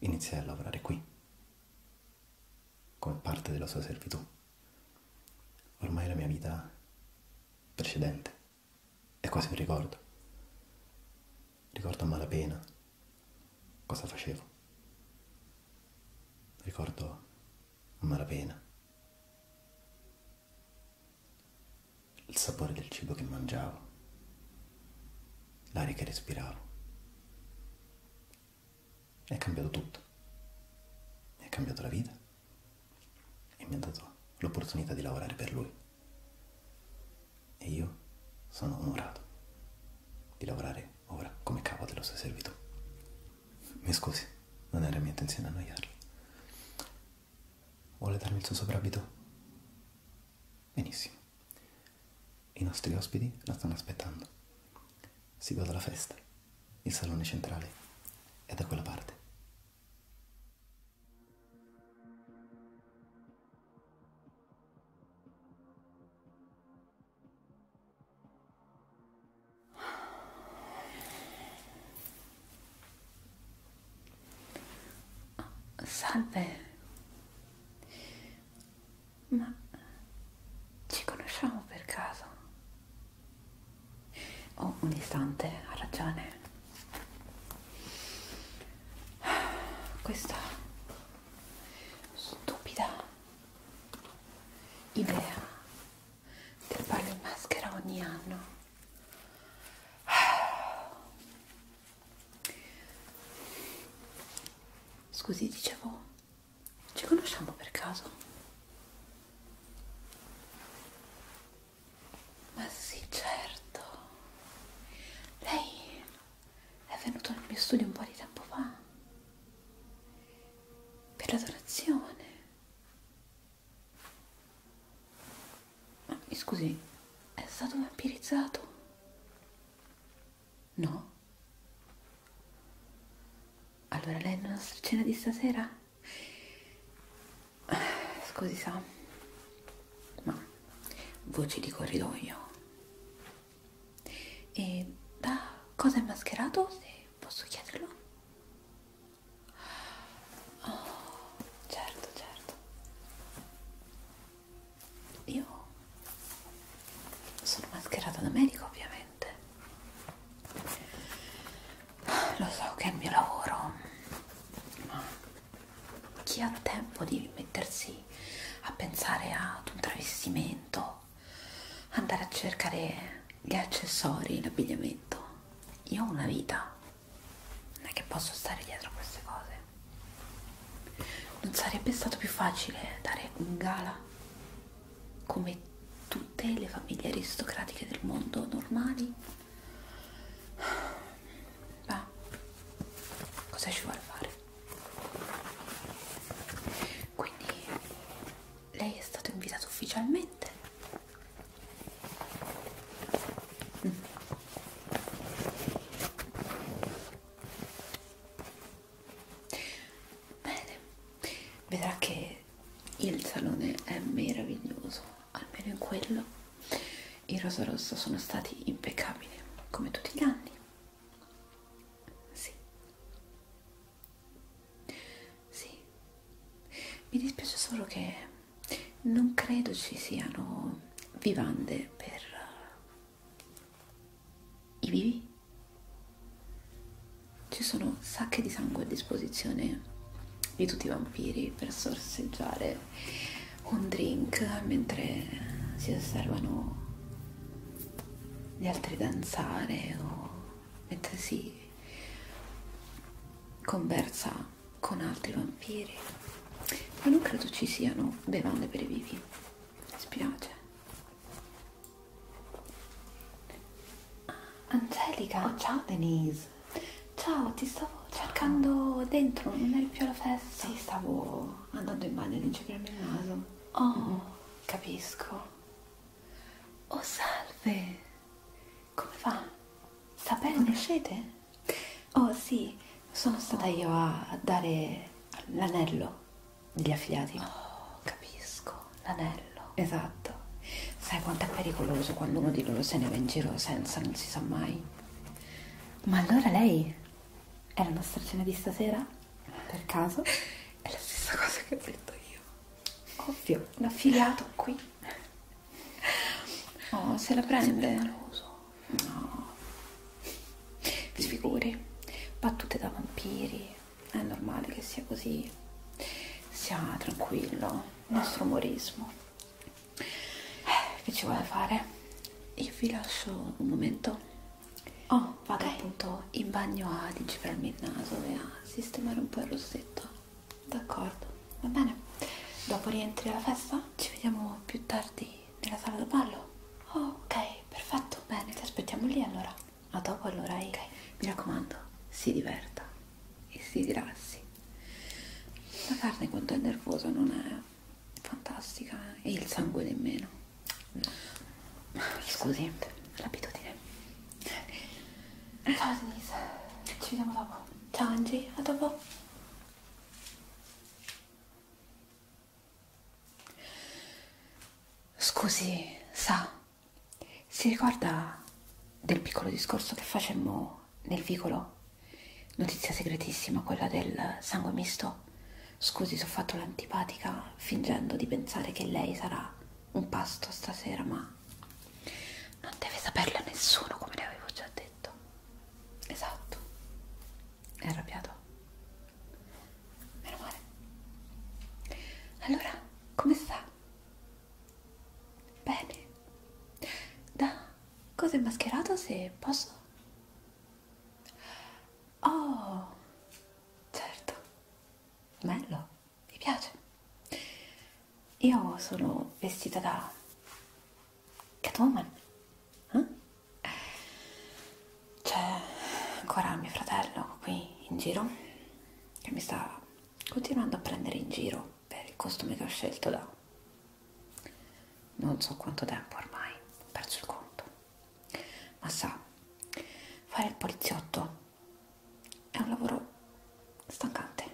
iniziai a lavorare qui, come parte della sua servitù. Ormai la mia vita precedente è quasi un ricordo. Ricordo a malapena cosa facevo. Ricordo a malapena il sapore del cibo che mangiavo, l'aria che respiravo, è cambiato tutto. Mi ha cambiato la vita e mi ha dato l'opportunità di lavorare per lui. E io sono onorato di lavorare ora come capo della sua servitù. Mi scusi, non era mia intenzione annoiarla. Vuole darmi il suo soprabito? Benissimo. I nostri ospiti la stanno aspettando. Si guarda la festa, il salone centrale è da quella parte.
Salve, ma ci conosciamo per caso? Oh, un istante, ha ragione. Questa stupida idea del ballo in maschera ogni anno. Scusi, dicevo ci conosciamo per caso? Ma sì, certo. Lei è venuto nel mio studio un po' di tempo fa. Per la donazione. Mi scusi, è stato vampirizzato? No? Allora lei non ha cena di stasera? Ah, scusi, sa, ma voci di corridoio. E da cosa è mascherato, se posso chiederlo? Oh, certo, certo io sono mascherata da medico ovviamente lo so che è il mio lavoro ma chi ha tempo di mettersi a pensare ad un travestimento andare a cercare gli accessori l'abbigliamento io ho una vita non è che posso stare dietro a queste cose non sarebbe stato più facile dare un gala come tutte le famiglie aristocratiche del mondo normali? Ma cosa ci vuole fare? Quindi lei è stato invitato ufficialmente? Mm. Bene, vedrà che il salone è meraviglioso, almeno in quello i rosa rosso sono stati impeccabili, come tutti gli anni. Sì. Sì. Mi dispiace solo che non credo ci siano vivande per i vivi. Ci sono sacche di sangue a disposizione di tutti i vampiri per sorseggiare un drink mentre si osservano gli altri danzare o mentre si conversa con altri vampiri. Ma non credo ci siano bevande per i vivi. Mi spiace. Angelica, oh, ciao Denise. Ciao, ti stavo cercando dentro, non eri più alla festa. Sì, stavo andando in bagno ad incipriarmi il naso. Oh, mm. capisco. Oh, salve. Come va? Sta bene? Conoscete? Oh, sì, sono stata oh. io a dare l'anello degli affiliati. Oh, capisco, l'anello. Esatto. Sai quanto è pericoloso quando uno di loro se ne va in giro senza, non si sa mai. Ma allora lei è la nostra cena di stasera? Per caso? È la stessa cosa che ho detto io. Ovvio, un affiliato qui. Oh, se la prende. No. Sfiguri, battute da vampiri è normale che sia così, sia tranquillo, il nostro umorismo. Eh, che ci vuole fare? Io vi lascio un momento. Oh, vado okay. appunto in bagno a digifrarmi il naso e a sistemare un po' il rossetto. D'accordo, va bene. Dopo rientri alla festa? Ci vediamo più tardi nella sala da ballo. Oh, ok, perfetto, bene, ti aspettiamo lì allora a dopo allora okay. mi raccomando si diverta e si rilassi la carne quando è nervosa non è fantastica e il sangue nemmeno no. scusi l'abitudine ciao Denise ci vediamo dopo ciao Angie a dopo Scusi, sa, si ricorda del piccolo discorso che facemmo nel vicolo? Notizia segretissima, quella del sangue misto. Scusi se ho fatto l'antipatica fingendo di pensare che lei sarà un pasto stasera, ma non deve saperlo nessuno, come le avevo già detto. Esatto. È arrabbiato meno male allora come sta? bene da cosa è mascherato se posso? oh certo bello mi piace io sono vestita da Catwoman eh? c'è ancora mio fratello qui in giro che mi sta continuando a prendere in giro per il costume che ho scelto da non so quanto tempo ormai, ho perso il conto. Ma sa, fare il poliziotto è un lavoro stancante.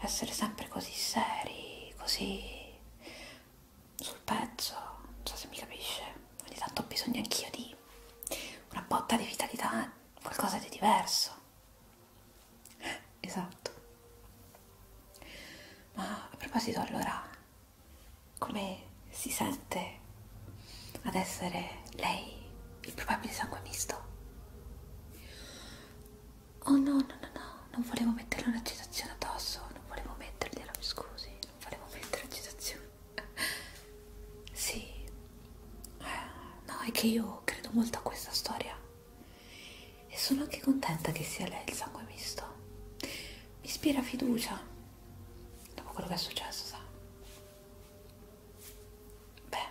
Essere sempre così seri, così sul pezzo, non so se mi capisce. Ogni tanto ho bisogno anch'io di una botta di vitalità, qualcosa di diverso. Esatto. Ma a proposito allora, come si sente ad essere lei il probabile sangue misto? Oh no, no, no, no, non volevo metterle un'agitazione addosso, non volevo mettergliela, mi scusi, non volevo mettere agitazione. sì, eh, no, è che io credo molto a questa storia e sono anche contenta che sia lei il sangue misto. Mi ispira fiducia dopo quello che è successo, sa. Beh,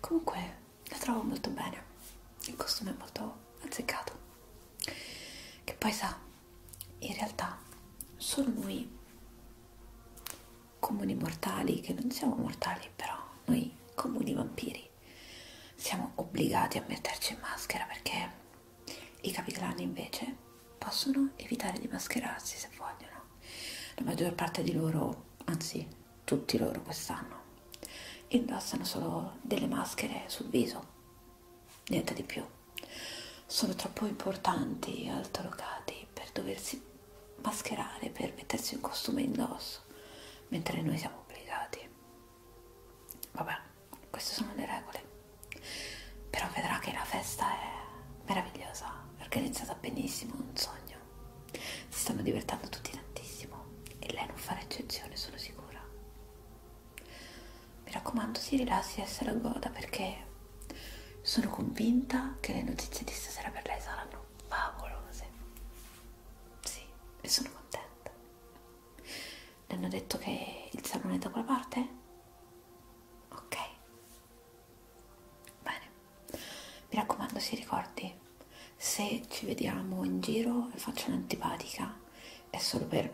comunque la trovo molto bene. Il costume è molto azzeccato. Che poi sa in realtà solo noi comuni mortali, che non siamo mortali però, noi comuni vampiri, siamo obbligati a metterci in maschera perché i capiclani invece possono evitare di mascherarsi se vogliono. La maggior parte di loro, anzi tutti loro quest'anno, indossano solo delle maschere sul viso, niente di più sono troppo importanti altolocati per doversi mascherare, per mettersi un costume indosso, mentre noi siamo obbligati. Vabbè, queste sono le regole. Però vedrà che la festa è meravigliosa, organizzata benissimo, un sogno. Si stanno divertendo tutti tantissimo e lei non farà eccezione, sono sicura. Mi raccomando, si rilassi e se la goda perché sono convinta che le notizie di stasera per lei saranno favolose. Sì, e sono contenta. Le hanno detto che il salone è da quella parte? Ok. Bene. Mi raccomando, si ricordi, se ci vediamo in giro e faccio un'antipatica è solo per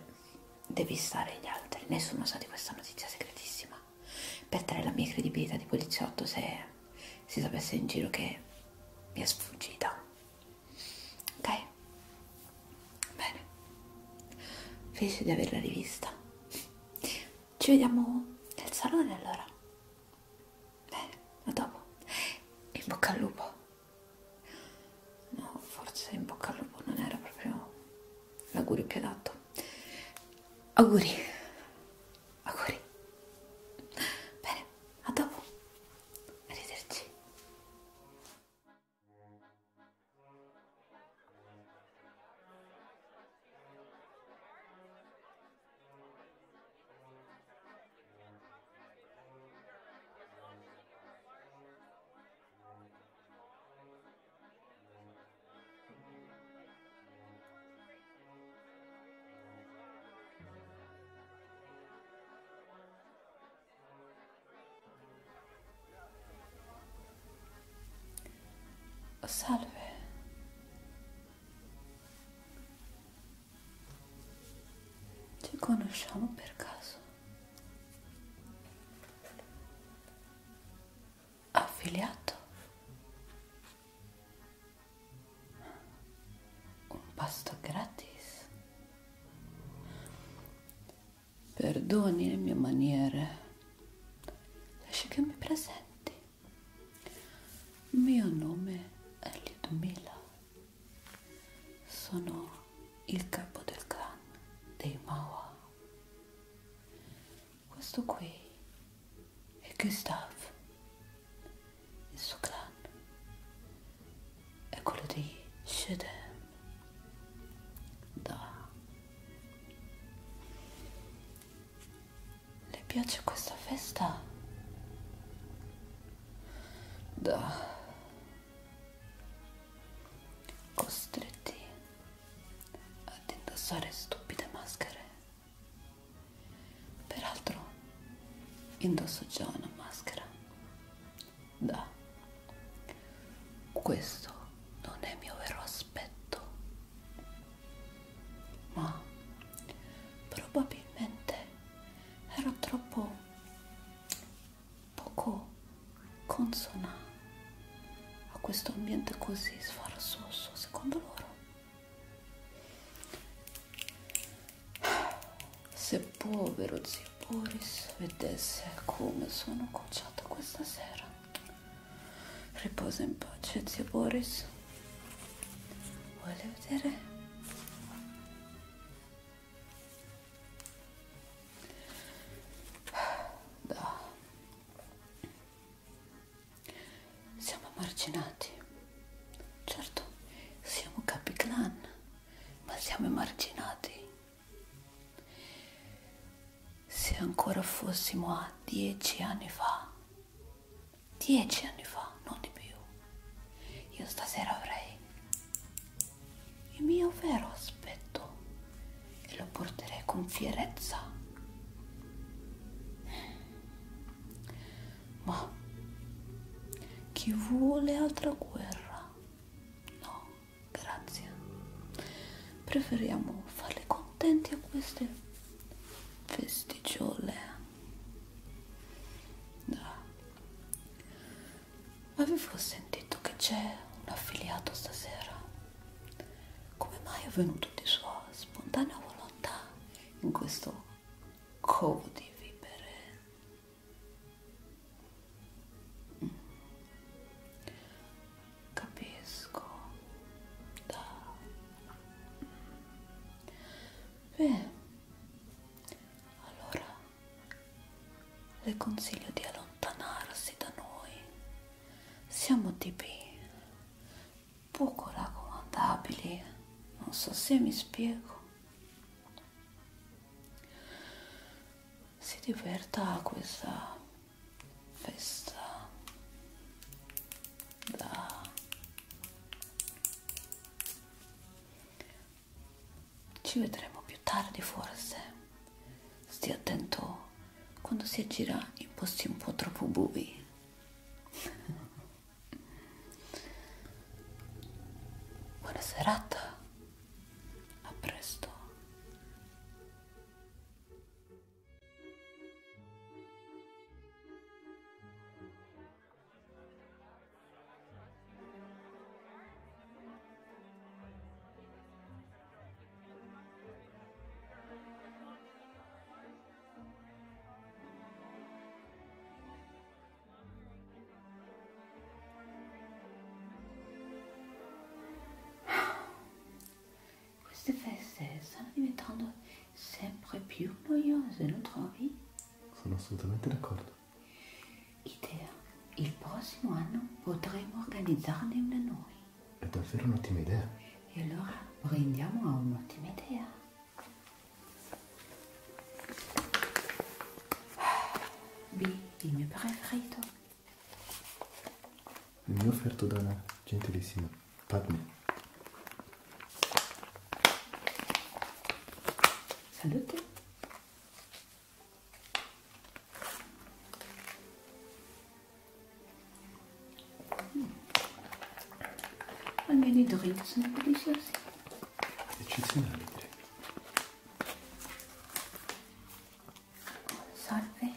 devistare gli altri. Nessuno sa di questa notizia segretissima per dare la mia credibilità di poliziotto se si sapesse in giro che mi è sfuggita. Ok? Bene. Felice di averla rivista. Ci vediamo nel salone allora. Bene, a dopo. In bocca al lupo. No, forse in bocca al lupo non era proprio l'augurio più adatto. Auguri, auguri. Bene, a dopo. Arrivederci. Salve. Ci conosciamo per caso? affiliato un pasto gratis perdoni le mie maniere lascia che mi presenti il mio nome è Lidomila sono il capo del clan dei Mawa questo qui è Gustave, il suo clan è quello di Shedem. Da. Le piace questa festa? Da. Costretti ad indossare stupide maschere. Peraltro indosso già una maschera. Da. Questo non è il mio vero aspetto. Ma probabilmente ero troppo poco consonante a questo ambiente così sfarzoso secondo loro se povero zio Boris vedesse come sono cocciato questa sera riposa in pace zio Boris vuole vedere da siamo emarginati. Certo, siamo capiclan, ma siamo emarginati. Se ancora fossimo a dieci anni fa, dieci anni fa, non di più, io stasera avrei il mio vero aspetto e lo porterai con fierezza. Ma chi vuole altra guerra? No, grazie. Preferiamo farle contenti a queste festicciole. Avevo sentito che c'è un affiliato stasera come mai è venuto di sua spontanea volontà in questo covo di vivere? Mm. Capisco. Da. Beh, allora le consiglio di allontanarsi da noi. Siamo tipi poco raccomandabili, non so se mi spiego. Si diverta a questa festa da ci vedremo più tardi forse stia attento quando si aggira in posti un po' troppo buvi Buona serata, a presto. Queste feste stanno diventando sempre più noiose, non trovi?
Sono assolutamente d'accordo.
Idea, il prossimo anno potremo organizzarne una noi.
È davvero un'ottima idea. E allora brindiamo a un'ottima idea. B, il mio preferito. Il mio offerto da una gentilissima Padme. Salute.
Almeno i Doritos sono deliciosi.
Eccezionali direi.
Salve.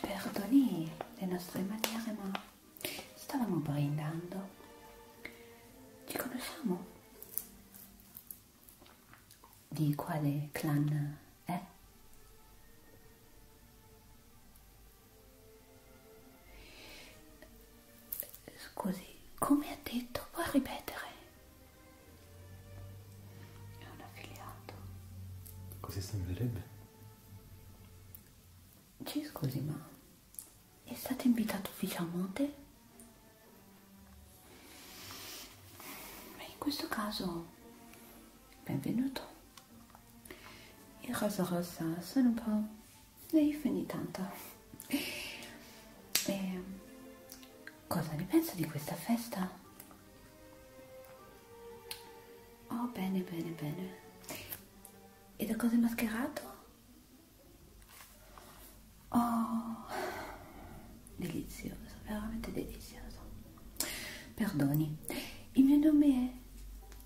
Perdoni le nostre maniere ma stavamo brindando. Ci conosciamo? Di quale clan? eh? Scusi, come ha detto, puoi ripetere? È un affiliato.
Così sembrerebbe? Ci scusi, ma
è stato invitato ufficialmente? In questo caso, benvenuto. Il rosa rosa sono un po' naif ogni tanto. E cosa ne penso di questa festa? Oh, bene, bene, bene. E da cosa è mascherato? Oh, delizioso, veramente delizioso. Perdoni, il mio nome è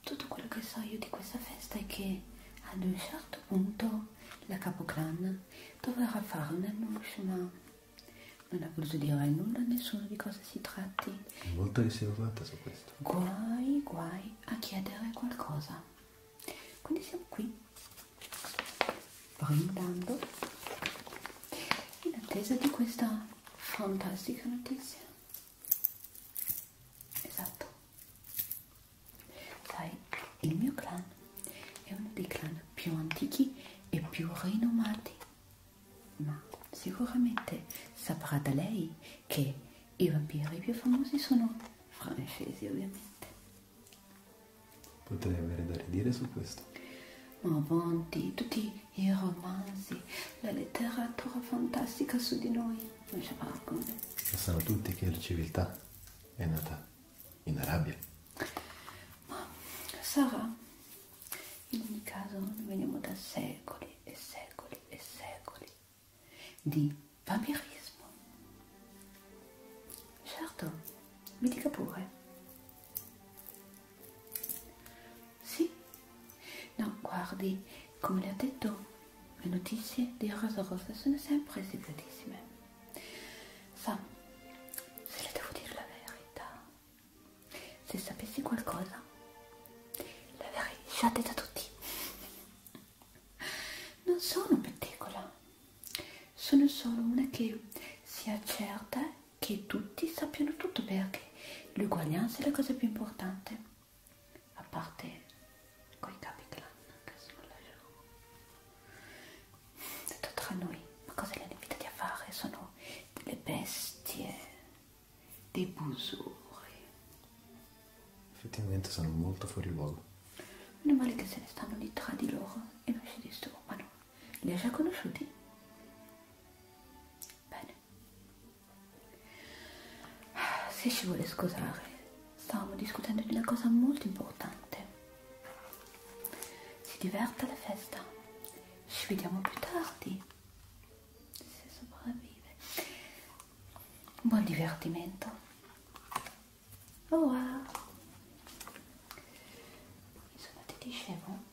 Tutto quello che so io di questa festa è che ad un certo punto la capoclan dovrà fare un annuncio, ma non ha voluto dire a nulla a nessuno di cosa si tratti. Molto riservata su questo. Guai, guai a chiedere qualcosa. Quindi siamo qui, brindando, in attesa di questa fantastica notizia esatto sai il mio clan è uno dei clan più antichi e più rinomati ma sicuramente saprà da lei che i vampiri più famosi sono
francesi ovviamente Potrei avere da ridire su questo.
Ma avanti, tutti i romanzi, la letteratura fantastica su di noi, non c'è paragone.
Sanno tutti che la civiltà è nata in Arabia.
Ma sarà. In ogni caso noi veniamo da secoli e secoli e secoli di vampirismo. Certo, mi dica pure. Sì? No, guardi, come le ho detto, le notizie di Rosa Rosa sono sempre segretissime. Sa, se le devo dire la verità, se sapessi qualcosa, l'avrei già detta a tutti. Non sono pettecola, sono solo una che si accerta che tutti sappiano tutto perché l'uguaglianza è la cosa più importante, a parte coi capi clan che sono lasciamo. Detto tra noi, ma cosa li hanno invitati a fare? Sono delle bestie, dei busuri.
Effettivamente sono molto fuori luogo.
Meno male che se ne stanno lì tra di loro e non si disturbano. Li ha già conosciuti? Bene, se ci vuole scusare, stavamo discutendo di una cosa molto importante. Si diverta alla festa. Ci vediamo più tardi. Se sopravvive. Buon divertimento. Ora. Insomma, ti dicevo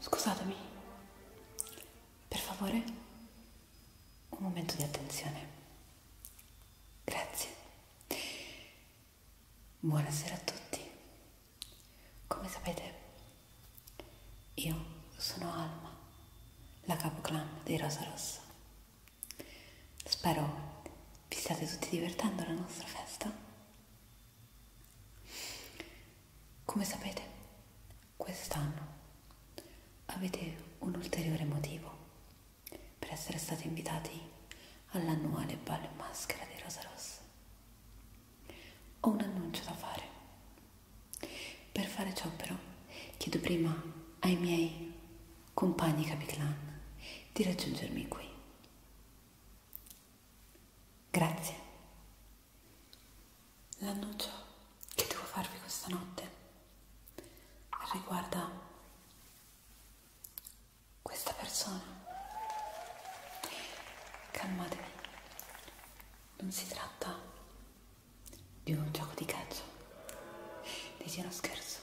Scusatemi, per favore, un momento di attenzione. Grazie. Buonasera a tutti. Come sapete, io sono Alma, la capoclan dei Rosa Rossa. Spero vi state tutti divertendo alla nostra festa. Come sapete, quest'anno avete un ulteriore motivo per essere stati invitati all'annuale ballo in maschera di Rosa Rossa. Ho un annuncio da fare. Per fare ciò però chiedo prima ai miei compagni capiclan di raggiungermi qui. Grazie. L'annuncio che devo farvi questa notte riguarda questa persona. Calmatevi, non si tratta di un gioco di calcio, di uno scherzo.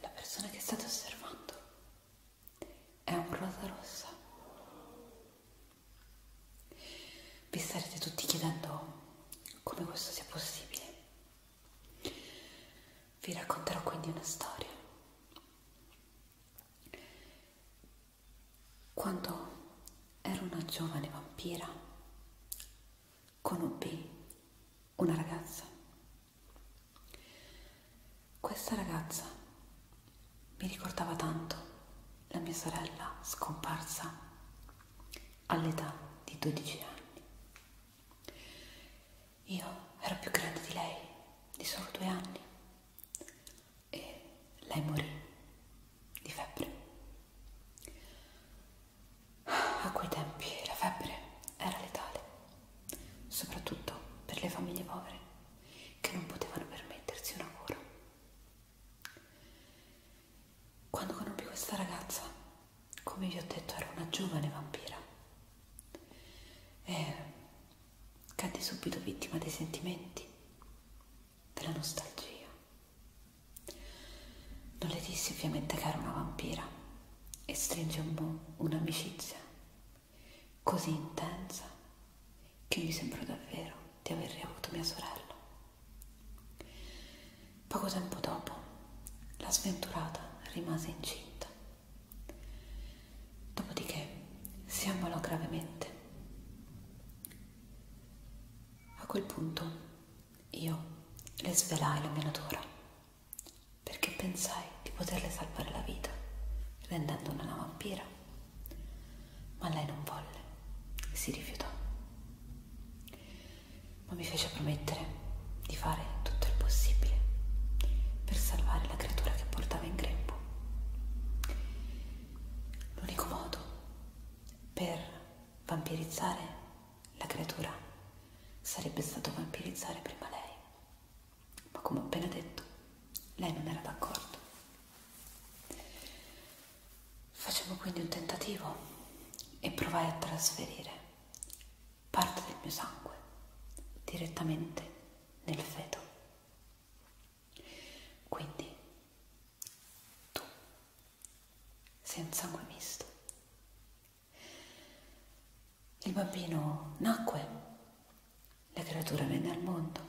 La persona che state osservando è un rosa rossa. Vi starete tutti chiedendo come questo sia possibile. Vi racconterò quindi una storia. Quando ero una giovane vampira, conobbi una ragazza. Questa ragazza mi ricordava tanto la mia sorella scomparsa all'età di 12 anni. Io ero più grande di lei di solo due anni e lei morì di febbre. A quei tempi la febbre era letale, soprattutto per le famiglie povere che non potevano permettersi una cura. Quando conobbi questa ragazza, come vi ho detto, era una giovane vampira e cadde subito vittima dei sentimenti, della nostalgia. Non le dissi ovviamente che era una vampira e stringemmo un'amicizia così intensa che mi sembrò davvero di aver riavuto mia sorella. Poco tempo dopo, la sventurata rimase incinta. Dopodiché si ammalò gravemente. A quel punto io le svelai la mia natura, perché pensai di poterle salvare la vita rendendola una vampira. Ma lei non volle, si rifiutò. Ma mi fece promettere di fare tutto il possibile per salvare la creatura che portava in grembo. L'unico modo per vampirizzare la creatura sarebbe stato vampirizzare prima lei. Ma come ho appena detto, lei non era d'accordo. Facevo quindi un tentativo e provai a trasferire parte del mio sangue direttamente nel feto. Quindi tu sei un sangue misto. Il bambino nacque, la creatura venne al mondo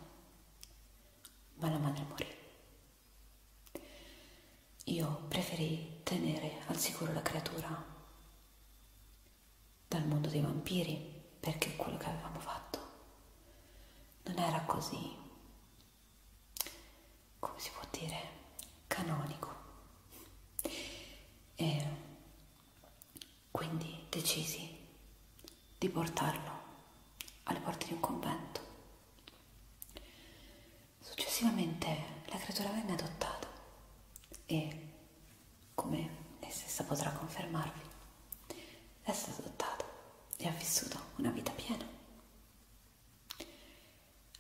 ma la madre morì. Io preferì tenere al sicuro la creatura dal mondo dei vampiri perché quello che avevamo fatto non era così, come si può dire, canonico. E quindi decisi di portarlo alle porte di un convento. Successivamente la creatura venne adottata e, come lei stessa potrà confermarvi, è stata adottata e ha vissuto una vita piena.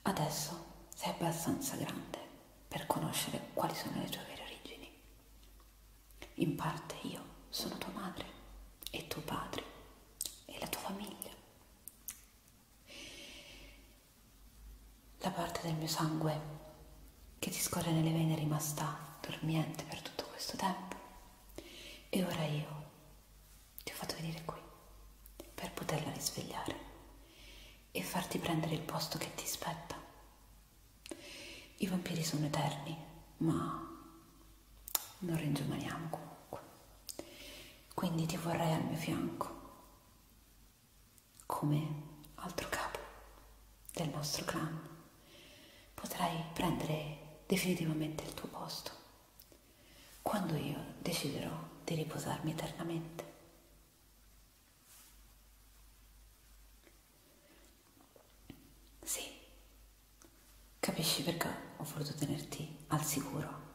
Adesso sei abbastanza grande per conoscere quali sono le tue vere origini in parte io sono tua madre e tuo padre e la tua famiglia. La parte del mio sangue che ti scorre nelle vene è rimasta dormiente per tutto questo tempo e ora io ti ho fatto venire qui per poterla risvegliare e farti prendere il posto che ti spetta. I vampiri sono eterni, ma non ringiovaniamo comunque. Quindi ti vorrei al mio fianco, come altro capo del nostro clan. Potrai prendere definitivamente il tuo posto quando io deciderò di riposarmi eternamente. Sì, capisci perché ho voluto tenerti al sicuro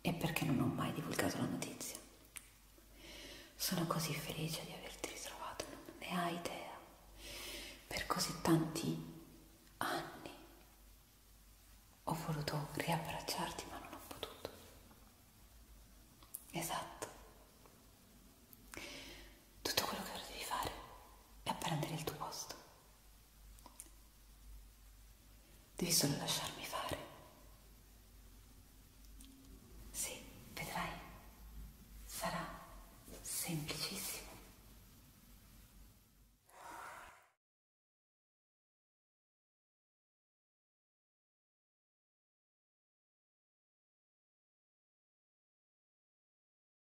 e perché non ho mai divulgato la notizia. Sono così felice di averti ritrovato, non ne hai idea, per così tanti anni. Ho voluto riabbracciarti ma non ho potuto. Esatto tutto quello che ora devi fare è prendere il tuo posto. Devi solo lasciarmi fare. Sì, vedrai,
sarà semplicissimo.